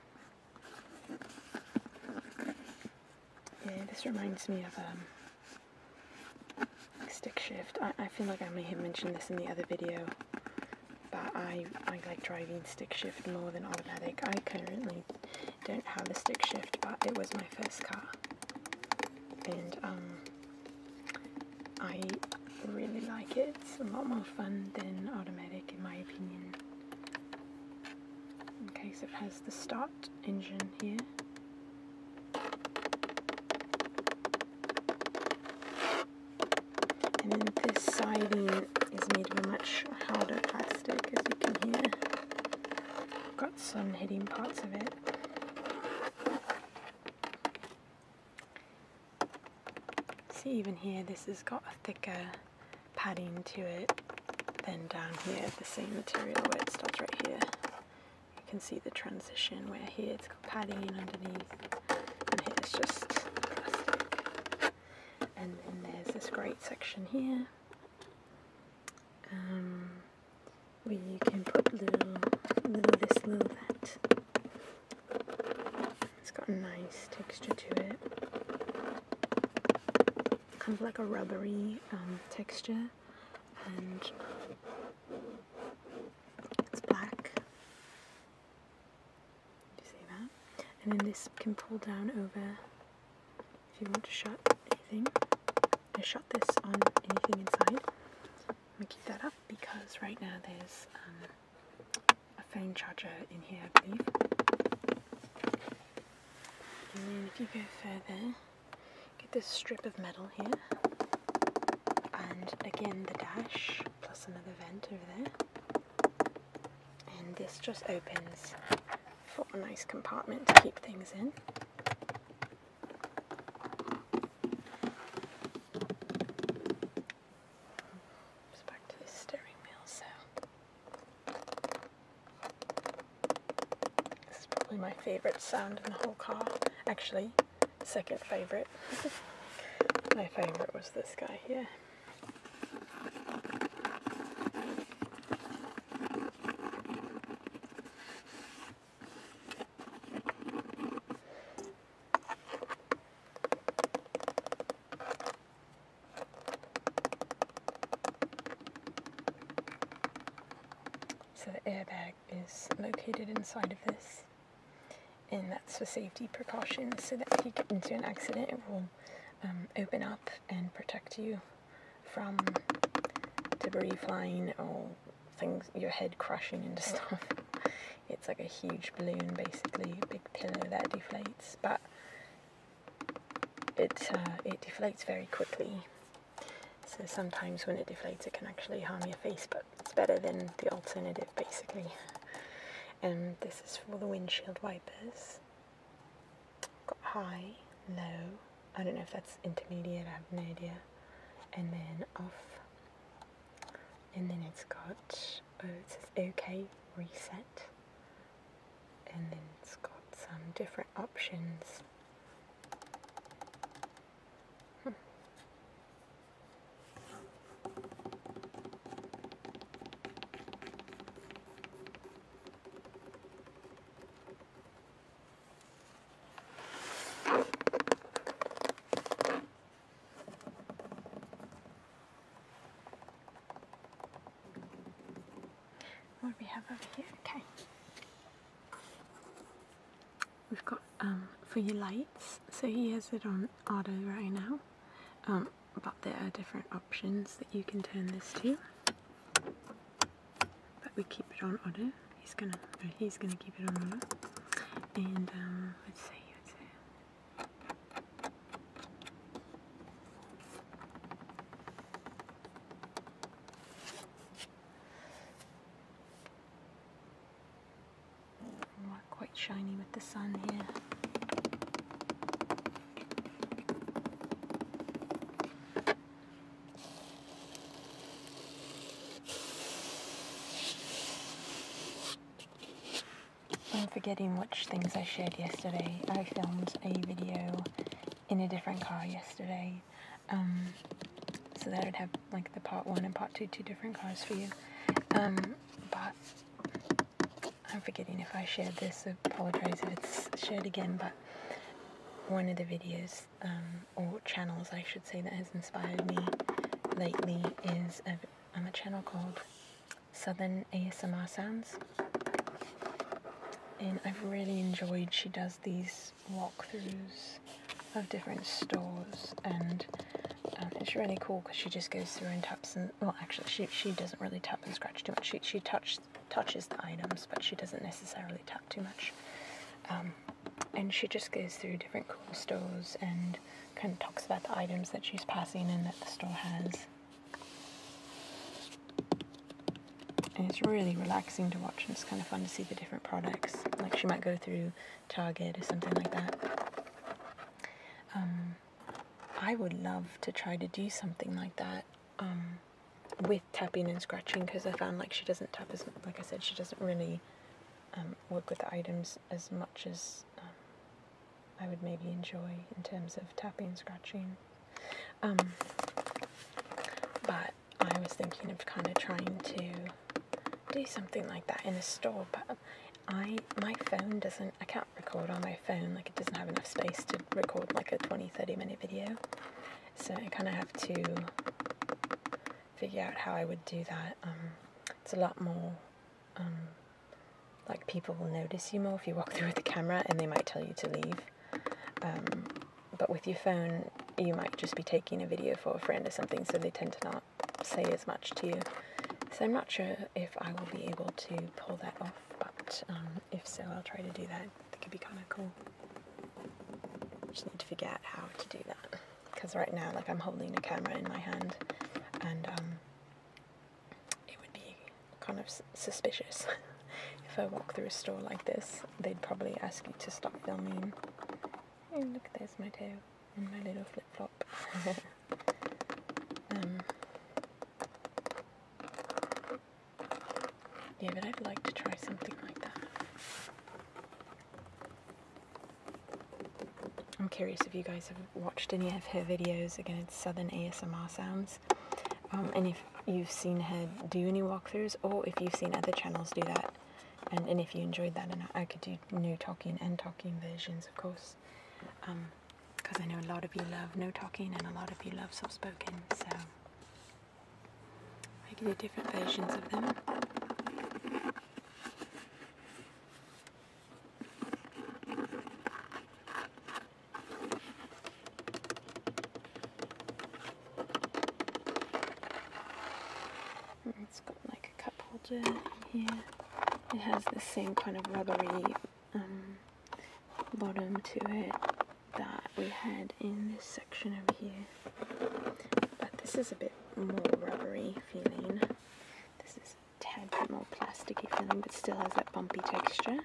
Yeah, this reminds me of um, stick shift. I, I feel like I may have mentioned this in the other video, but I, I like driving stick shift more than automatic. I currently don't have a stick shift, but it was my first car. And um, I really like it. It's a lot more fun than automatic in my opinion. In case it has the start engine here. And then this siding is made of a much harder plastic as you can hear. Got some hitting parts of it. See even here this has got a thicker padding to it than down here the same material where it starts right here. You can see the transition where here it's got padding in underneath and here it's just plastic. And then there's this great section here. Um, where you can put little, this, little that. It's got a nice texture to it. Kind of like a rubbery um, texture. And it's black. Do you see that? And then this can pull down over if you want to shut anything. I shut this on anything inside. I'm gonna keep that up because right now there's um, a phone charger in here, And then if you go further, get this strip of metal here, and again the dash plus another vent over there. And this just opens for a nice compartment to keep things in. Just back to this steering wheel sound. This is probably my favourite sound in the whole car. Actually, second favourite. [laughs] my favourite was this guy here. So the airbag is located inside of this and that's for safety precautions so that if you get into an accident it will um, open up and protect you from debris flying or things, your head crashing into stuff. [laughs] It's like a huge balloon, basically, a big pillow that deflates, but it uh, it deflates very quickly. So sometimes when it deflates, it can actually harm your face, but it's better than the alternative, basically. And um, this is for the windshield wipers. Got high, low. I don't know if that's intermediate. I have no idea. And then off and then it's got, oh, it says OK, reset, and then it's got some different options. What do we have over here? Okay. We've got um, for your lights, so he has it on auto right now, um, but there are different options that you can turn this to. But we keep it on auto. He's gonna, he's gonna keep it on auto. And um, let's see quite shiny with the sun here. I'm forgetting which things I shared yesterday. I filmed a video in a different car yesterday. Um, so that i would have like the part one and part two, two different cars for you. Um, but I'm forgetting if I shared this, I apologize if it's shared again, but one of the videos, um, or channels I should say, that has inspired me lately is a on a channel called Southern ASMR Sounds. And I've really enjoyed she does these walkthroughs of different stores and um, it's really cool because she just goes through and taps and well actually she, she doesn't really tap and scratch too much she, she touch, touches the items but she doesn't necessarily tap too much um, and she just goes through different cool stores and kind of talks about the items that she's passing and that the store has. And it's really relaxing to watch and it's kind of fun to see the different products. Like she might go through Target or something like that. Um, I would love to try to do something like that um, with tapping and scratching because I found like she doesn't tap as, like I said, she doesn't really um, work with the items as much as I would maybe enjoy in terms of tapping and scratching. Um, but I was thinking of kind of trying to do something like that in a store, but I my phone doesn't. I can't record on my phone. Like it doesn't have enough space to record like a 20, 30 minute video. So I kind of have to figure out how I would do that. Um, it's a lot more um, like people will notice you more if you walk [laughs] through with the camera and they might tell you to leave. Um, but with your phone, you might just be taking a video for a friend or something, so they tend to not say as much to you. So I'm not sure if I will be able to pull that off, but um, if so, I'll try to do that. That could be kind of cool. Just need to figure out how to do that because right now, like, I'm holding a camera in my hand, and um, it would be kind of suspicious [laughs] if I walk through a store like this. They'd probably ask you to stop filming. Oh, look, there's my tail and my little flip flop. [laughs] Um, yeah, but I'd like to try something like that. I'm curious if you guys have watched any of her videos. Again, it's Southern ASMR Sounds. Um, and if you've seen her do any walkthroughs, or if you've seen other channels do that, and, and if you enjoyed that, and I could do no talking and talking versions, of course. Because um, I know a lot of you love no talking and a lot of you love soft spoken, so I could do different versions of them. It's got like a cup holder here. It has the same kind of rubbery um, bottom to it that we had in this section over here. But this is a bit more rubbery feeling. This is tad bit more plasticky feeling, but still has that bumpy texture.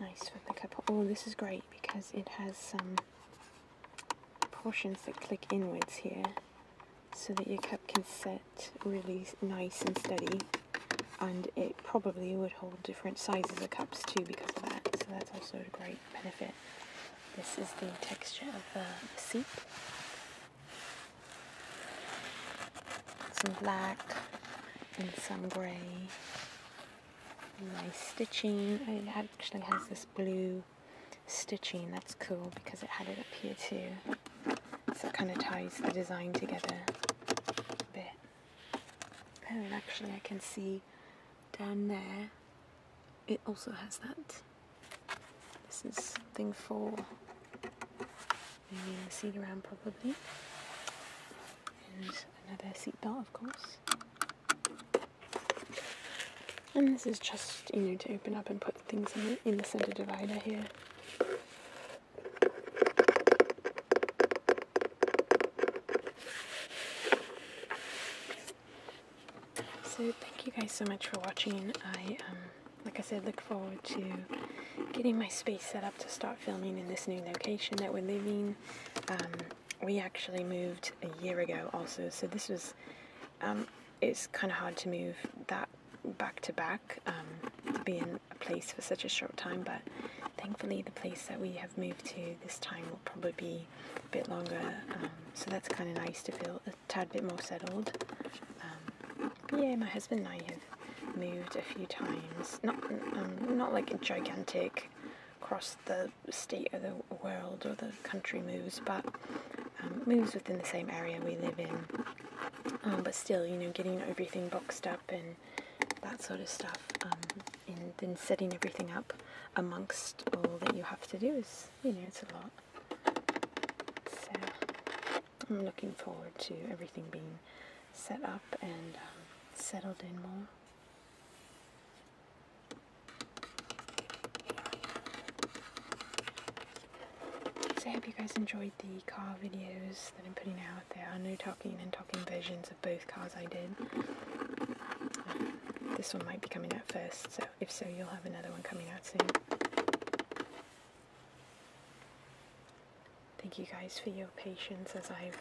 Nice for the cup. Oh, this is great because it has some portions that click inwards here so that your cup can set really nice and steady and it probably would hold different sizes of cups too because of that so that's also a great benefit this is the texture of the seat some black and some grey. Nice stitching. Oh, it actually has this blue stitching. That's cool because it had it up here too. So it kind of ties the design together a bit. Oh, actually I can see down there it also has that this is something for maybe the seat around probably. And another seat belt of course. And this is just, you know, to open up and put things in the, in the center divider here. So thank you guys so much for watching. I um, like I said, look forward to getting my space set up to start filming in this new location that we're living. Um, we actually moved a year ago also, so this was, um, it's kind of hard to move that back to back um, to be in a place for such a short time, but thankfully the place that we have moved to this time will probably be a bit longer, um, so that's kind of nice to feel tad bit more settled. Um, yeah, my husband and I have moved a few times. Not um, not like gigantic across the state or the world or the country moves, but um, moves within the same area we live in. but still, you know, getting everything boxed up and that sort of stuff, and then setting everything up amongst all that you have to do is, you know, it's a lot. I'm looking forward to everything being set up and um, settled in more. So I hope you guys enjoyed the car videos that I'm putting out. There are no talking and talking versions of both cars I did. this one might be coming out first, so if so, you'll have another one coming out soon. Thank you guys for your patience as I've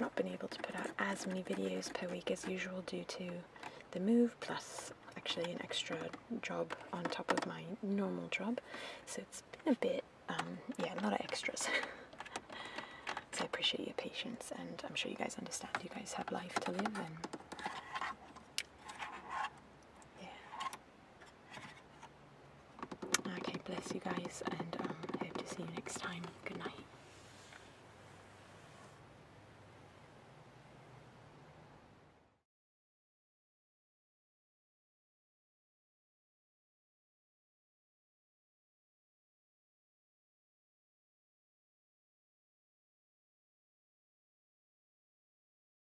not been able to put out as many videos per week as usual due to the move plus actually an extra job on top of my normal job so it's been a bit um, yeah a lot of extras [laughs] so I appreciate your patience and I'm sure you guys understand you guys have life to live and yeah Okay, bless you guys, and um, hope to see you next time. Good night.